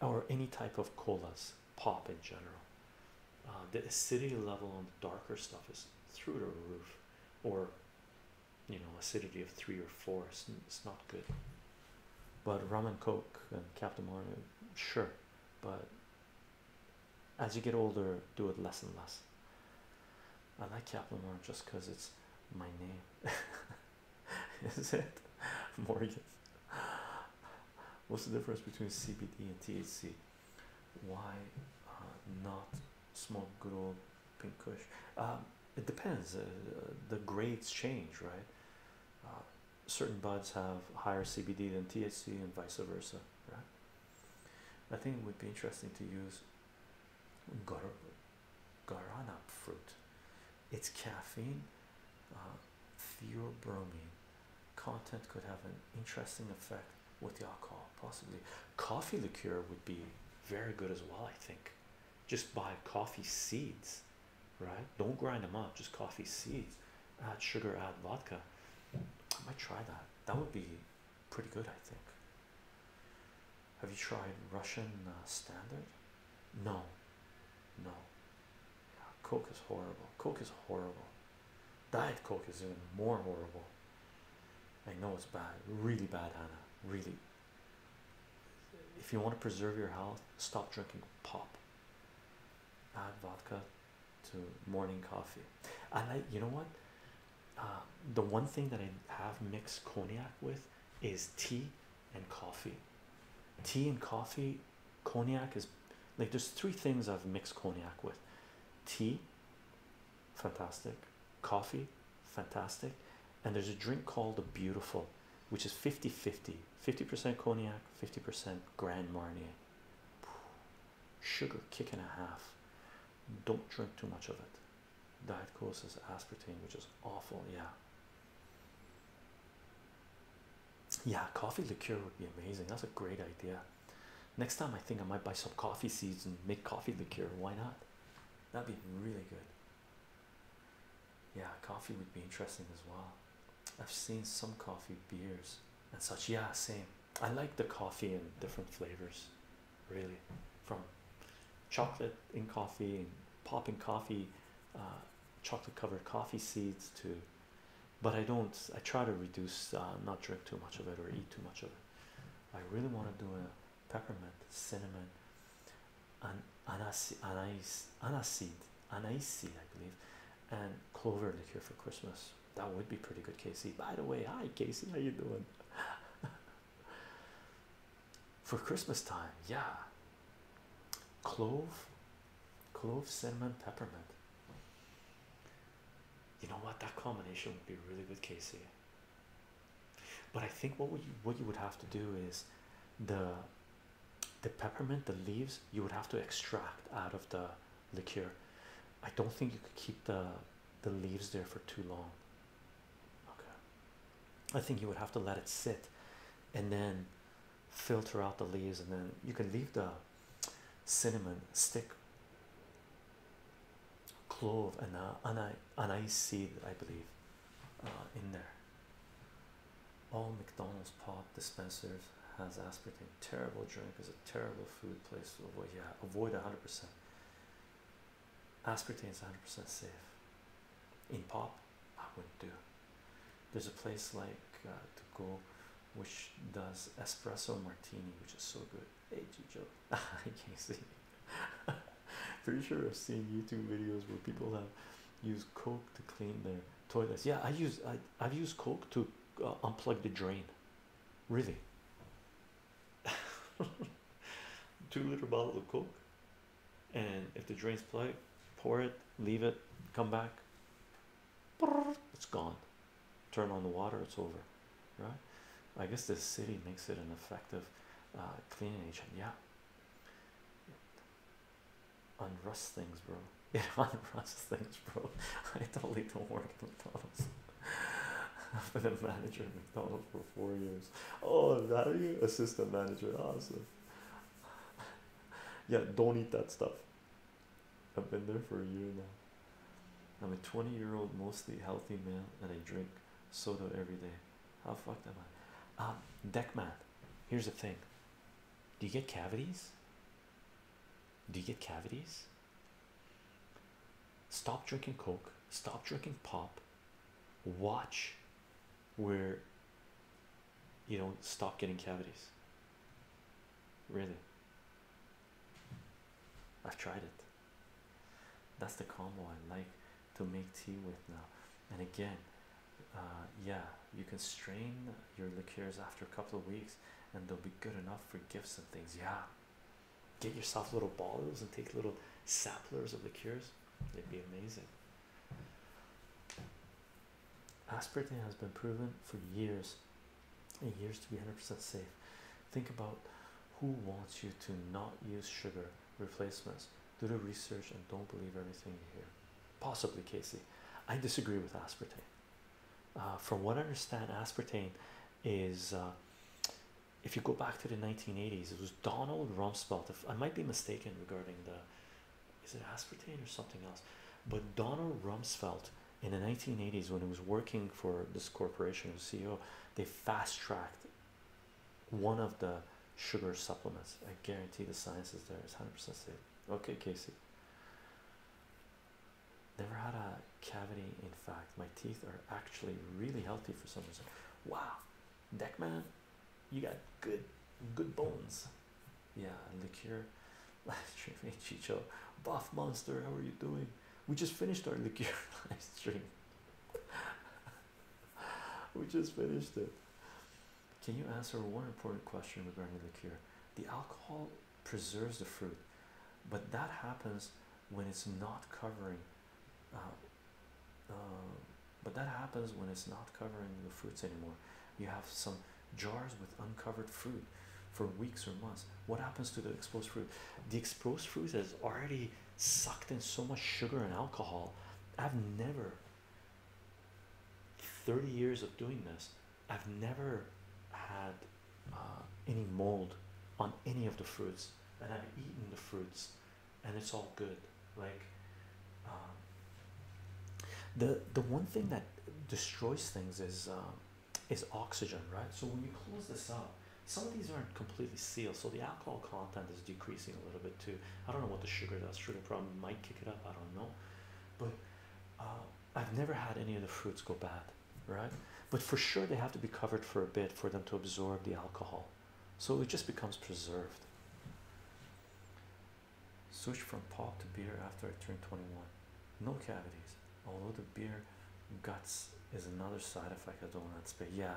or any type of colas, pop in general. Uh, the acidity level on the darker stuff is through the roof, or you know, acidity of three or four. It's, it's not good. But rum and coke and Captain Morgan, sure, but as you get older, do it less and less. I like Kaplan more just because it's my name. Is it Morgan? What's the difference between CBD and THC? Why uh, not smoke good old pink kush? Um, it depends. Uh, the grades change, right? Uh, certain buds have higher CBD than THC and vice versa, right? I think it would be interesting to use gar guarana fruit. It's caffeine, uh, theobromine content could have an interesting effect with the alcohol, possibly. Coffee liqueur would be very good as well, I think. Just buy coffee seeds right? Don't grind them up, just coffee seeds, add sugar, add vodka. I might try that. That would be pretty good, I think. Have you tried Russian uh, standard? No, no. Coke is horrible. Coke is horrible. Diet Coke is even more horrible. I know it's bad, really bad, Anna. Really. If you want to preserve your health, stop drinking pop add vodka to morning coffee. I like you know what uh, the one thing that I have mixed cognac with is tea and coffee. Tea and coffee, cognac is like there's three things I've mixed cognac with tea, fantastic, coffee, fantastic, and there's a drink called the Beautiful, which is 50 50 50% cognac, 50% Grand Marnier. Sugar kick and a half. Don't drink too much of it. Diet causes aspartame, which is awful. Yeah. Yeah, coffee liqueur would be amazing. That's a great idea. Next time, I think I might buy some coffee seeds and make coffee liqueur. Why not? That'd be really good. Yeah, coffee would be interesting as well. I've seen some coffee beers and such. Yeah, same. I like the coffee and different flavors, really, from chocolate in coffee and popping coffee, uh, chocolate covered coffee seeds to. But I don't. I try to reduce, uh, not drink too much of it or eat too much of it. I really want to do a peppermint, cinnamon, and anise, anise, aniseed, anise, I believe, and clover this year for Christmas. That would be pretty good, Casey. By the way, hi Casey, how you doing? for Christmas time, yeah. Clove, clove, cinnamon, peppermint. You know what? That combination would be really good, Casey. But I think what would you what you would have to do is the the peppermint, the leaves you would have to extract out of the liqueur. I don't think you could keep the the leaves there for too long. Okay. I think you would have to let it sit and then filter out the leaves and then you can leave the cinnamon stick clove and uh, anise, anise seed I believe uh, in there. All McDonald's pop dispensers has aspartame. Terrible drink is terrible food place avoid. Yeah, avoid 100%. Aspartane's 100% safe. In pop, I wouldn't do. There's a place like uh, to go which does espresso martini, which is so good. Hey, Joe, I can't see. Pretty sure I've seen YouTube videos where people have used Coke to clean their toilets. Yeah, I use I I've used Coke to uh, unplug the drain. Really? Two liter bottle of Coke, and if the drain's plugged, pour it, leave it, come back. It's gone. Turn on the water, it's over. Right? I guess the city makes it an effective uh, cleaning agent. Yeah. Unrust things, bro. It unruns things, bro. I totally don't work at McDonald's. I've been a manager at McDonald's for four years. Oh, that are you? Assistant manager, awesome. Yeah, don't eat that stuff. I've been there for a year now. I'm a 20 year old, mostly healthy man, and I drink soda every day. How fucked am I? Um, man. here's the thing do you get cavities? do you get cavities? Stop drinking Coke, stop drinking pop, watch where you don't stop getting cavities. Really, I've tried it. That's the combo I like to make tea with now. And again, uh, yeah, you can strain your liqueurs after a couple of weeks and they'll be good enough for gifts and things. Yeah, get yourself little bottles and take little samplers of the cures. it'd be amazing. Aspartame has been proven for years and years to be 100% safe. Think about who wants you to not use sugar replacements. Do the research and don't believe everything you hear. Possibly, Casey. I disagree with aspartame. Uh, from what I understand, aspartame is uh, if you go back to the 1980s, it was Donald Rumsfeld. I might be mistaken regarding the is it aspartame or something else, but Donald Rumsfeld in the 1980s, when he was working for this corporation, as CEO, they fast tracked one of the sugar supplements. I guarantee the science is there, it's 100% safe. Okay, Casey. Never had a cavity. In fact, my teeth are actually really healthy for some reason. Wow, Deckman, you got good, good bones. Yeah, liqueur, live stream. Hey, Chicho, buff monster, how are you doing? We just finished our liquor live stream. we just finished it. Can you answer one important question regarding liqueur? The alcohol preserves the fruit, but that happens when it's not covering. Uh, um, but that happens when it's not covering the fruits anymore. You have some jars with uncovered fruit for weeks or months. What happens to the exposed fruit? The exposed fruit has already sucked in so much sugar and alcohol. I've never, 30 years of doing this, I've never had uh, any mold on any of the fruits, and I've eaten the fruits, and it's all good. Like um, the the one thing that destroys things is um, is oxygen, right? So when you close this up, some of these aren't completely sealed, so the alcohol content is decreasing a little bit too. I don't know what the sugar does. Sugar problem might kick it up. I don't know, but uh, I've never had any of the fruits go bad right? But for sure, they have to be covered for a bit for them to absorb the alcohol, so it just becomes preserved. Switch from pop to beer after I turned 21. No cavities, although the beer guts is another side effect of donuts, but Yeah,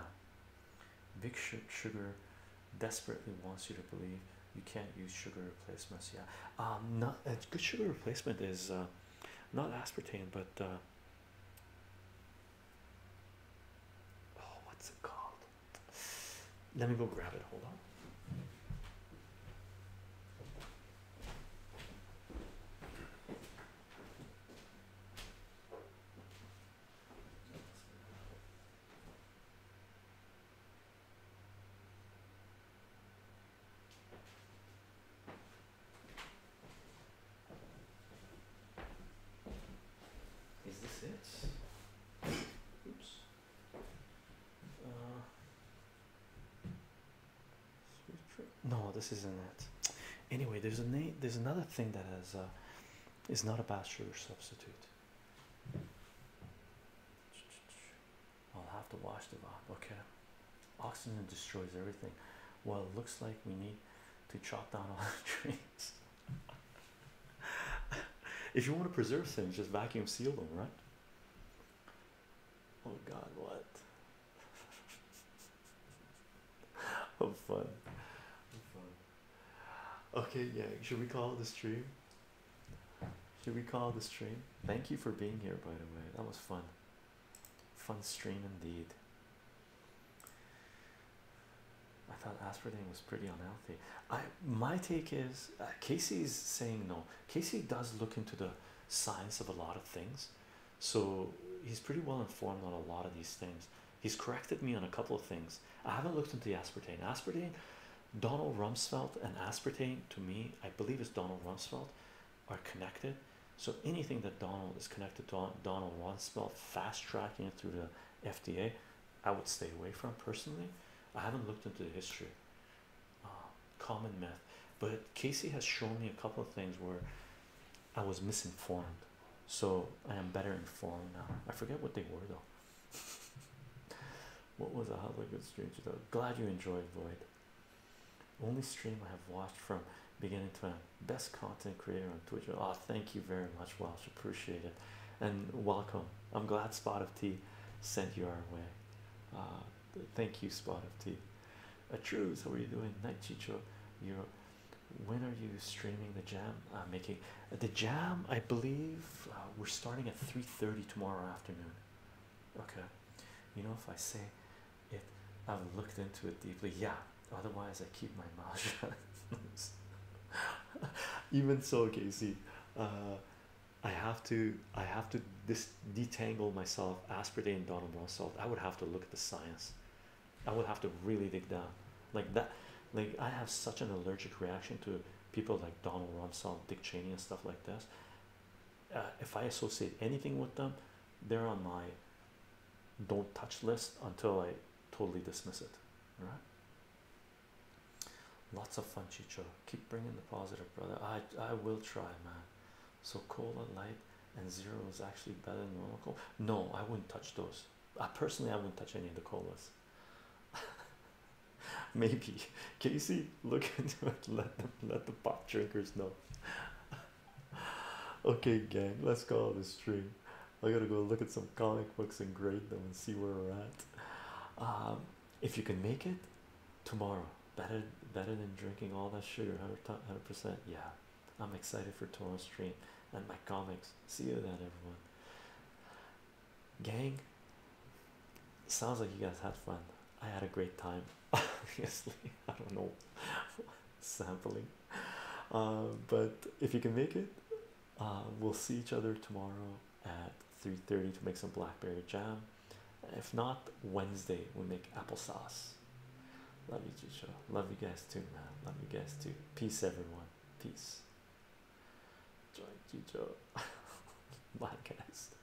big sugar desperately wants you to believe you can't use sugar replacements. Yeah, um, not a uh, good sugar replacement is. Uh, not aspartame, but uh, oh, what's it called? Let me go grab it. Hold on. Is this it? Oops. Uh, no, this isn't it. Anyway, there's a there's another thing that has uh, is not a bachelor substitute. I'll have to wash the VOD. Okay. Oxygen destroys everything. Well, it looks like we need to chop down all the trees. if you want to preserve things, just vacuum seal them, right? Oh God, what? oh fun. Oh, fun. Okay, yeah. Should we call the stream? Should we call the stream? Thank you for being here, by the way. That was fun. Fun stream indeed. I thought aspartame was pretty unhealthy. I my take is uh, Casey's saying no. Casey does look into the science of a lot of things, so he's pretty well informed on a lot of these things. He's corrected me on a couple of things. I haven't looked into the aspartame. Aspartame, Donald Rumsfeld and aspartame to me, I believe is Donald Rumsfeld are connected. So anything that Donald is connected to Donald Rumsfeld fast tracking it through the FDA, I would stay away from personally. I haven't looked into the history. Uh, common myth, but Casey has shown me a couple of things where I was misinformed. So I am better informed now. I forget what they were though. what was a hell a good stream today? Glad you enjoyed Void. Only stream I have watched from beginning to end. Best content creator on Twitch. Oh, thank you very much, Welsh. Appreciate it. And welcome. I'm glad Spot of Tea sent you our way. Uh, thank you, Spot of Tea. A truce, how are you doing? Night Chicho, you when are you streaming the jam? Uh, making uh, the jam, I believe uh, we're starting at three thirty tomorrow afternoon okay you know if i say it i've looked into it deeply yeah otherwise i keep my mouth shut even so casey uh, i have to i have to this detangle myself aspartame and donald brown i would have to look at the science i would have to really dig down like that like i have such an allergic reaction to people like donald rumsfeld dick cheney and stuff like this uh, if I associate anything with them, they're on my don't touch list until I totally dismiss it. All right? Lots of fun, Chicho. Keep bringing the positive, brother. I I will try, man. So cola light and zero is actually better than normal No, I wouldn't touch those. I personally I wouldn't touch any of the colas. Maybe Casey, look into it. Let them let the pop drinkers know. okay, gang, let's go it the stream. I gotta go look at some comic books and grade them and see where we're at. Um, if you can make it tomorrow, better better than drinking all that sugar, hundred percent. Yeah, I'm excited for tomorrow's stream and my comics. See you then, everyone. Gang, sounds like you guys had fun. I had a great time. Obviously, I don't know sampling, uh, but if you can make it, uh, we'll see each other tomorrow at 3:30 to make some blackberry jam. If not, Wednesday we make applesauce. Love you, Chicho. Love you guys too, man. Love you guys too. Peace, everyone. Peace. Join Chicho. Bye, guys.